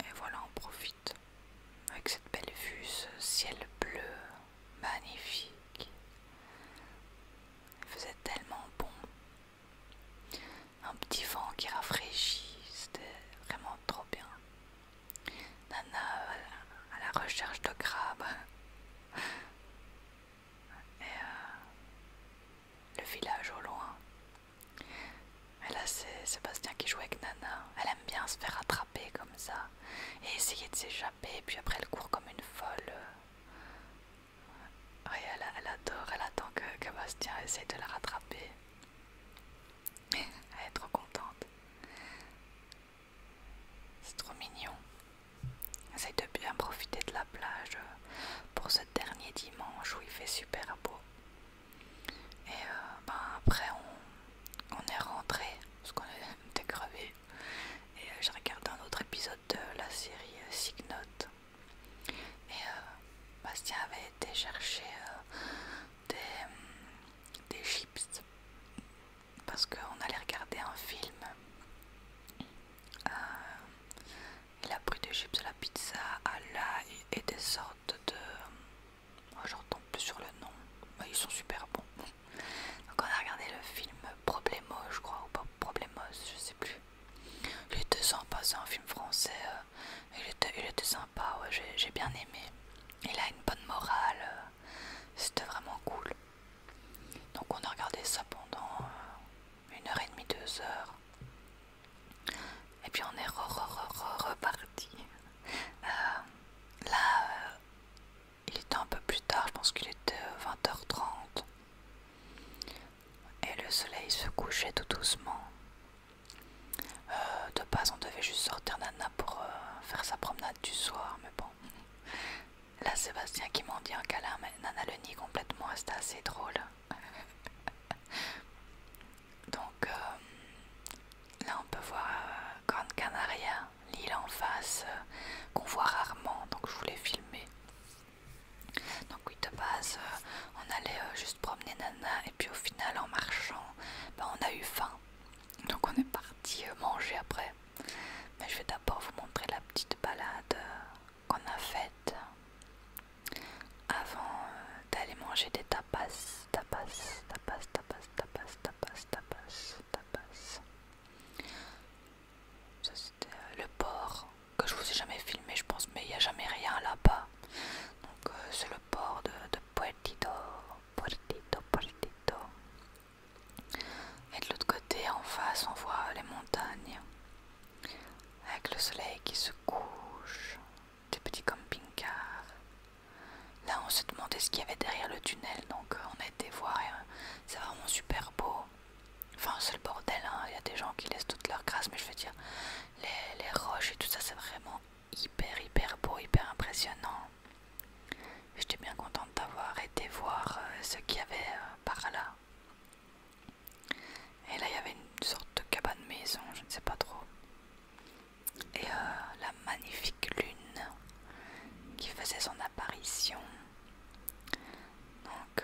Et voilà, on profite avec cette belle vue, ce ciel bleu magnifique. Il faisait tellement bon un petit vent qui rafraîchit, c'était vraiment trop bien. Nana euh, à la recherche de crabes. Et euh, le village au loin. Et là c'est Sébastien qui joue avec Nana. Elle aime bien se faire rattraper comme ça. Et essayer de s'échapper. Puis après elle court comme une folle. elle, adore, elle attend que, que essaie de la rattraper. Elle est trop contente. C'est trop mignon. Essaye de bien profiter de la plage pour ce dernier dimanche où il fait super beau. Et euh, ben, après on, est rentré parce qu'on *laughs* était crevé. Et euh, j'ai regardé un autre épisode de la série euh, Signote. Et Bastien avait été chercher des, des chips parce qu'on allait regarder un film. Euh, il a pris des chips à la pizza, à la et, des sortes de. Moi oh, retombe plus sur le nom, mais ils sont super bons. Donc on a regardé le film Problemo, je crois, ou pas Problemos, je sais plus. Il ans, pas c'est un film français. Euh, il était, sympa, j'ai bien aimé. Il a une bonne morale, euh, c'était vraiment cool. Donc on a regardé ça pendant euh, une heure et demie, deux heures. Et puis on est reparti. Euh, là, il était un peu plus tard, je pense qu'il était 20h30. Et le soleil se couchait tout doucement. Euh, de base, on devait juste sortir Nana pour euh, faire sa promenade du soir, mais bon. Là, Sébastien qui m'en dit un câlin, Nana le nie complètement, c'était assez drôle. *laughs* Donc, euh, là, on peut voir Grande Canaria, l'île en face, qu'on voit rarement, donc je voulais filmer. Donc, oui, de base, on allait juste promener Nana et puis au final en marchant ben, on a eu faim donc on est parti euh, manger après mais je vais d'abord vous montrer la petite balade euh, qu'on a faite avant euh, d'aller manger des tapas tapas tapas tapas tapas tapas tapas tapas ça c'était le port que je vous ai jamais filmé je pense mais il n'y a jamais rien là-bas donc c'est le bord de, Puerto Puertito, Puertito, Et de l'autre côté, en face, on voit les montagnes avec le soleil qui se couche, des petits camping-cars. Là, on se demandait ce qu'il y avait derrière le tunnel, donc euh, on a été voir et euh, c'est vraiment super beau. Enfin, c'est le bordel, hein, il y a des gens qui laissent toute leur grâce mais je veux dire, les roches et tout ça, c'est vraiment hyper hyper beau, hyper impressionnant. J'étais bien contente d'avoir été voir ce qu'il y avait par là. Et là il y avait une sorte de cabane maison, je ne sais pas trop. Et la magnifique lune qui faisait son apparition. Donc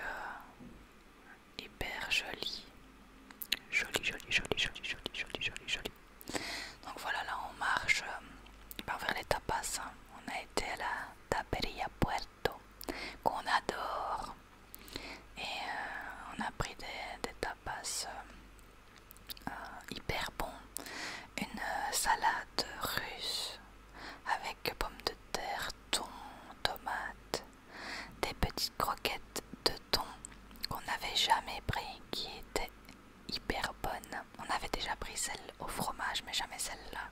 hyper jolie. Joli, joli, joli, joli, joli, joli, joli, joli. Donc voilà, là on marche par euh, ben, vers les tapas. Hein. On a été à la Taperia Puerto, qu'on adore. Et euh, on a pris des, tapas euh, hyper bons. Une salade russe avec pommes de terre, thon, tomates, des petites croquettes de thon qu'on n'avait jamais pris qui étaient hyper bonne. On avait déjà pris celle au fromage, mais jamais celle-là.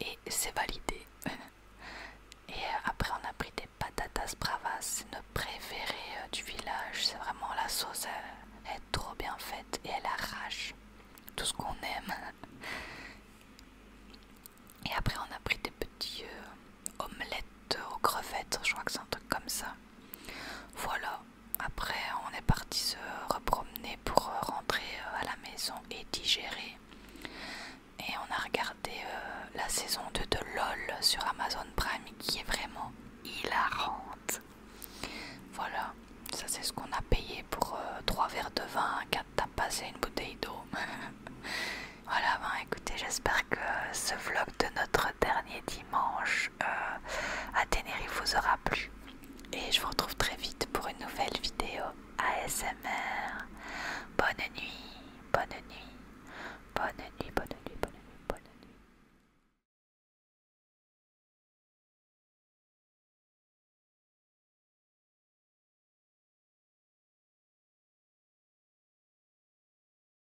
Et c'est validé. *laughs* Et euh, après, on a pris des patatas bravas, c'est notre préférée euh, du village. C'est vraiment la sauce, elle euh, est trop bien faite et elle arrache tout ce qu'on aime. *laughs* Et après, on a pris des petits, omelette aux crevettes, je crois que c'est un truc comme ça. Voilà, après on est parti se repromener pour rentrer euh, à la maison et digérer. Et on a regardé euh, la saison 2 de LOL sur Amazon Prime qui est vraiment hilarante. Voilà, ça c'est ce qu'on a payé pour euh, trois 3 verres de vin, 4 tapas et une bouteille d'eau. *laughs* voilà, ben, écoutez, j'espère que ce vlog de notre dernier dimanche euh, à Tenerife vous aura plu. Et je vous retrouve très vite pour une nouvelle vidéo ASMR. Bonne nuit, bonne nuit, bonne nuit, bonne nuit, bonne nuit, bonne nuit.